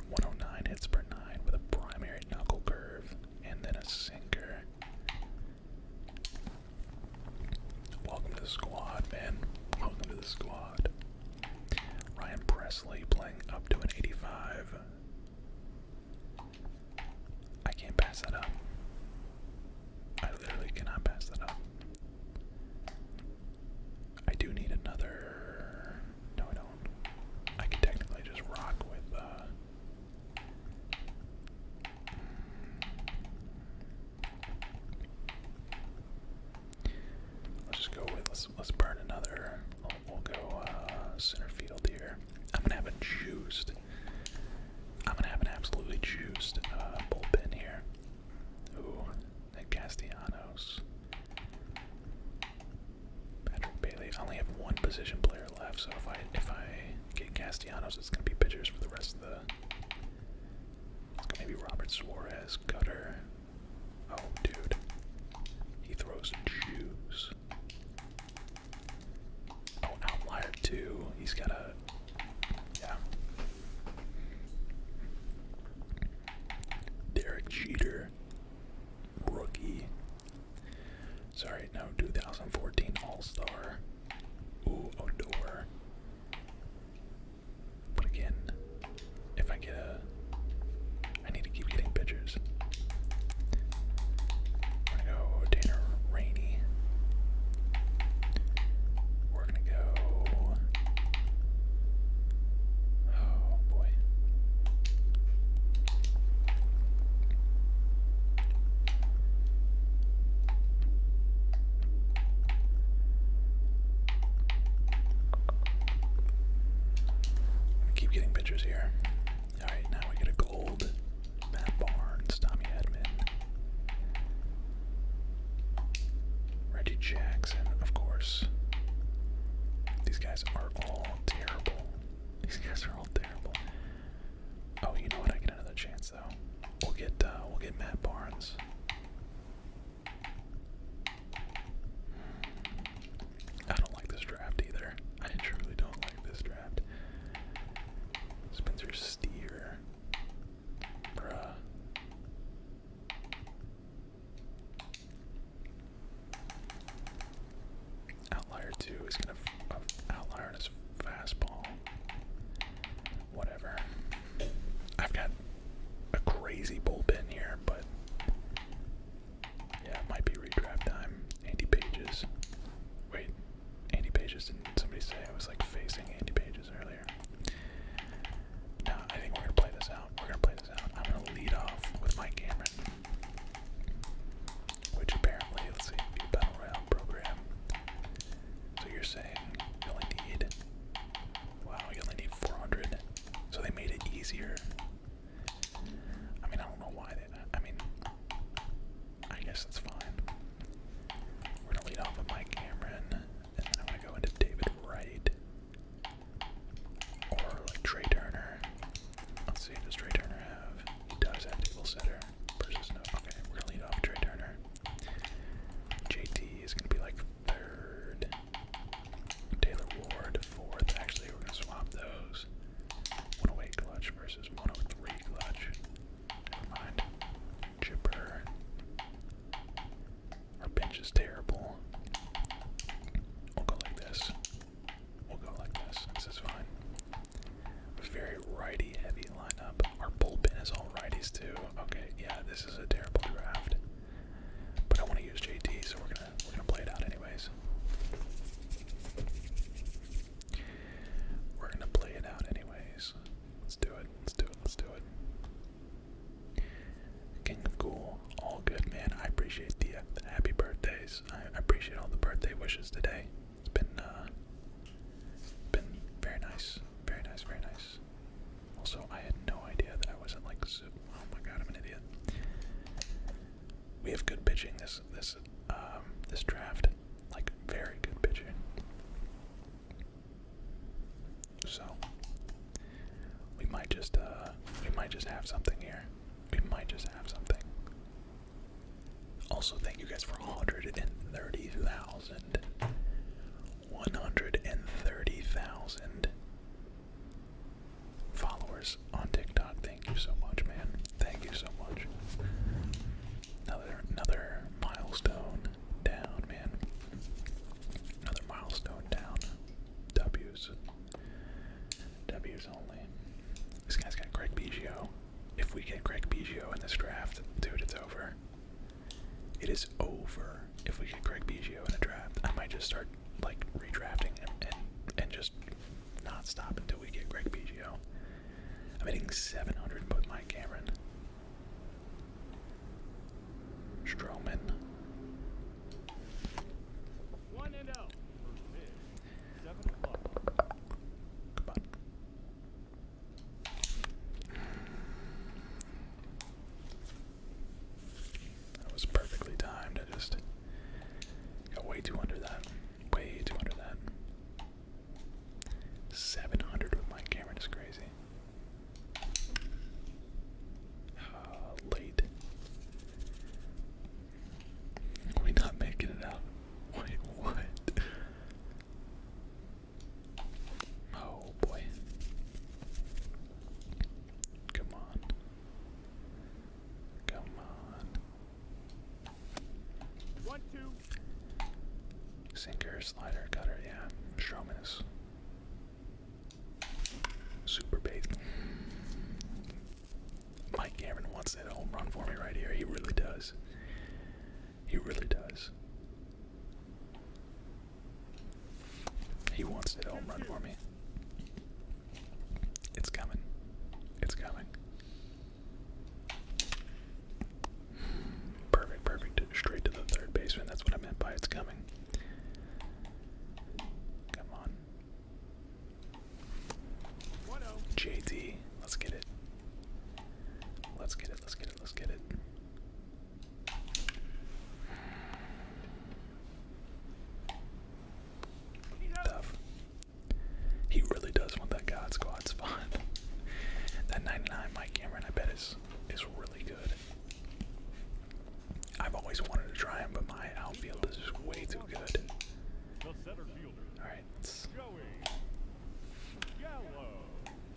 109 hits per nine with a primary knuckle curve and then a sinker. Welcome to the squad, man. Welcome to the squad. Ryan Presley playing up to an 85. I can't pass that up. I literally cannot pass that up. I do need another. No, I don't. I can technically just rock with. Uh, Let's just go with let's let's burn another. We'll, go uh, center field here. I'm gonna have a juiced. I'm gonna have an absolutely juiced uh, bullpen here. Ooh, that Castellanos. Patrick Bailey. I only have one position player left, so if I if I get Castellanos, it's gonna be pitchers for the rest of the Maybe Robert Suarez, Cutter. Oh, dude. He throws juice. Oh, outlier too. He's got a. Yeah. Derek Jeter. Rookie. Sorry, no, 2014 All Star. Ooh, Odor. But again, if I get a. I need to keep getting pitchers. we go Tanner Rainey. We're gonna go. Oh boy keep getting pictures here. Alright, now we get a gold. Matt Barnes, Tommy Edmond, Reggie Jackson, of course. These guys are all terrible. These guys are all terrible. Oh, you know what? I get another chance though. We'll get uh, we'll get Matt Barnes. I don't like this draft either. I truly don't like this draft. Spencer Steer. Bruh. Outlier 2 is going to. Uh, outlier on fastball. Whatever. I've got a crazy bullpen here, but yeah, it might be redraft time. Andy Pages. Wait, Andy Pages didn't somebody say I was like facing Andy Pages earlier? No, I think we're gonna play this out. We're gonna play this out. I'm gonna lead off with my camera, Which apparently, let's see, view battle royale program. So you're saying you only need Wow, you only need 400. So they made it easier. I mean, I don't know why they. I mean, I guess that's fine. We're gonna lead off with Mike Cameron, and then I'm gonna go into David Wright. Or like Trey Turner. Let's see, does Trey Turner have? He does have table setter versus no. Okay, we're gonna lead off Trey Turner. JT is gonna be like third. Taylor Ward, fourth. Actually, we're going to swap those. 108 clutch versus 103 clutch. Never mind. Chipper. Our bench is terrible. We'll go like this. We'll go like this. This is fine. Very righty heavy lineup. Our bullpen is all righties too. Okay, yeah, this is a terrible draft. But I want to use JD, so we're gonna we're gonna play it out anyways. We're gonna play it out anyways. Let's do it. Let's do it. Let's do it. King of Ghoul, all good, man. I appreciate the uh, happy birthdays. I appreciate all the birthday wishes today. It's been uh, been very nice, very nice, very nice. Also, I had no idea that I wasn't like. Oh my god, I'm an idiot. We have good pitching this this um, this draft, like very good pitching. So we might just uh, we might just have something here. We might just have something. Also, thank you guys for 130,000 one hundred and thirty thousand followers on TikTok. Thank you so much, man. Thank you so much. Another another milestone down, man. Another milestone down. W's. W's only. This guy's got Greg Biggio. If we get Greg Biggio in this draft, dude, it's over. It is over. If we get Greg Biggio in a draft, I might just start like redrafting and and just not stop until we get Greg Biggio. I'm hitting 700 with Mike Cameron. Stroman. One and oh. That was perfectly timed. I just got way too under that. Way too under that. 700 with my camera is crazy. Ah, late. we not making it out? Wait, what? Oh boy. Come on. Come on. One, two. Sinker, slider, cutter, yeah. Strowman is super base. Mike Cameron wants that home run for me right here. He really does. He really does. He wants to home run for me. It's coming. It's coming. Perfect, perfect. Straight to the third baseman. That's what I meant by it's coming. Come on. JT, let's get it. Let's get it, let's get it, let's get it. Tough. He really does want that God Squad spot. that 99 Mike Cameron, I bet, is, is really good. I've always wanted to try him, but my outfield is way too good. Alright, I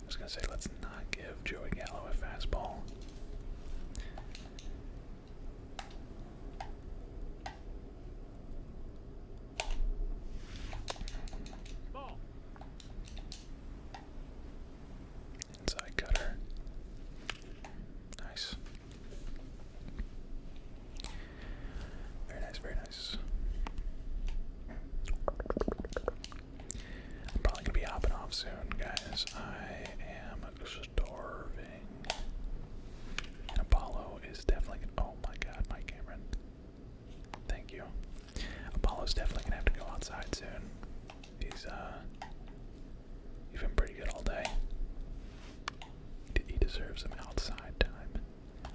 was gonna say, let's not give Joey Gallo a fastball. Inside cutter. Nice. Very nice, very nice. I'm probably gonna be hopping off soon, guys. I am starving. Apollo is definitely. Oh my God, Mike Cameron. Thank you. Apollo's definitely gonna have to go outside soon. He's uh, he's been pretty good all day. He deserves some outside time.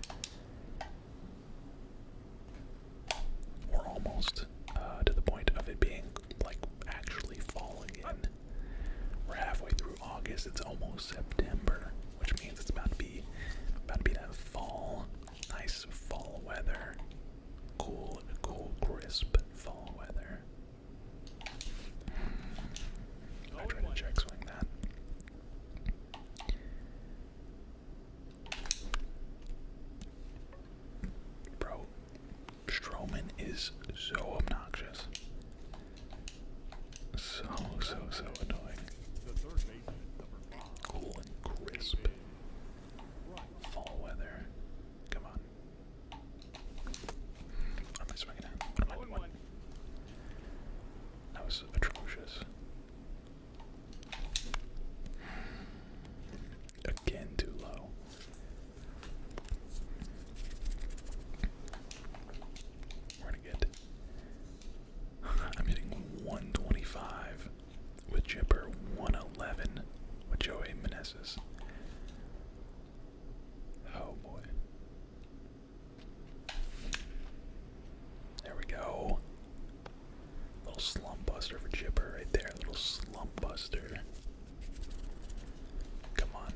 We're almost uh, to the point of it being like actually falling in. We're halfway through August. It's almost September, which means it's about to be about to be that fall, nice fall weather, cool, cool, crisp fall weather. I tried to check that. Bro, Strowman is so obnoxious. So, so, so annoying. Cool and crisp. Fall weather. Come on. That was atrocious. Again, too low. We're gonna get. I'm hitting 125 with Chipper, 111 with Joey Meneses. Oh boy. There we go. Little slump buster for Chipper right there. Little slump buster. Come on.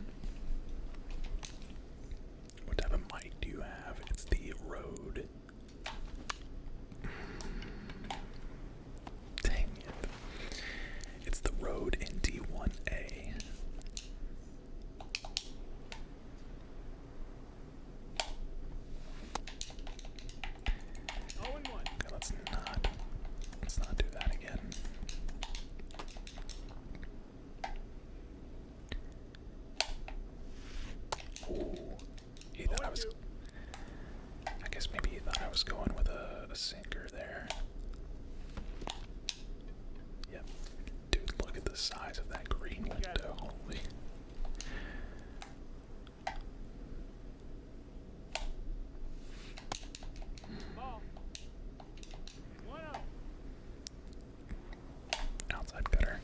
What type of mic do you have? It's the Rode. Dang it. It's the Rode NT1A. Okay, let's not Let's not do that again. Ooh, he thought I was. I guess maybe he thought I was going with a, a sinker there. Yep. Dude, look at the size of that green window. Holy. Outside cutter.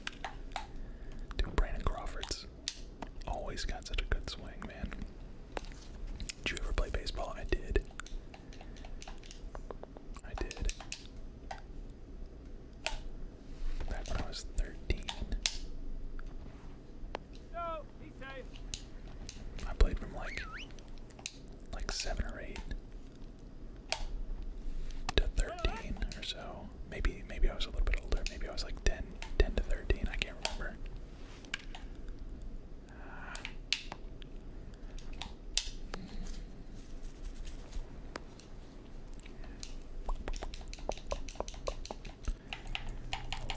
Dude, Brandon Crawford's always got such a good swing, man. Did you ever play baseball? I did. I did. Back when I was 13. I played from like like seven or eight to thirteen or so. Maybe maybe I was a little bit older. Maybe I was like 10, 10 to thirteen. I can't remember.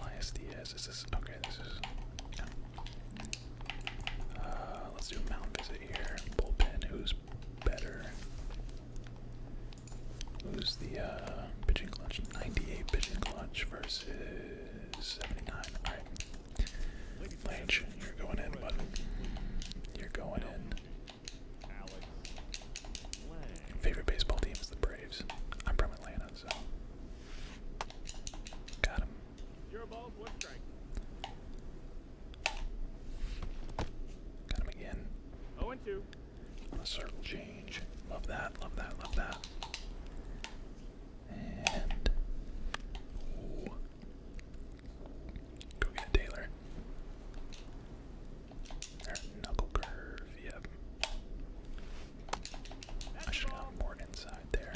Elias Diaz, is this okay? Uh, let's do a mountain visit here. Bullpen, who's better? Who's the uh, pitching clutch? 98 pitching clutch versus 79. Alright. Lynch, you're going in, bud. You're going in. Favorite baseball team is the Braves. I'm from Atlanta, so Got him. You're above one strike. Got him again. Oh and two. A circle change. Love that. Love that. Love that. And go get a Taylor. knuckle curve. Yep. I should have more inside there.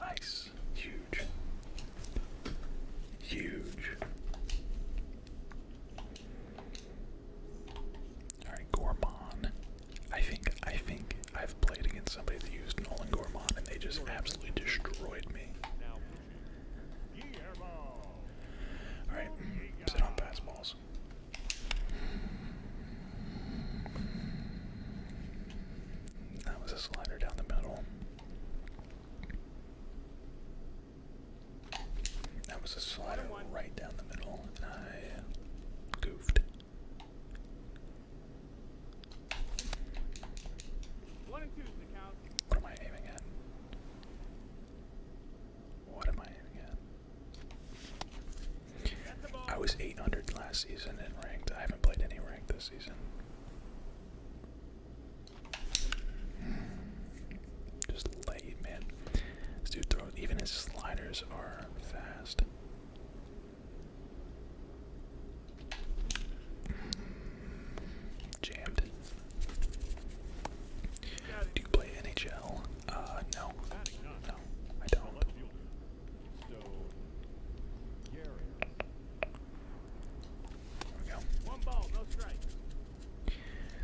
Nice. Huge. Huge. Alright, Gorman. I think I think I've played against somebody that used Nolan Gorman and they just absolutely destroyed me. Alright, sit on pass That was a slider down the middle. That was a slider right down the middle, and I goofed. What am I aiming at? What am I in again? I was 800 last season in ranked. I haven't played any rank this season. Just late, man. This dude throws, even his sliders are fast. Jammed. Do you play NHL? Uh, no. No, I don't.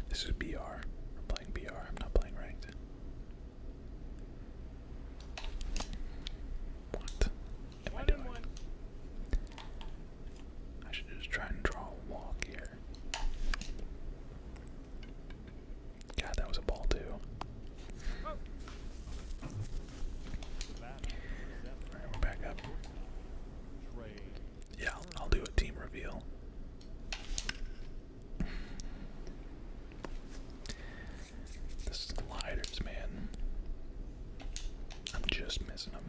This is BR. playing BR. I'm not playing ranked. What am I doing? I should just try and draw a walk here. God, that was a ball, too. Yeah, I'll, I'll do a team reveal. The sliders, man. I'm just missing him.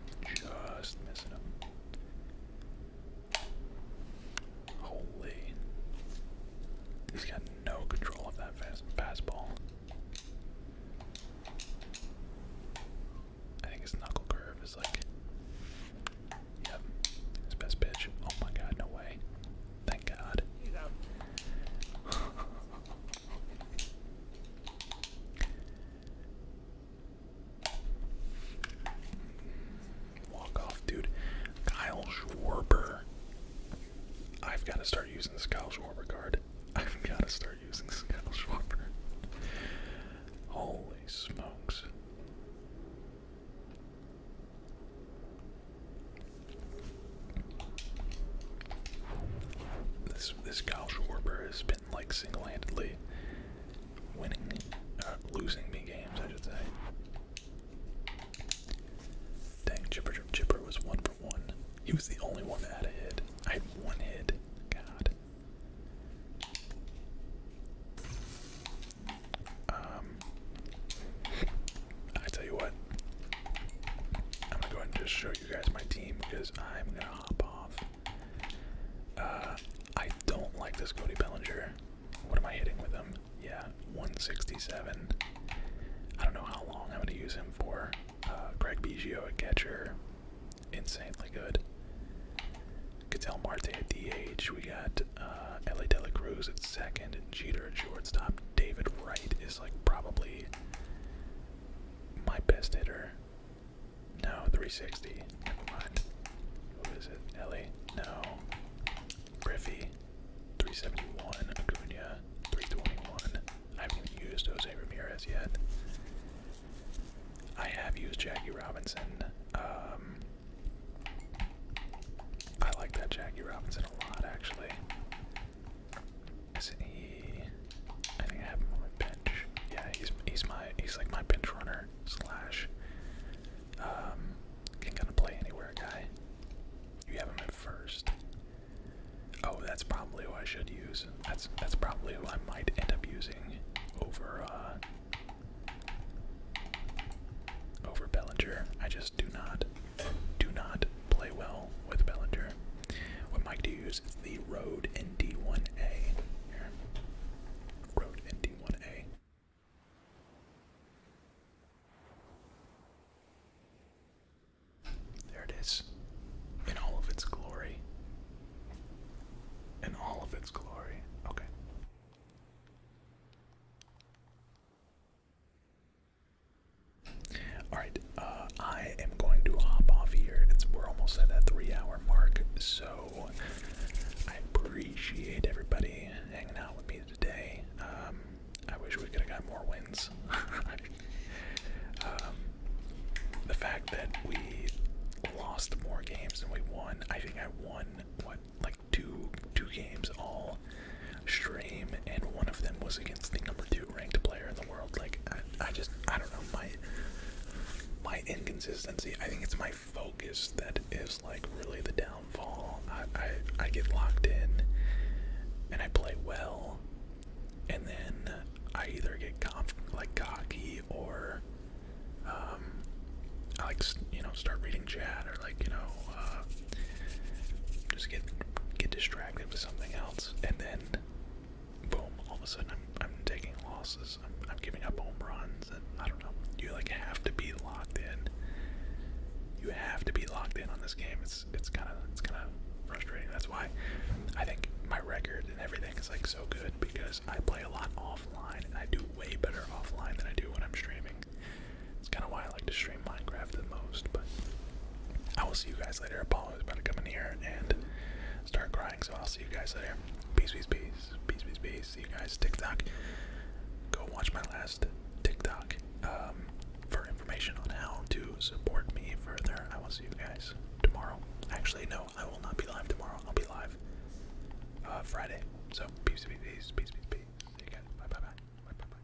Just missing him. Holy. He's got no control of that fast fastball. I think his knuckle curve is like. Yep. His best pitch. Oh my god, no way. Thank god. Walk off, dude. Kyle Schwarber. I've got to start using this Kyle Schwarber card. I've got to start using this Kyle Schwarber. Holy smokes. This this Kyle Schwarber has been like single-handedly winning or uh, losing me games, I should say. Dang, Chipper Chipper was one for one. He was the only one that had a hit. I had one hit. God. Um, I tell you what, I'm gonna go ahead and just show you guys my team because I'm gonna hop off. Uh, I don't like this Cody Bellinger. What am I hitting with him? Yeah, 167. I don't know how long I'm going to use him for. Uh, Greg Biggio, a catcher, insanely good. Cattell Marte at DH. We got uh, LA De Cruz at second, and Jeter at shortstop. David Wright is like probably my best hitter. No, 360. Never mind. What is it? Ellie? No. Griffey. 371. Acuna. 321. I haven't used Jose Ramirez yet. I have used Jackie Robinson. Um, I like that Jackie Robinson a lot, actually. Isn't he? I think I have him yeah, he's he's my he's like my bench runner slash um can kind of play anywhere guy. You have him at first. Oh, that's probably who I should use. That's that's probably who I might end up using over uh over Bellinger. I just do not do not play well with Bellinger. What mic do use? is the Rode ND1A. Here. There it is, in all of its glory. In all of its glory. Okay. Alright, uh, I am going to hop off here. we're almost at that three hour mark, so I appreciate everybody hanging out with me today. Um, I wish we could have got more wins. Um, the fact that we lost more games than we won. I think I won what like two two games all stream, and one of them was against the number two ranked player in the world. Like I just I don't know my my inconsistency. I think it's my focus that is like really the downfall. I, I I get locked in and I play well and then I either get like cocky or um I like you know start reading chat or like you know uh, just get get distracted with something else and then boom all of a sudden I'm I'm taking losses I'm, giving up home runs, and I don't know. You like have to be locked in. You have to be locked in on this game. It's it's kind of it's kind of frustrating. That's why I think my record and everything is like so good because I play a lot offline, and I do way better offline than I do when I'm streaming. It's kind of why I like to stream Minecraft the most. But I will see you guys later. Apollo is about to come in here and start crying, so I'll see you guys later. Peace, peace, peace, peace, peace, peace see you guys. TikTok. Go watch my last TikTok um, for information on how to support me further. I will see you guys tomorrow. Actually, no, I will not be live tomorrow. I'll be live uh, Friday. So peace, peace, peace, peace, peace, peace. See you guys. Bye, bye, bye, bye, bye, bye.